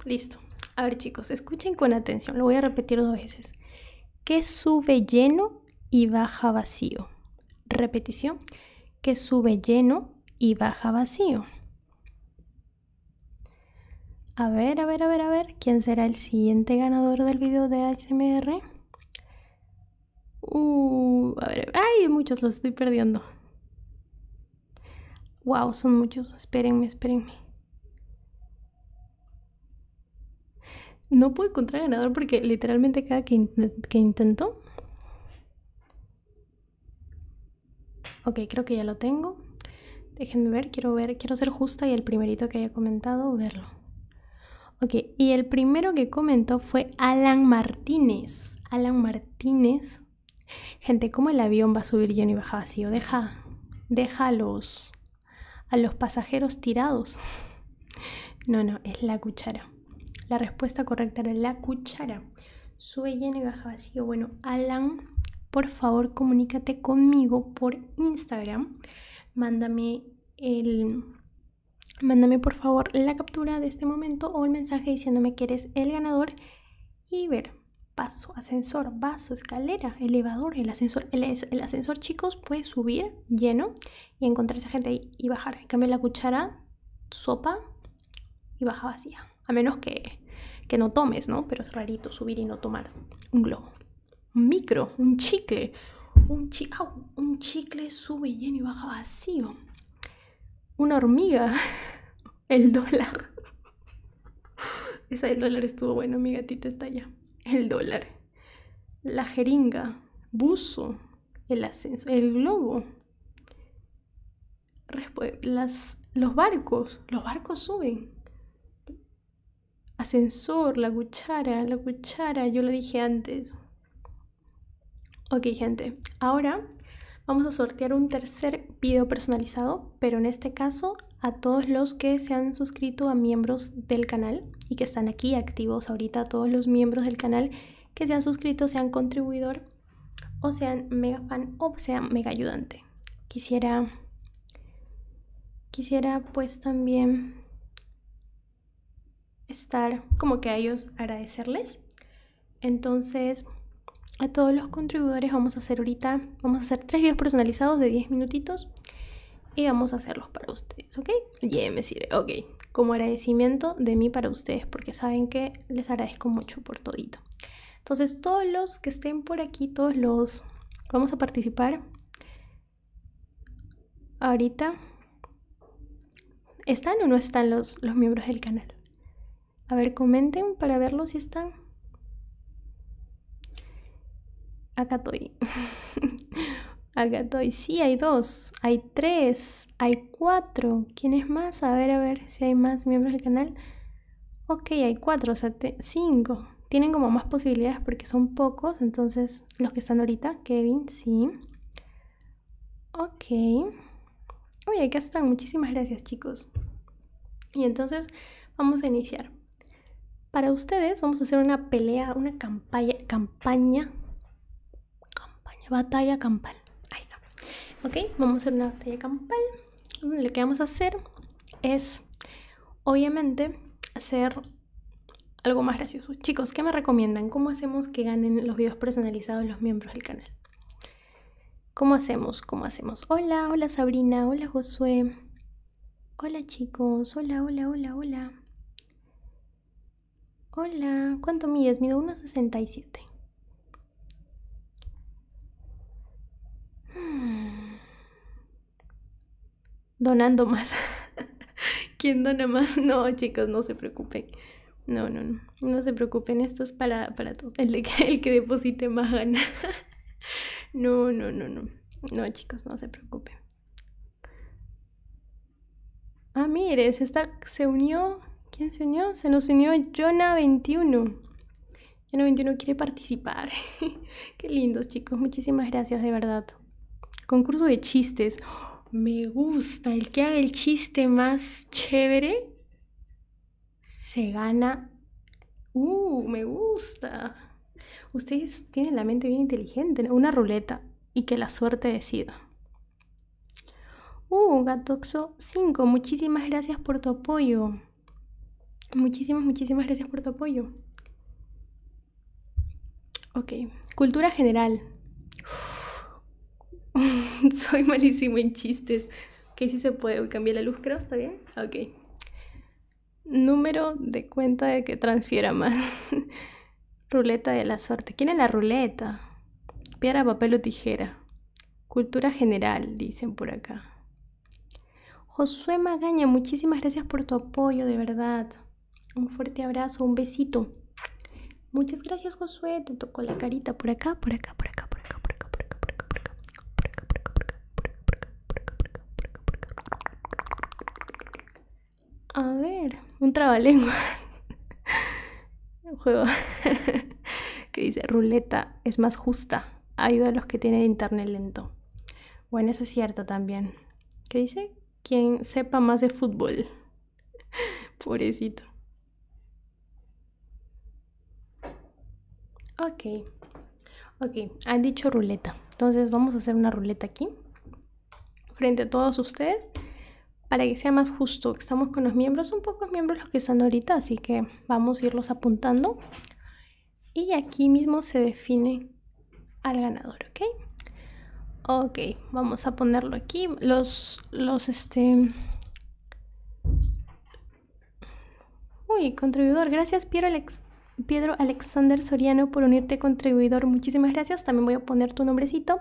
listo. A ver chicos, escuchen con atención, lo voy a repetir dos veces. Que sube lleno y baja vacío. Repetición. Que sube lleno y baja vacío. A ver, a ver, a ver, a ver. ¿Quién será el siguiente ganador del video de ASMR? Uh, a ver, hay muchos los estoy perdiendo. Wow, son muchos. Espérenme, espérenme. No puedo encontrar ganador porque literalmente cada que, que intento. Ok, creo que ya lo tengo. Déjenme ver, quiero ver, quiero ser justa y el primerito que haya comentado, verlo. Ok, y el primero que comentó fue Alan Martínez. Alan Martínez Gente, ¿cómo el avión va a subir lleno y baja vacío? Deja, deja a los, pasajeros tirados. No, no, es la cuchara. La respuesta correcta era la cuchara. Sube lleno y baja vacío. Bueno, Alan, por favor, comunícate conmigo por Instagram. Mándame el mándame por favor la captura de este momento o el mensaje diciéndome que eres el ganador y ver paso, ascensor, vaso, escalera, elevador, el ascensor. El, ascensor, chicos, puede subir lleno y encontrar esa gente ahí y bajar. Cambia la cuchara, sopa y baja vacía. A menos que, no tomes, ¿no? Pero es rarito subir y no tomar. Un globo, un micro, un chicle. Un, chico, un chicle sube lleno y baja vacío. Una hormiga, El dólar. Esa del dólar estuvo bueno, mi gatita está allá. El dólar. La jeringa. Buzo. El ascensor, El globo. Las, los barcos. Los barcos suben. Ascensor, la cuchara, la cuchara, yo lo dije antes. Ok, gente, ahora vamos a sortear un tercer video personalizado, pero en este caso a todos los que se han suscrito a miembros del canal y que están aquí activos ahorita, todos los miembros del canal que se han suscrito, sean contribuidor o sean mega fan o sean mega ayudante. Quisiera, quisiera pues también estar como que a ellos agradecerles entonces, a todos los contribuidores vamos a hacer ahorita, vamos a hacer tres videos personalizados de 10 minutitos y vamos a hacerlos para ustedes, ¿ok? Y me sirve, ok. Como agradecimiento de mí para ustedes, porque saben que les agradezco mucho por todito. Entonces, todos los que estén por aquí, todos los vamos a participar ahorita. ¿Están o no están los miembros del canal? A ver, comenten para verlo si están. Acá estoy. Acá estoy. Sí, hay dos, hay tres, hay cuatro. ¿Quién es más? A ver, a ver si hay más miembros del canal. Ok, hay cuatro, o sea, cinco. Tienen como más posibilidades porque son pocos. Entonces, los que están ahorita, Kevin, sí. Ok. Oye, que están. Muchísimas gracias, chicos. Y entonces vamos a iniciar. Para ustedes vamos a hacer una pelea, una campaña, campaña, campaña, batalla campal. Ahí está. Ok, vamos a hacer una batalla campal. Lo que vamos a hacer es, obviamente, hacer algo más gracioso. Chicos, ¿qué me recomiendan? ¿Cómo hacemos que ganen los videos personalizados los miembros del canal? ¿Cómo hacemos? ¿Cómo hacemos? Hola, hola Sabrina, hola Josué. Hola chicos, hola, hola, hola, hola. Hola, ¿cuánto mides? Mido 1,67. Hmm. Donando más. ¿Quién dona más? No, chicos, no se preocupen. No, no, no no se preocupen, esto es para, para todos. El, que deposite más gana. No, no, no, no. No, chicos, no se preocupen. Ah, mire, se, se unió. ¿Quién se unió? Se nos unió Jonah21. Jonah21 quiere participar. Qué lindos, chicos. Muchísimas gracias, de verdad. Concurso de chistes. me gusta. El que haga el chiste más chévere se gana. ¡Uh! Me gusta. Ustedes tienen la mente bien inteligente. Una ruleta y que la suerte decida. Uh, Gatoxo 5, muchísimas gracias por tu apoyo. Muchísimas, muchísimas gracias por tu apoyo. Ok, cultura general. Soy malísimo en chistes. Que sí se puede. Uy, cambié la luz, creo, ¿está bien? Ok. Número de cuenta de que transfiera más. ruleta de la suerte. ¿Quién es la ruleta? Piedra, papel o tijera. Cultura general, dicen por acá. Josué Magaña, muchísimas gracias por tu apoyo, de verdad. Un fuerte abrazo, un besito. Muchas gracias, Josué. Te tocó la carita por acá, por acá, por acá, por acá, por acá, por acá, por acá, por acá. A ver, un trabalengua. un juego que dice ruleta es más justa. Ayuda a los que tienen internet lento. Bueno, eso es cierto también. ¿Qué dice? Quien sepa más de fútbol. Pobrecito. Ok, ok, han dicho ruleta. Entonces vamos a hacer una ruleta aquí, frente a todos ustedes, para que sea más justo. Estamos con los miembros, son pocos miembros los que están ahorita, así que vamos a irlos apuntando. Y aquí mismo se define al ganador, ¿ok? Ok, vamos a ponerlo aquí. Los, los, este, Uy, contribuidor, gracias Piero Pedro Alexander Soriano por unirte contribuidor. Muchísimas gracias. También voy a poner tu nombrecito.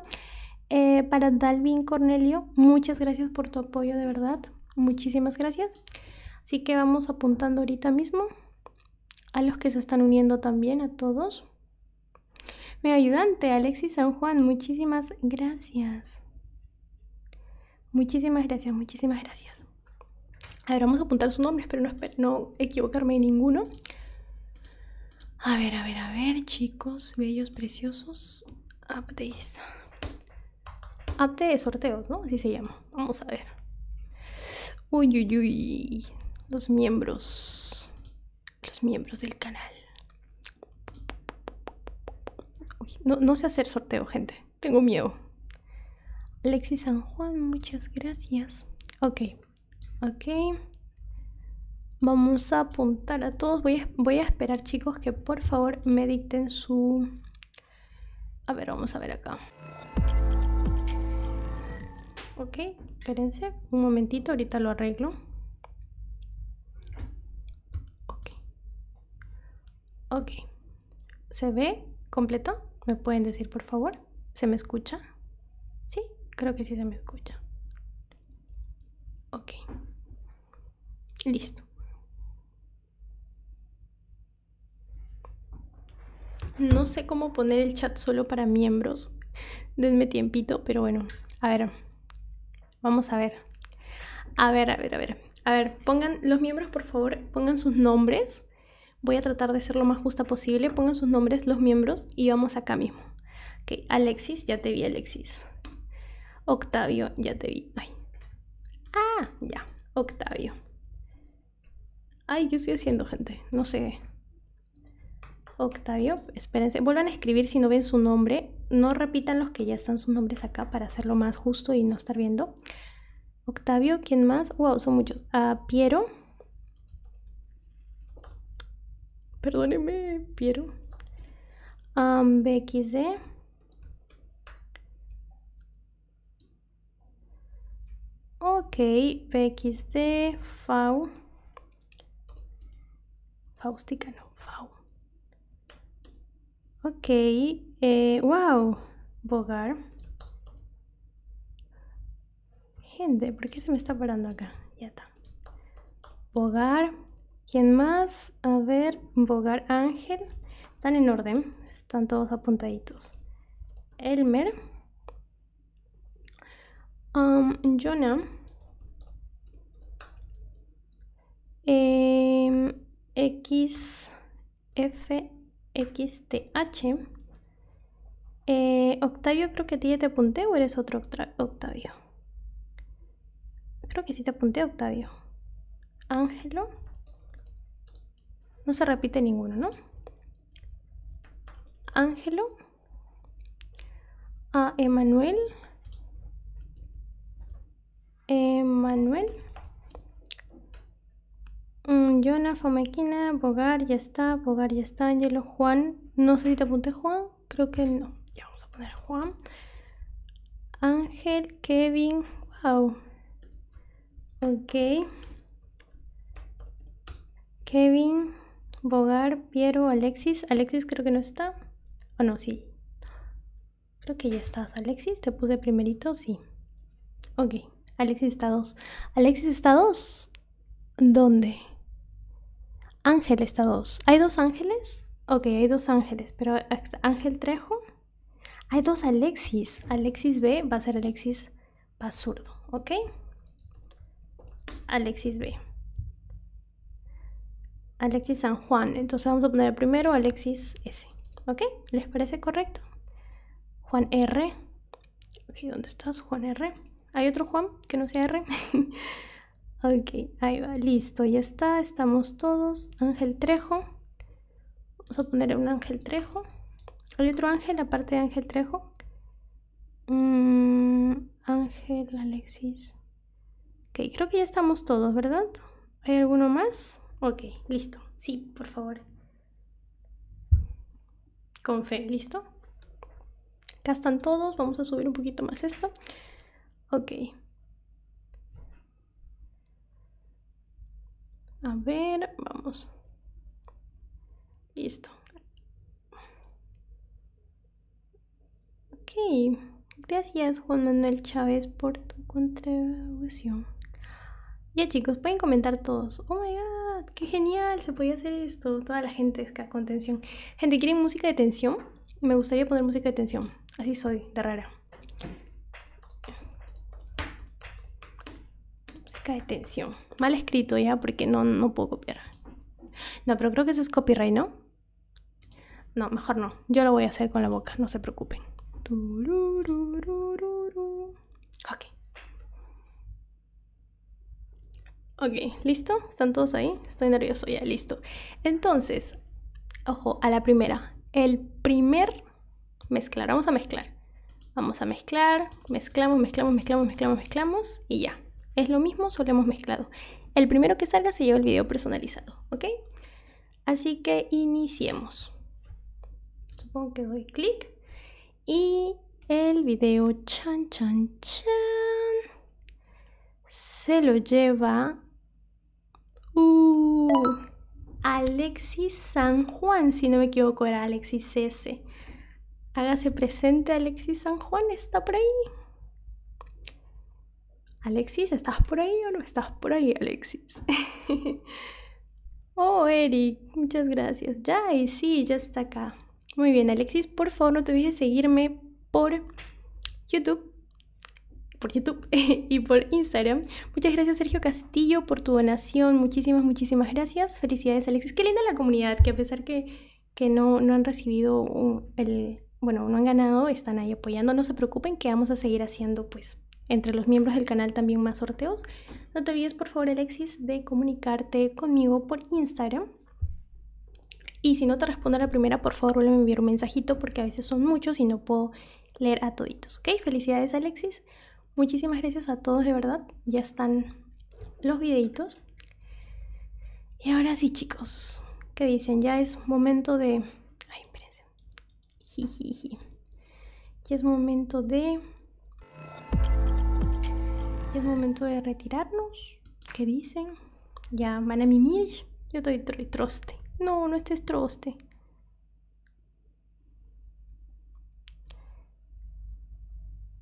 Eh, para Dalvin Cornelio, muchas gracias por tu apoyo, de verdad. Muchísimas gracias. Así que vamos apuntando ahorita mismo a los que se están uniendo también, a todos. me ayudante, Alexis San Juan, muchísimas gracias. Muchísimas gracias, muchísimas gracias. A ver, vamos a apuntar sus nombres, pero no, equivocarme en ninguno. A ver, a ver, a ver, chicos, bellos, preciosos. Ah, Updates. Update sorteos, ¿no? Así se llama. Vamos a ver. Uy, uy, uy. Los miembros. Los miembros del canal. no, no sé hacer sorteo, gente. Tengo miedo. Alexis San Juan, muchas gracias. Ok, ok. Vamos a apuntar a todos. Voy a, esperar, chicos, que por favor me dicten su... A ver, vamos a ver acá. Ok, espérense un momentito, ahorita lo arreglo. Ok. Ok. ¿Se ve completo? ¿Me pueden decir, por favor? ¿Se me escucha? Sí, creo que sí se me escucha. Ok. Listo. No sé cómo poner el chat solo para miembros. Denme tiempito, pero bueno. A ver. Vamos a ver. A ver, a ver, a ver. A ver, pongan los miembros, por favor, pongan sus nombres. Voy a tratar de ser lo más justa posible. Pongan sus nombres, los miembros, y vamos acá mismo. Ok, Alexis, ya te vi, Alexis. Octavio, ya te vi. Ay. Ah, ya, Octavio. Ay, ¿qué estoy haciendo, gente? No sé. Octavio, espérense. Vuelvan a escribir si no ven su nombre. No repitan los que ya están sus nombres acá para hacerlo más justo y no estar viendo. Octavio. ¿quién más? Wow, son muchos. A Piero. Perdóneme, Piero. BXD. Ok, BXD, Fau. Faustica, no, Fau. Ok, eh, wow, Bogar. Gente, porque se me está parando acá? Ya está. Bogar. ¿Quién más? A ver, Bogar Ángel. Están en orden, están todos apuntaditos. Elmer. Um, Jonah. Em, x x XFXTH. Eh, Octavio, creo que a ti te apunté o eres otro Octavio. Creo que sí te apunté, Octavio. Ángelo. No se repite ninguno, ¿no? Ángelo. A emmanuel eh, Manuel, jonathan mm, Jonah, Fomequina, Bogar, ya está, Bogar, ya está, Angelo, Juan, no sé si te apunté Juan, creo que no, ya vamos a poner Juan, Ángel, Kevin, wow, ok, Kevin, Bogar, Piero, Alexis, Alexis creo que no está, o no, sí, Creo que ya estás, Alexis. ¿Te puse primerito? Sí. Ok, Alexis está dos. ¿Alexis está dos. ¿Dónde? Ángel está dos. ¿Hay dos ángeles? Ok, hay dos ángeles, pero Ángel Trejo. Hay dos Alexis. Alexis B va a ser Alexis Basurdo, ¿ok? Alexis B. Alexis San Juan. Entonces vamos a poner primero Alexis S. ¿Ok? ¿Les parece correcto? Juan R. Ok, ¿dónde estás? Juan R. ¿Hay otro Juan que no sea R? ok, ahí va, listo, ya está, estamos todos. Ángel Trejo. Vamos a poner un Ángel Trejo. ¿Hay otro Ángel aparte de Ángel Trejo? Mm, ángel, Alexis. Ok, creo que ya estamos todos, ¿verdad? ¿Hay alguno más? Ok, listo. Sí, por favor. Con fe, listo. Acá están todos. Vamos a subir un poquito más esto. Ok. A ver, vamos. Listo. Ok. Gracias Juan Manuel Chávez por tu contribución. Ya chicos, pueden comentar todos. Oh my god, qué genial, se podía hacer esto. Toda la gente está con tensión. Gente, ¿quieren música de tensión? Me gustaría poner música de tensión. Así soy, de rara. Música de tensión. Mal escrito ya, porque no, no puedo copiar. No, pero creo que eso es copyright, ¿no? No, mejor no yo lo voy a hacer con la boca, no se preocupen. Ok. Ok, ¿listo? ¿Están todos ahí? Estoy nervioso, ya, listo. Entonces, ojo, a la primera. El primer mezclar, vamos a mezclar. Vamos a mezclar, mezclamos, mezclamos, mezclamos, mezclamos, mezclamos y ya. Es lo mismo, solo hemos mezclado. El primero que salga se lleva el video personalizado, ¿ok? Así que iniciemos. Supongo que doy clic y el video chan chan chan se lo lleva uh, Alexis San Juan, si no me equivoco era Alexis S. Hágase presente Alexis San Juan, está por ahí. Alexis, ¿estás por ahí o no estás por ahí, Alexis? oh, Eric, muchas gracias. Ya, y sí, ya está acá. Muy bien, Alexis, por favor no te olvides seguirme por YouTube, por YouTube y por Instagram. Muchas gracias Sergio Castillo por tu donación, muchísimas, muchísimas gracias. Felicidades Alexis, qué linda la comunidad, que a pesar que, que no, no han recibido uh, el, bueno, no han ganado, están ahí apoyando. No se preocupen que vamos a seguir haciendo pues entre los miembros del canal también más sorteos. No te olvides, por favor, Alexis, de comunicarte conmigo por Instagram. Y si no te respondo a la primera, por favor, vuelve a enviar un mensajito porque a veces son muchos y no puedo leer a toditos. ¿Ok? Felicidades, Alexis. Muchísimas gracias a todos, de verdad. Ya están los videitos. Y ahora sí, chicos, ¿qué dicen? Ya es momento de... Ay, Jiji, Ya es momento de... momento de retirarnos. ¿Qué dicen? Ya van a mimir. Yo estoy troste. No, no estés troste.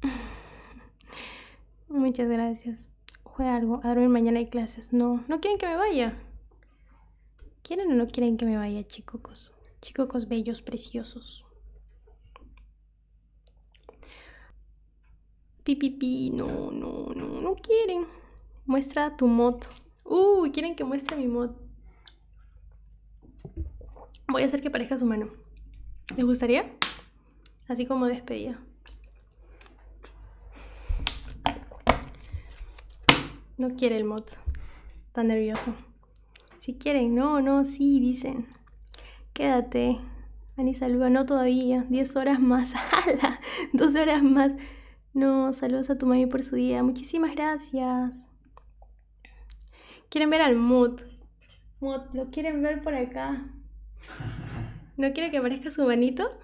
Muchas gracias. Juega algo. A dormir mañana hay clases. No, no quieren que me vaya. ¿Quieren o no quieren que me vaya, chicocos chicocos bellos, preciosos. Pipipi, no, no, no, no quieren. Muestra tu mod. Uy, uh, quieren que muestre mi mod. Voy a hacer que parezca su mano. ¿Les gustaría? Así como despedida. No quiere el mod tan nervioso. Si quieren, no, no, sí, dicen. Quédate. Ani saluda, no todavía. 10 horas más, ¡Hala! 12 horas más. No, saludos a tu mami por su día. Muchísimas gracias. Quieren ver al Mood. Mood, lo quieren ver por acá. ¿No quiere que aparezca su manito?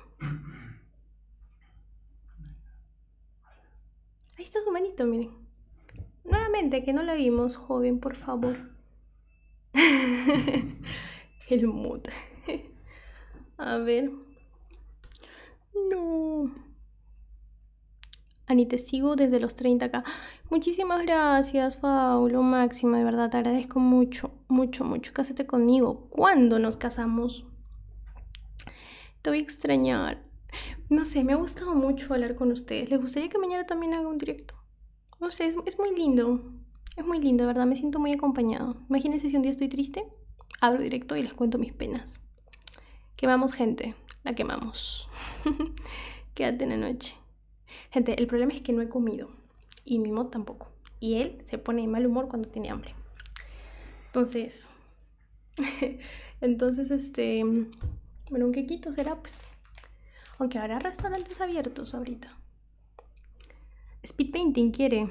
Ahí está su manito, miren. Nuevamente, que no la vimos, joven, por favor. El mute. A ver. No. Ani, te sigo desde los 30 acá. Muchísimas gracias, Faulo Máxima, de verdad, te agradezco mucho, mucho, mucho. Cásate conmigo. ¿Cuándo nos casamos? Te voy a extrañar. No sé, me ha gustado mucho hablar con ustedes. ¿Les gustaría que mañana también haga un directo? No sé, es, muy lindo. Es muy lindo, ¿verdad? Me siento muy acompañado. Imagínense si un día estoy triste, abro directo y les cuento mis penas. Quemamos gente, la quemamos. Quédate en la noche. Gente, el problema es que no he comido. Y mi mod tampoco. Y él se pone de mal humor cuando tiene hambre. Entonces, Entonces, este, bueno, un quequito será, pues, aunque habrá restaurantes abiertos ahorita. Speed Painting quiere.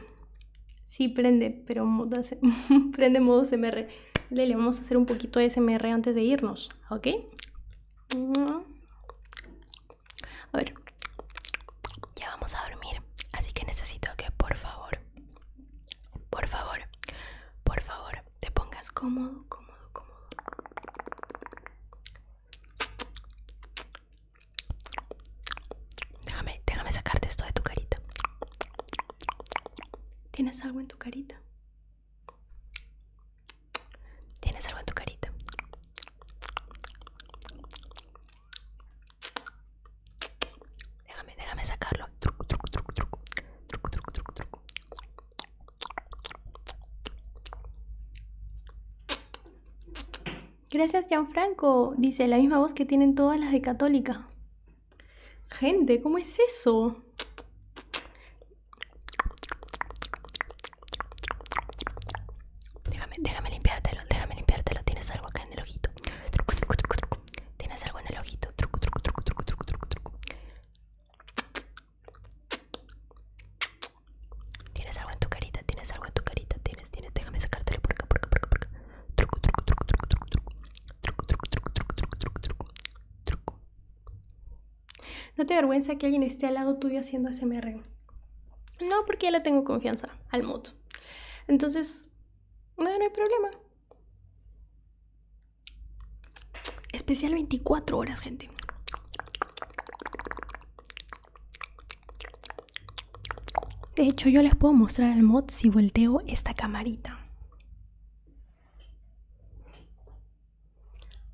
Sí, prende, pero prende modo SMR. Le vamos a hacer un poquito de SMR antes de irnos, ¿ok? A ver, ya vamos a dormir, así que necesito que por favor por favor, por favor, te pongas cómodo, cómodo, cómodo. Déjame, déjame sacarte esto de tu carita. ¿Tienes algo en tu carita? ¿Tienes algo en tu carita? Déjame, déjame sacarlo. Truco, truco, truco, truco. Truco, truco, truco, truco. Gracias, Gianfranco. Dice la misma voz que tienen todas las de Católica. Gente, ¿cómo es eso? Déjame, déjame limpiártelo, déjame limpiártelo. Tienes algo acá en el ojito. Truco, truco, truco, truco. Tienes algo en el ojito. Truco, truco, truco, truco, truco, truco, truco. Tienes algo en tu carita, tienes algo en tu carita, tienes, tienes, déjame sacártelo por acá, por acá, por acá, Truco, truco, truco, truco, truco, truco. Truco, truco, truco, truco, truco, truco, truco. Truco. No te avergüenza que alguien esté al lado tuyo haciendo SMR. No, porque ya le tengo confianza al mod. Entonces, no, no hay problema. Especial 24 horas, gente. De hecho, yo les puedo mostrar al mod si volteo esta camarita.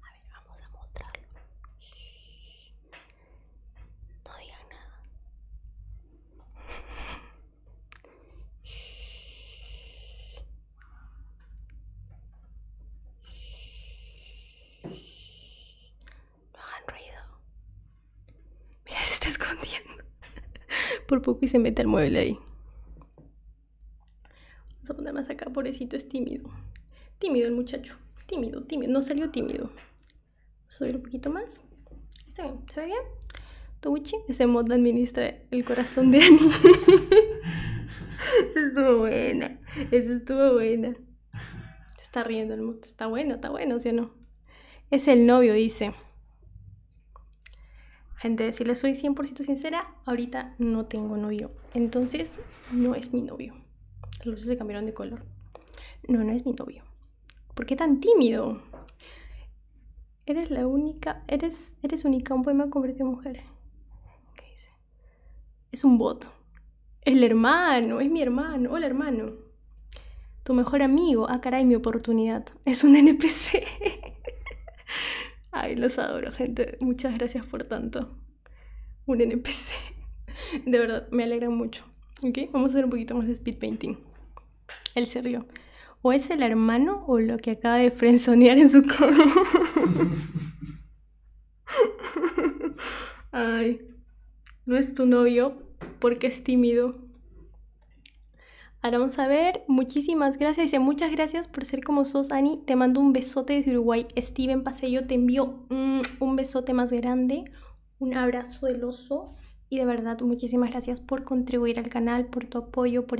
A ver, vamos a mostrarlo. No digan nada. No hagan ruido. Mira, se está escondiendo. Por poco y se mete al mueble ahí. Vamos a poner más acá, pobrecito, es tímido. Tímido el muchacho. Tímido, tímido. No salió tímido. Soy un poquito más. Está bien, ¿se ve bien? Touchi ese mod el corazón de Annie. Eso estuvo buena. Eso estuvo buena. Se está riendo el mundo. Está bueno, está bueno, ¿sí no? Es el novio, dice. Gente, si les soy 100% sincera, ahorita no tengo novio. Entonces, no es mi novio. Las luces se cambiaron de color. No, no es mi novio. ¿Por qué tan tímido? Eres la única, eres, eres única, un poema convertido en mujer. ¿Qué dice? Es un voto. El hermano, es mi hermano, hola hermano. Tu mejor amigo, ah caray, mi oportunidad. Es un NPC. Ay, los adoro, gente. Muchas gracias por tanto. Un NPC. De verdad, me alegra mucho. ¿Ok? Vamos a hacer un poquito más de speed painting. Él se rió. O es el hermano o lo que acaba de frenzonear en su coro Ay, no es tu novio porque es tímido. Ahora vamos a ver. Muchísimas gracias. y muchas gracias por ser como sos, Ani. Te mando un besote desde Uruguay. Steven Pasello te envió un, mm, un besote más grande. Un abrazo del oso. Y de verdad, muchísimas gracias por contribuir al canal, por tu apoyo, por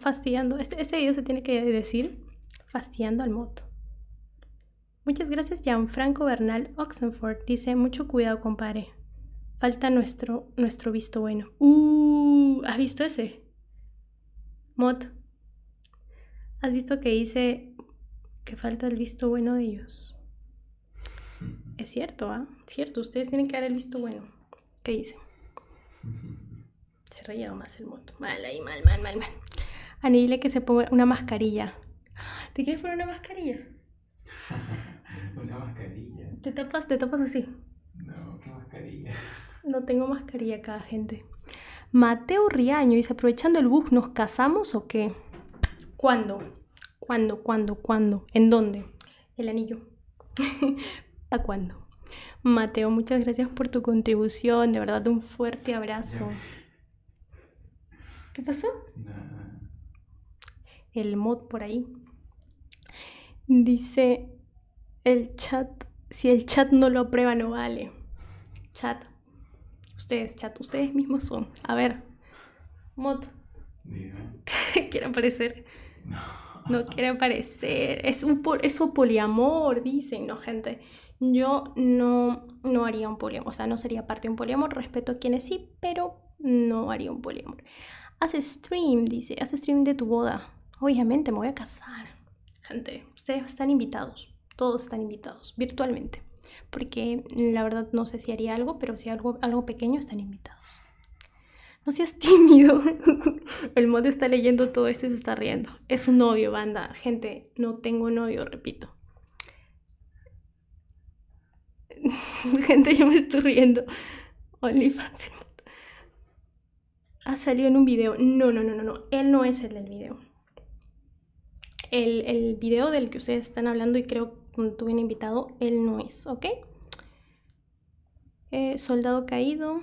Fastiando, Este, este se tiene que decir fastidiando al moto. Muchas gracias, franco Bernal Oxenford. Dice, mucho cuidado, compadre. Falta nuestro, nuestro visto bueno. Uh, ¿has visto ese? Mod. ¿Has visto que dice que falta el visto bueno de ellos? Mm. Es cierto, ¿ah? Cierto, ustedes tienen que dar el visto bueno. ¿Qué hice? Se reía más el moto. Mal ahí, mal, mal, mal, mal. que se ponga una mascarilla. ¿Te quieres poner una mascarilla? una mascarilla. Te tapas, te tapas así. No, qué mascarilla. No tengo mascarilla acá, gente. Mateo Riaño dice, aprovechando el bus, ¿nos casamos o qué? ¿Cuándo? ¿Cuándo? ¿Cuándo? ¿Cuándo? ¿En dónde? el anillo. ¿Para cuándo? Mateo, muchas gracias por tu contribución. De verdad, un fuerte abrazo. ¿Qué pasó? El mod por ahí. Dice el chat. Si el chat no lo aprueba, no vale. Chat. Ustedes, chat, ustedes mismos son. A ver. Mod. Quiero aparecer. No quiere parecer. Es, un, poliamor, dicen, ¿no, gente? Yo no, no haría un poliamor, o sea, no sería parte de un poliamor. Respeto a quienes sí, pero no haría un poliamor. hace stream, dice, hace stream de tu boda. Obviamente me voy a casar. Gente, ustedes están invitados. Todos están invitados, virtualmente. Porque la verdad no sé si haría algo, pero si algo, algo pequeño están invitados. No seas tímido. El mod está leyendo todo esto y se está riendo. Es un novio, banda. Gente, no tengo novio, repito. Gente, yo me estoy riendo. OnlyFans. Ha salido en un video. No, no, no, no, no. Él no es el del video. El, el video del que ustedes están hablando y creo que tú bien invitado, él no es, ¿ok? Eh, soldado caído.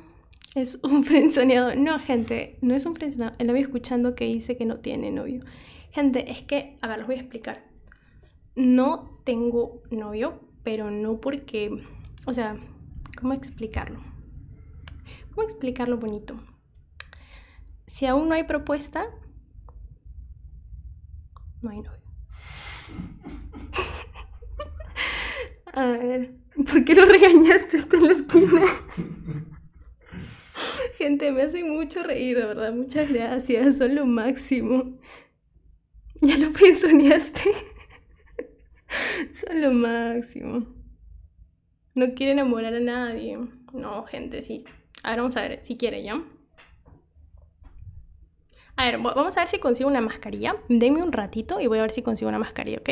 Es un frenzoneado. No, gente, no es un frenzoneado. El novio escuchando que dice que no tiene novio. Gente, es que, a ver, les voy a explicar. No tengo novio, pero no porque, o sea, ¿cómo explicarlo? ¿Cómo explicarlo bonito? Si aún no hay propuesta, no hay novio. A ver, ¿por qué lo regañaste? hasta en la esquina. Gente, me hace mucho reír, verdad. Muchas gracias, son lo máximo. Ya lo pensoneaste. son lo máximo. No quiere enamorar a nadie. No, gente, sí. Ahora vamos a ver si quiere, ¿ya? A ver, vamos a ver si consigo una mascarilla. Denme un ratito y voy a ver si consigo una mascarilla, ¿ok?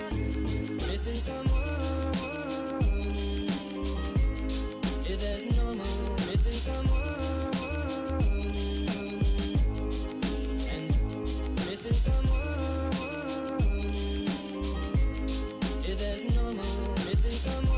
Missing someone is as normal. Missing someone and missing someone is as normal. Missing someone.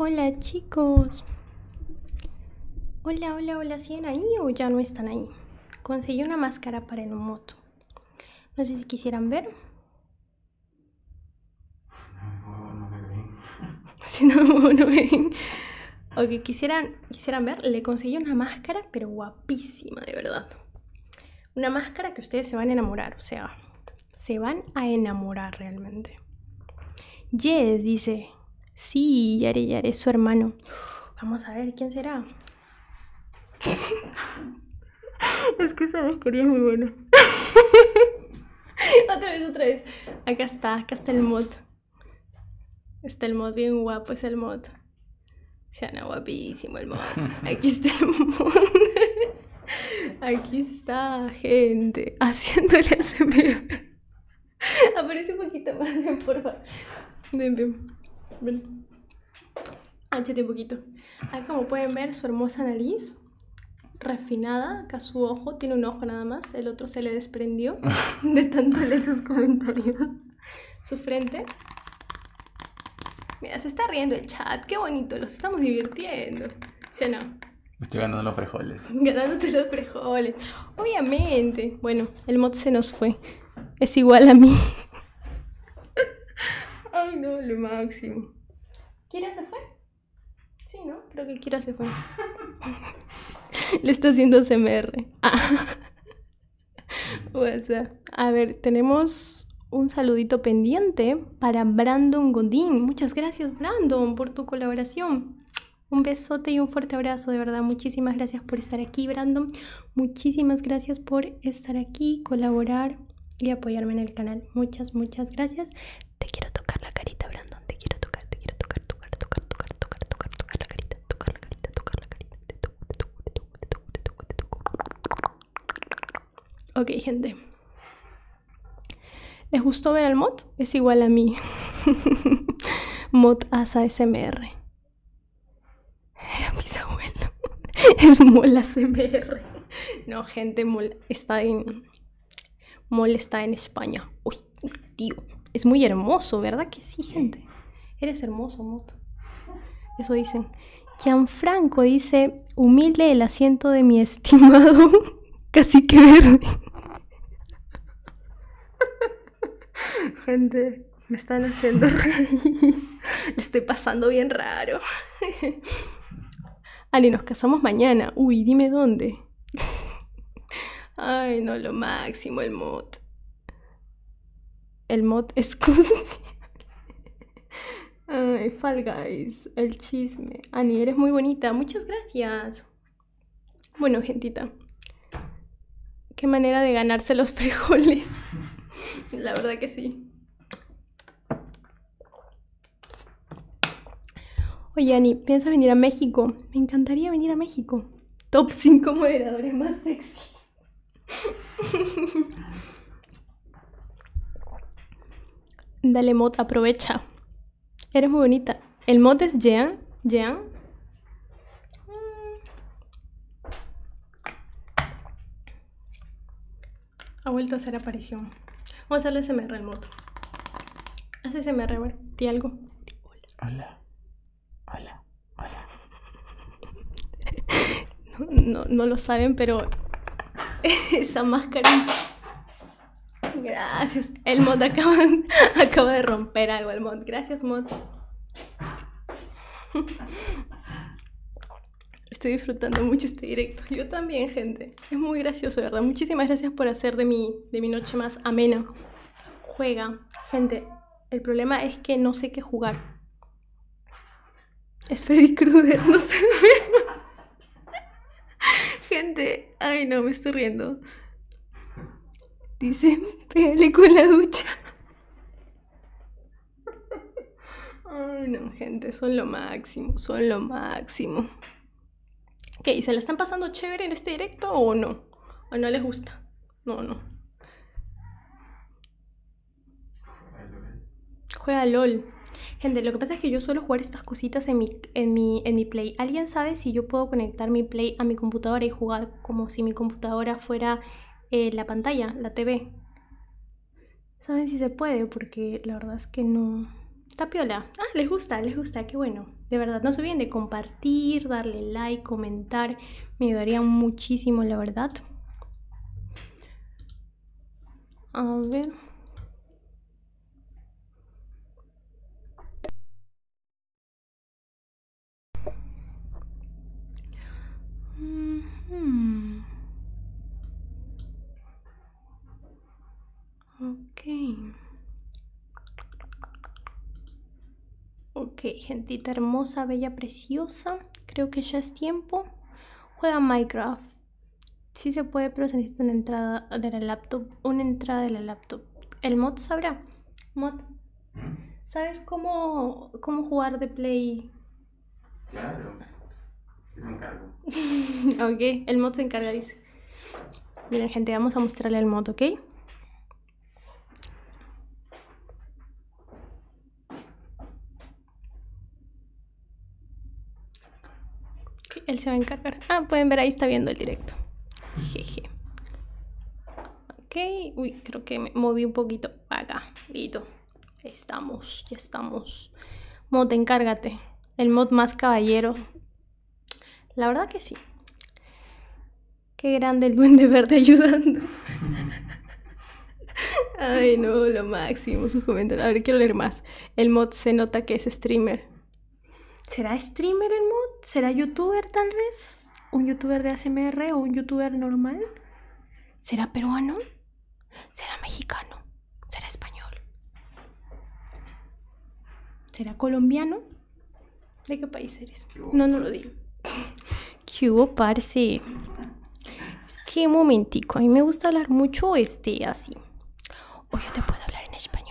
Hola chicos. Hola, hola, hola, ¿siguen ahí o ya no están ahí? Conseguí una máscara para el moto. No sé si quisieran ver. Si no no ven o que quisieran, quisieran ver, le conseguí una máscara, pero guapísima, de verdad. Una máscara que ustedes se van a enamorar, o sea, se van a enamorar realmente. Jess dice. Sí, Yare Yare es su hermano. vamos a ver, ¿quién será? es que esa máscara es muy buena otra vez, otra vez. Acá está, acá está el mod. Está el mod bien guapo, es el mod. no guapísimo el mod. Aquí está el mod. Aquí está, gente, haciéndole ASMR. Aparece un poquito más, por favor. Ven, ven. un poquito. Ah, como pueden ver, su hermosa nariz, refinada, su ojo, tiene un ojo nada más, el otro se le desprendió de tanto de sus comentarios. Su frente. Mira, se está riendo el chat, qué bonito, los estamos divirtiendo. ¿Sí no? Estoy ganando los frijoles. Ganándote los frijoles. Obviamente. Bueno, el mod se nos fue. Es igual a mí. Ay, no, lo máximo. ¿quién se fue? Sí, ¿no? creo que quiero hacer fue. Le está haciendo CMR. Ah. A ver, tenemos un saludito pendiente para Brandon Godín. Muchas gracias, Brandon, por tu colaboración. Un besote y un fuerte abrazo, de verdad. Muchísimas gracias por estar aquí, Brandon. Muchísimas gracias por estar aquí, colaborar y apoyarme en el canal. Muchas, muchas gracias. Te quiero tocar la carita, Brandon. Okay Ok, gente. ¿Les gustó ver el mod? Es igual a mí. mod asa SMR. Era mis abuelos. es mol No, gente, mol está en. Mol está en España. Uy tío, es muy hermoso, ¿verdad que sí, gente? Eres hermoso, Moto. Eso dicen. Gianfranco dice, humilde el asiento de mi estimado casi que verde. Gente, me están haciendo Le estoy pasando bien raro. Ali, nos casamos mañana. Uy, dime dónde. Ay, no, lo máximo, el mod. El mod, excuse me. Ay, Fall Guys, el chisme. Ani, eres muy bonita. Muchas gracias. Bueno, gentita. Qué manera de ganarse los frijoles. La verdad que sí. Oye, Ani, ¿piensas venir a México? Me encantaría venir a México. Top 5 moderadores más sexys. Dale, mod, aprovecha. Eres muy bonita. El mod es Jean. Jean. Mm. Ha vuelto a hacer aparición. Vamos a hacerle SMR el mod Hace SMR, me bueno, di algo. Hola. Hola. Hola, hola. No, lo saben, pero esa máscara. Gracias. El mod acaba, de romper algo. El mod. Gracias, mod. Estoy disfrutando mucho este directo. Yo también, gente. Es muy gracioso, ¿verdad? Muchísimas gracias por hacer de mi, de mi noche más amena. Juega. Gente, el problema es que no sé qué jugar. Es Freddy Krueger, no sé. Gente, ay no, me estoy riendo. Dice, pégale con la ducha. Ay no, gente, son lo máximo, son lo máximo. que ¿Se la están pasando chévere en este directo o no? o no les gusta. No, no. Juega LOL. Gente, lo que pasa es que yo suelo jugar estas cositas en mi, en, mi, en mi Play. ¿Alguien sabe si yo puedo conectar mi Play a mi computadora y jugar como si mi computadora fuera eh, la pantalla, la TV? ¿Saben si se puede? Porque la verdad es que no... Tapiola. Ah, les gusta, les gusta, que bueno de verdad no se olviden de compartir, darle like, comentar, me ayudaría muchísimo, la verdad. A ver. Ok. Ok, gentita hermosa, bella, preciosa. Creo que ya es tiempo. Juega Minecraft. si se puede, pero se necesita una entrada de la laptop. Una entrada de la laptop. El mod sabrá. Mod. ¿Sabes cómo, cómo jugar de play? Claro. me encargo. ok, el mod se encarga, dice. Miren, gente, vamos a mostrarle el mod, ¿ok? él se va a encargar. Ah, pueden ver ahí está viendo el directo. Jeje. Ok, uy, creo que me moví un poquito acá. Listo. Estamos, ya estamos. Mod, encárgate. El mod más caballero. La verdad que sí. Qué grande el duende verde ayudando. Ay, no, lo máximo, su comentarios. A ver, quiero leer más. El mod se nota que es streamer. ¿Será streamer el mod? ¿Será youtuber tal vez? ¿Un youtuber de ASMR o un youtuber normal? ¿Será peruano? ¿Será mexicano? ¿Será español? ¿Será colombiano? ¿De qué país eres? no, no lo digo. ¿Qué hubo, parce? Es que momentico, a mí me gusta hablar mucho este así. O yo te puedo hablar en español.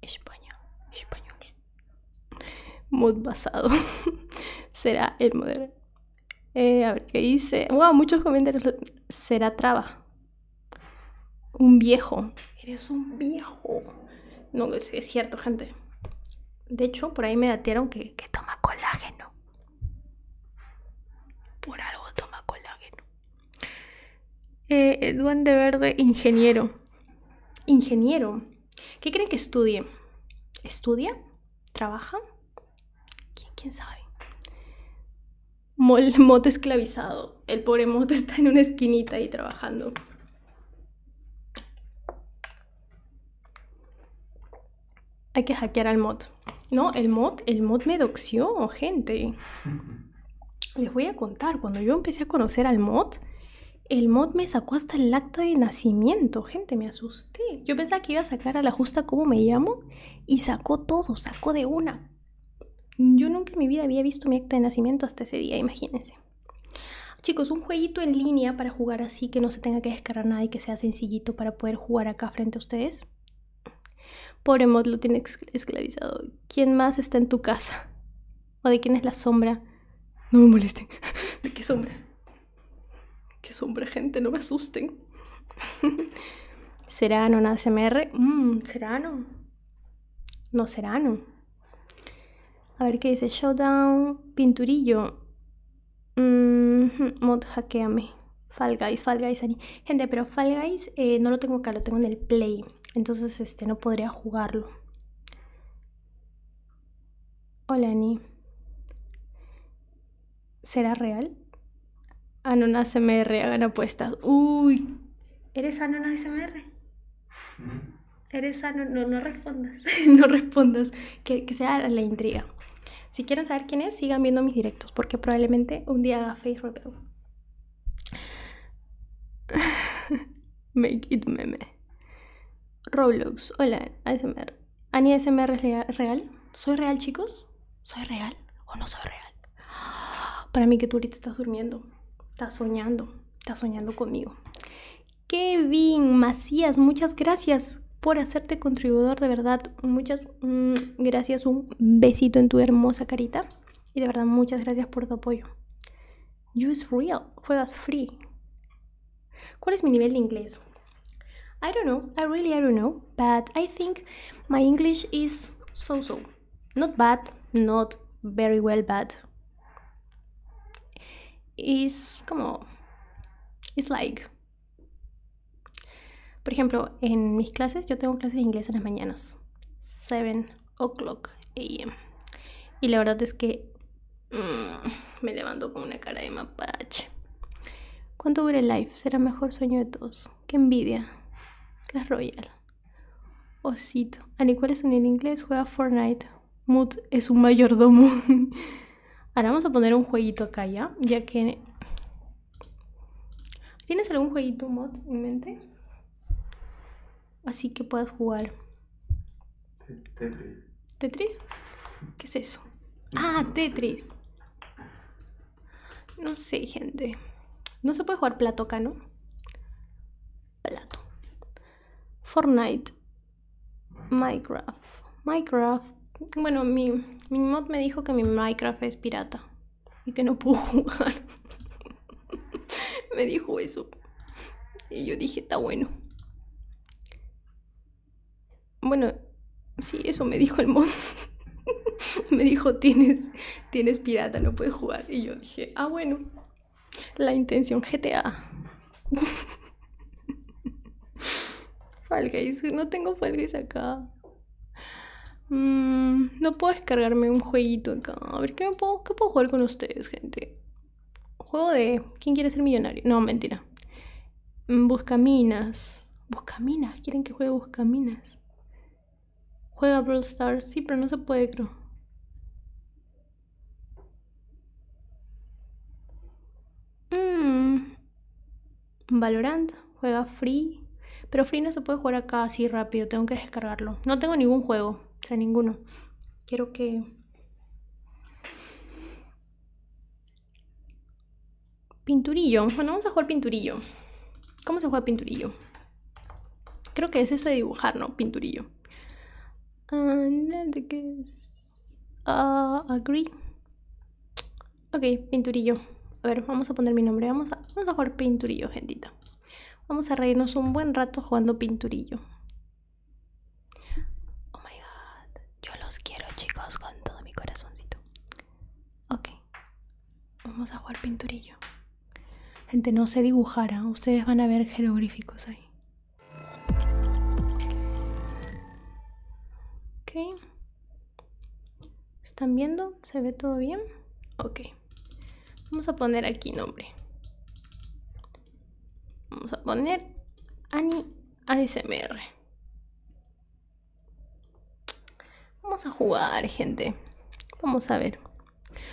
Español, español. Mod basado. Será el modelo. Eh, a ver, ¿qué dice? Wow, muchos comentarios. Será traba. Un viejo. Eres un viejo. No, es, cierto, gente. De hecho, por ahí me datearon que, toma colágeno. Por algo toma colágeno. Eh, verde, ingeniero. Ingeniero. ¿Qué creen que estudie? ¿Estudia? ¿Trabaja? ¿Quién, sabe? Motte mote esclavizado. El pobre mote está en una esquinita ahí trabajando. Hay que hackear al mod. No, el mod, el mod me doxió, gente. Les voy a contar, cuando yo empecé a conocer al mod, el mod me sacó hasta el acta de nacimiento, gente, me asusté. Yo pensaba que iba a sacar a la justa como me llamo y sacó todo, sacó de una. Yo nunca en mi vida había visto mi acta de nacimiento hasta ese día, imagínense. Chicos, un jueguito en línea para jugar así, que no se tenga que descargar nada y que sea sencillito para poder jugar acá frente a ustedes. Pobre mod lo tiene esclavizado. ¿Quién más está en tu casa? ¿O de quién es la sombra? No me molesten. ¿De qué sombra? ¿Qué sombra, gente? No me asusten. ¿Será no nada CMR? Mm, ¿Será no? No será no. A ver qué dice. Showdown, Pinturillo. mod hackeame. Fall Guys, Fall Guys. Gente, pero Fall Guys eh, no lo tengo acá, lo tengo en el Play. Entonces este no podría jugarlo. Hola, Ani. ¿Será real? Anonas Mr hagan apuestas. Uy, ¿eres Anona SMR? Teresa, no, no, respondas, no respondas, que, sea la intriga. Si quieren saber quién es, sigan viendo mis directos, porque probablemente un día haga face reveal. Make it meme. Roblox, hola, ASMR. Ani ASMR es real. ¿Soy real, chicos? ¿Soy real o no soy real? Para mí que tú ahorita estás durmiendo, estás soñando, estás soñando conmigo. Kevin Macías, muchas gracias por hacerte contribuidor, de verdad. Muchas mm, gracias, un besito en tu hermosa carita. Y de verdad, muchas gracias por tu apoyo. You real, juegas free. ¿Cuál es mi nivel de inglés? I don't know, I really don't know, but I think my English is so so. Not bad, not very well bad, es como... Es like... Por ejemplo, en mis clases, yo tengo clases de inglés en las mañanas. 7 o'clock a.m. Y la verdad es que mm, me levanto con una cara de mapache. ¿Cuánto dura el live? Será mejor sueño de todos. Qué envidia. es Royal? Osito. Al igual es en inglés, juega Fortnite es un mayordomo. Ahora vamos a poner un jueguito acá ya, ya que... ¿Tienes algún jueguito mod en mente? Así que puedas jugar. Tetris. ¿Tetris? ¿Qué es eso? Ah, Tetris. No sé, gente. No se puede jugar plato acá, ¿no? plato. Fortnite, Minecraft. Minecraft. Bueno, mi, mod me dijo que mi Minecraft es pirata y que no puedo jugar. me dijo eso. Y yo dije, está bueno. Bueno, sí, eso me dijo el mod. me dijo, tienes, tienes pirata, no puedes jugar. Y yo dije, ah, bueno. La intención GTA. falga No tengo feliz acá. Mm, no puedo descargarme un jueguito acá. A ver, ¿qué, puedo, ¿qué puedo jugar con ustedes, gente? Juego de... ¿Quién quiere ser millonario? No, mentira. Mm, busca minas busca minas ¿Quieren que juegue minas Juega Brawl Stars. Sí, pero no se puede, creo. Mm, Valorant, juega free. Pero free no se puede jugar acá así rápido, tengo que descargarlo. No tengo ningún juego, o sea, ninguno. Quiero que... Pinturillo, bueno, vamos a jugar pinturillo. ¿Cómo se juega pinturillo? Creo que es eso de dibujar, ¿no? Pinturillo. Ah, qué Ah, agree. Ok, pinturillo. A ver, vamos a poner mi nombre. Vamos a, vamos a jugar pinturillo, gentita. Vamos a reírnos un buen rato jugando pinturillo. Oh my god. Yo los quiero, chicos, con todo mi corazoncito. Ok. Vamos a jugar pinturillo. Gente, no se dibujara ¿ah? Ustedes van a ver jeroglíficos ahí. Ok. ¿Están viendo? ¿Se ve todo bien? Ok. Vamos a poner aquí nombre. Vamos a poner Ani ASMR. Vamos a jugar, gente. Vamos a ver.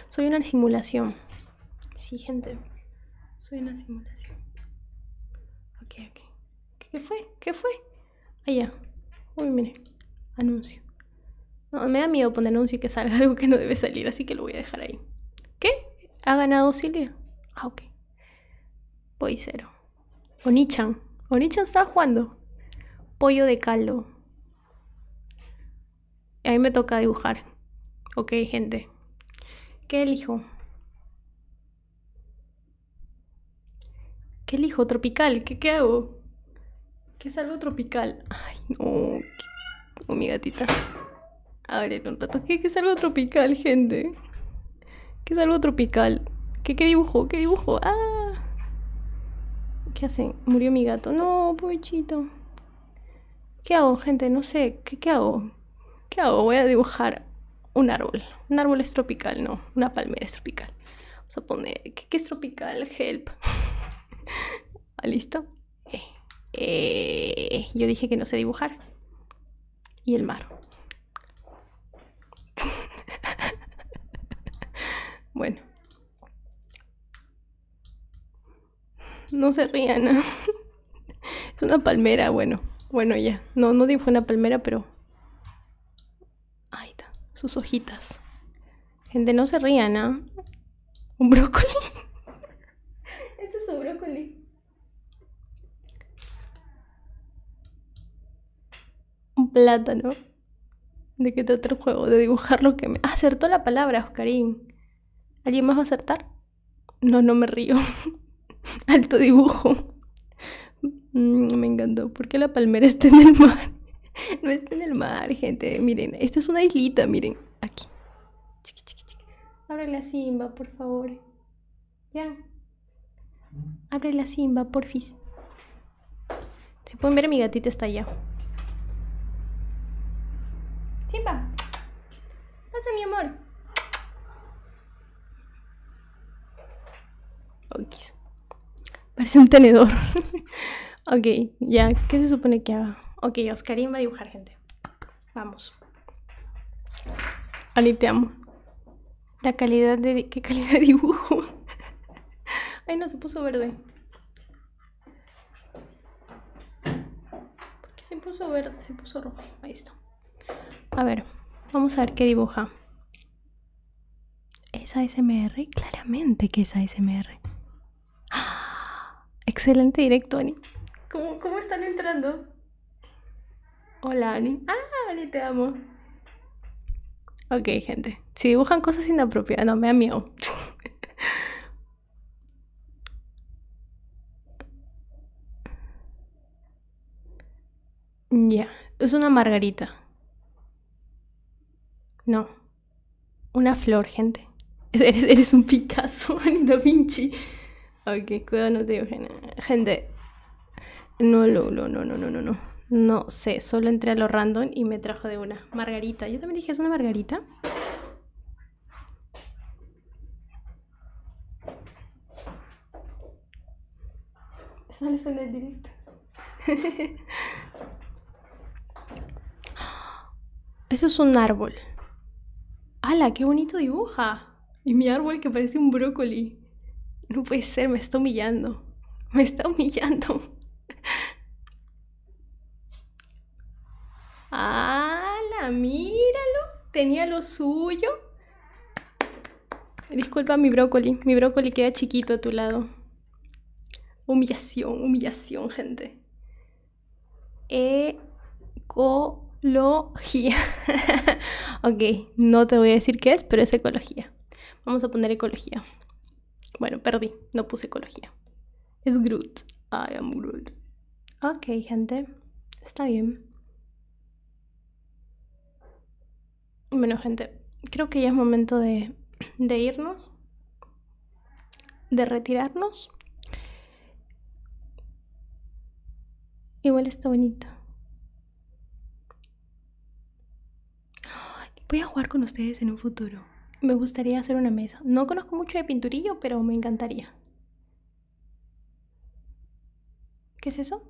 Soy una simulación. Sí, gente. Soy una simulación. ¿Qué fue? ¿Qué fue? Allá. Ah, Uy, mire. Anuncio. me da miedo poner anuncio que salga algo que no debe salir, así que lo voy a dejar ahí. ¿Qué? ¿Ha ganado Silvia? Ah, ok. Voy cero. Onichan. Onichan está jugando. Pollo de caldo. A mí me toca dibujar. Ok, gente. ¿qué elijo? ¿Qué elijo? ¿Tropical? ¿Qué, qué hago? ¿Qué es algo tropical? Ay, no. Oh, mi gatita. A ver, un rato. ¿Qué, es algo tropical, gente? ¿Qué es algo tropical? ¿Qué, qué dibujo? ¿Qué dibujo? ¡Ah! ¿Qué hacen? Murió mi gato. No, pochito ¿Qué hago, gente? No sé, ¿qué, hago? ¿Qué hago? Voy a dibujar un árbol. Un árbol es tropical, no, una palmera es tropical. Vamos a poner, ¿qué, es tropical? Help. Ah, ¿Listo? Eh, eh, yo dije que no sé dibujar. Y el mar. bueno. No se rían. Es una palmera, bueno. Bueno, ya. No, no dibujé una palmera, pero... Ahí está. Sus hojitas. Gente, no se rían, ¿ah? ¿Un brócoli? Ese es un brócoli. Un plátano. ¿De qué trata el juego? De dibujar lo que me... acertó la palabra, Oscarín. ¿Alguien más va a acertar? No, no me río. Alto dibujo. Mm, me encantó. ¿Por qué la palmera está en el mar? No está en el mar, gente. Miren, esta es una islita, miren. Aquí. Abre la simba, por favor. Ya. Abre la simba, porfis. Se pueden ver, mi gatita está allá. Simba. Pasa, mi amor. Parece un tenedor. ok, ya. ¿Qué se supone que haga? Ok, Oscarín va a dibujar, gente. Vamos. Ani, te amo. La calidad de... ¿Qué calidad de dibujo? Ay, no, se puso verde. ¿Por qué se puso verde? Se puso rojo. Ahí está. A ver, vamos a ver qué dibuja. Es ASMR, claramente que es ASMR. ¡Ah! Excelente directo, Ani. ¿Cómo, ¿Cómo, están entrando? Hola, Ani. Ah, Ani, te amo. Ok, gente. Si dibujan cosas inapropiadas, no me da Ya, es una margarita. No, una flor, gente. Eres, un Picasso, ni Vinci. Ok, cuidado, no Gente, no, no, no, no, no, no, no. No sé, solo entré a lo random y me trajo de una margarita. Yo también dije, ¿es una margarita? Sale el directo. Eso es un árbol. ¡Hala! ¡Qué bonito dibuja! Y mi árbol que parece un brócoli. No puede ser, me está humillando. Me está humillando. ala Míralo. Tenía lo suyo. Disculpa mi brócoli. Mi brócoli queda chiquito a tu lado. Humillación, humillación, gente. Ecología. ok, no te voy a decir qué es, pero es ecología. Vamos a poner ecología. Bueno, perdí, no puse ecología. Es Groot. I am Groot. Ok, gente. Está bien. Bueno, gente, creo que ya es momento de, de irnos, de retirarnos. Igual está bonita Voy a jugar con ustedes en un futuro. Me gustaría hacer una mesa. No conozco mucho de pinturillo, pero me encantaría. ¿Qué es eso?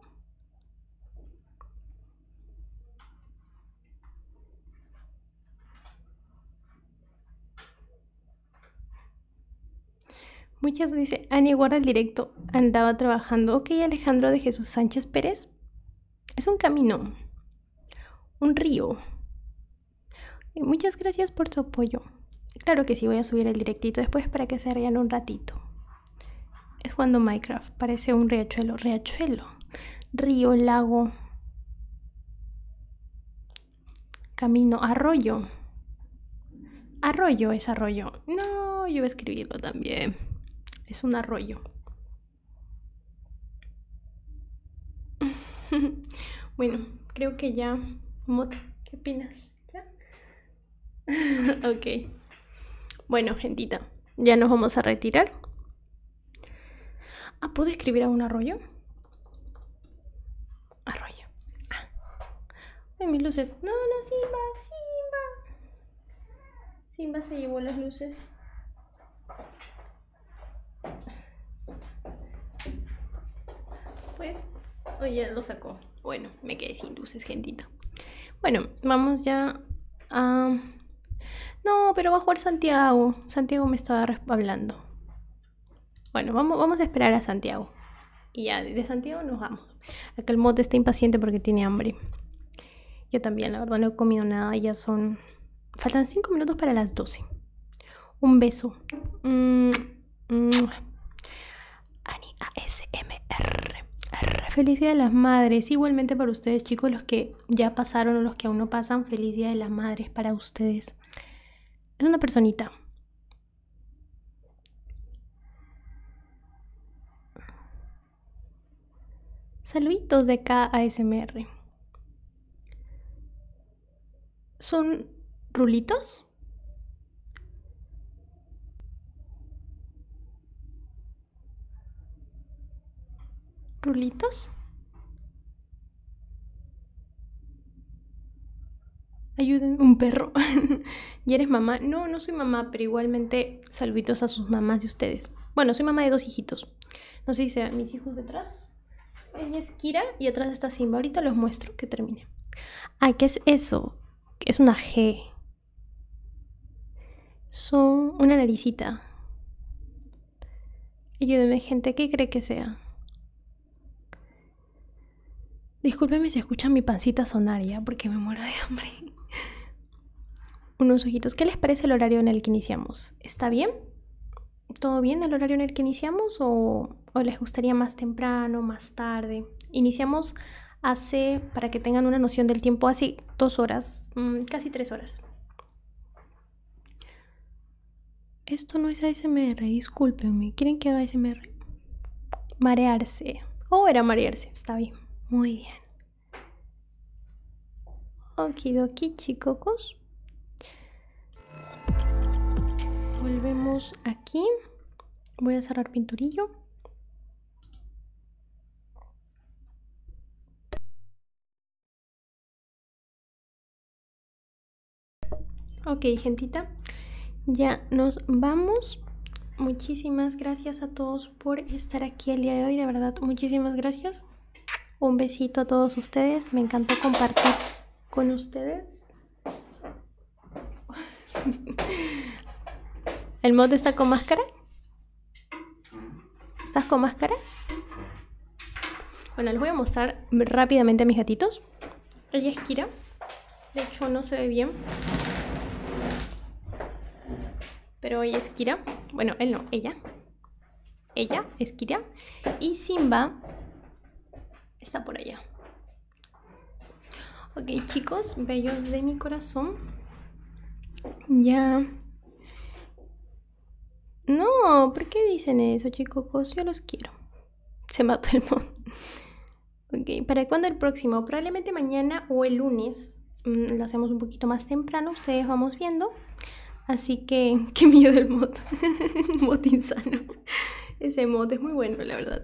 Muchas dice, Ani guarda el directo, andaba trabajando. Ok, Alejandro de Jesús Sánchez Pérez. Es un camino, un río. muchas gracias por tu apoyo. Claro que sí, voy a subir el directito después para que se rían un ratito. Es cuando Minecraft parece un riachuelo. Riachuelo. Río, lago. Camino, arroyo. Arroyo es arroyo. No, yo voy a escribirlo también. Es un arroyo. bueno, creo que ya... ¿qué opinas? ok. Bueno, gentita, ya nos vamos a retirar. Ah, ¿puedo escribir a un arroyo? Arroyo. Ah. mis luces. No, no, Simba, Simba. Simba se llevó las luces. Pues, oye, lo sacó bueno, me quedé sin luces, gentita. Bueno, vamos ya a... No, pero va a jugar Santiago. Santiago me estaba hablando. Bueno, vamos, a esperar a Santiago. Y ya, de Santiago nos vamos. Acá el mote está impaciente porque tiene hambre. Yo también, la verdad, no he comido nada. Ya son... Faltan 5 minutos para las 12. Un beso. Mm, Mm. Ani ASMR. Feliz Día de las Madres. Igualmente para ustedes, chicos, los que ya pasaron o los que aún no pasan, feliz Día de las Madres para ustedes. Es una personita. Saluditos de KASMR ASMR. Son rulitos rulitos. Ayuden, un perro. ¿Y eres mamá? No, no soy mamá, pero igualmente saluditos a sus mamás de ustedes. Bueno, soy mamá de dos hijitos. No sé si sean mis hijos detrás. es Kira y atrás está Simba. Ahorita los muestro que termine. Ah, ¿qué es eso? es una G. Son una naricita. dime gente, que cree que sea? Discúlpeme si escuchan mi pancita sonaria porque me muero de hambre. Unos ojitos. ¿Qué les parece el horario en el que iniciamos? ¿Está bien? ¿Todo bien el horario en el que iniciamos o o les gustaría más temprano, más tarde. Iniciamos hace, para que tengan una noción del tiempo, hace dos horas, mm, casi tres horas. Esto no es ASMR, discúlpenme. ¿Quieren que haga ASMR? Marearse. Oh, era marearse, está bien. Muy bien. aquí, chicocos. Volvemos aquí voy a cerrar pinturillo ok gentita ya nos vamos muchísimas gracias a todos por estar aquí el día de hoy de verdad muchísimas gracias un besito a todos ustedes me encantó compartir con ustedes ¿El mod está con máscara? ¿Estás con máscara? Bueno, les voy a mostrar rápidamente a mis gatitos. Ella es Kira. De hecho, no se ve bien. Pero ella es Kira. Bueno, él no, ella. Ella es Kira. Y Simba está por allá. Ok chicos, bellos de mi corazón. Ya. No, ¿por qué dicen eso chicos? Yo los quiero. Se mató el mod. Ok, ¿para cuando el próximo? Probablemente mañana o el lunes. Mm, lo hacemos un poquito más temprano, ustedes vamos viendo. Así que, qué miedo el mod. mod insano. Ese mod es muy bueno, la verdad.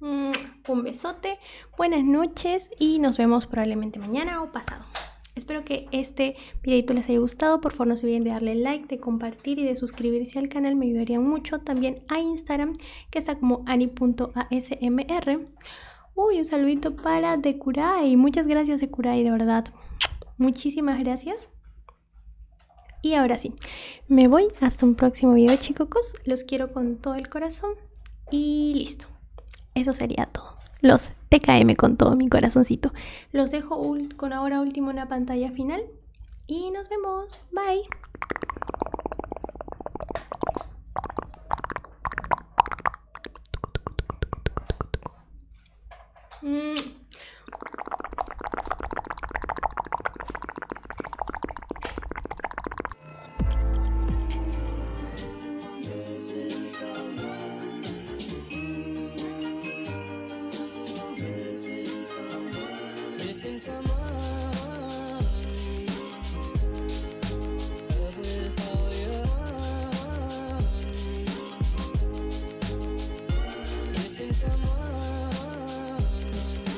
Mm, un besote, buenas noches y nos vemos probablemente mañana o pasado. Espero que este videito les haya gustado. Por favor, no se olviden de darle like, de compartir y de suscribirse al canal. Me ayudaría mucho. También a Instagram, que está como ani.asmr. Uy, un saludito para de Decuray. Muchas gracias, de Decuray, de verdad. Muchísimas gracias. Y ahora sí, me voy hasta un próximo video chicos, los quiero con todo el corazón y listo. Eso sería todo. Los TKM con todo mi corazoncito. Los dejo con ahora último en la pantalla final y nos vemos. Bye. Mm. Missing someone Missing someone Missing Missing someone. someone.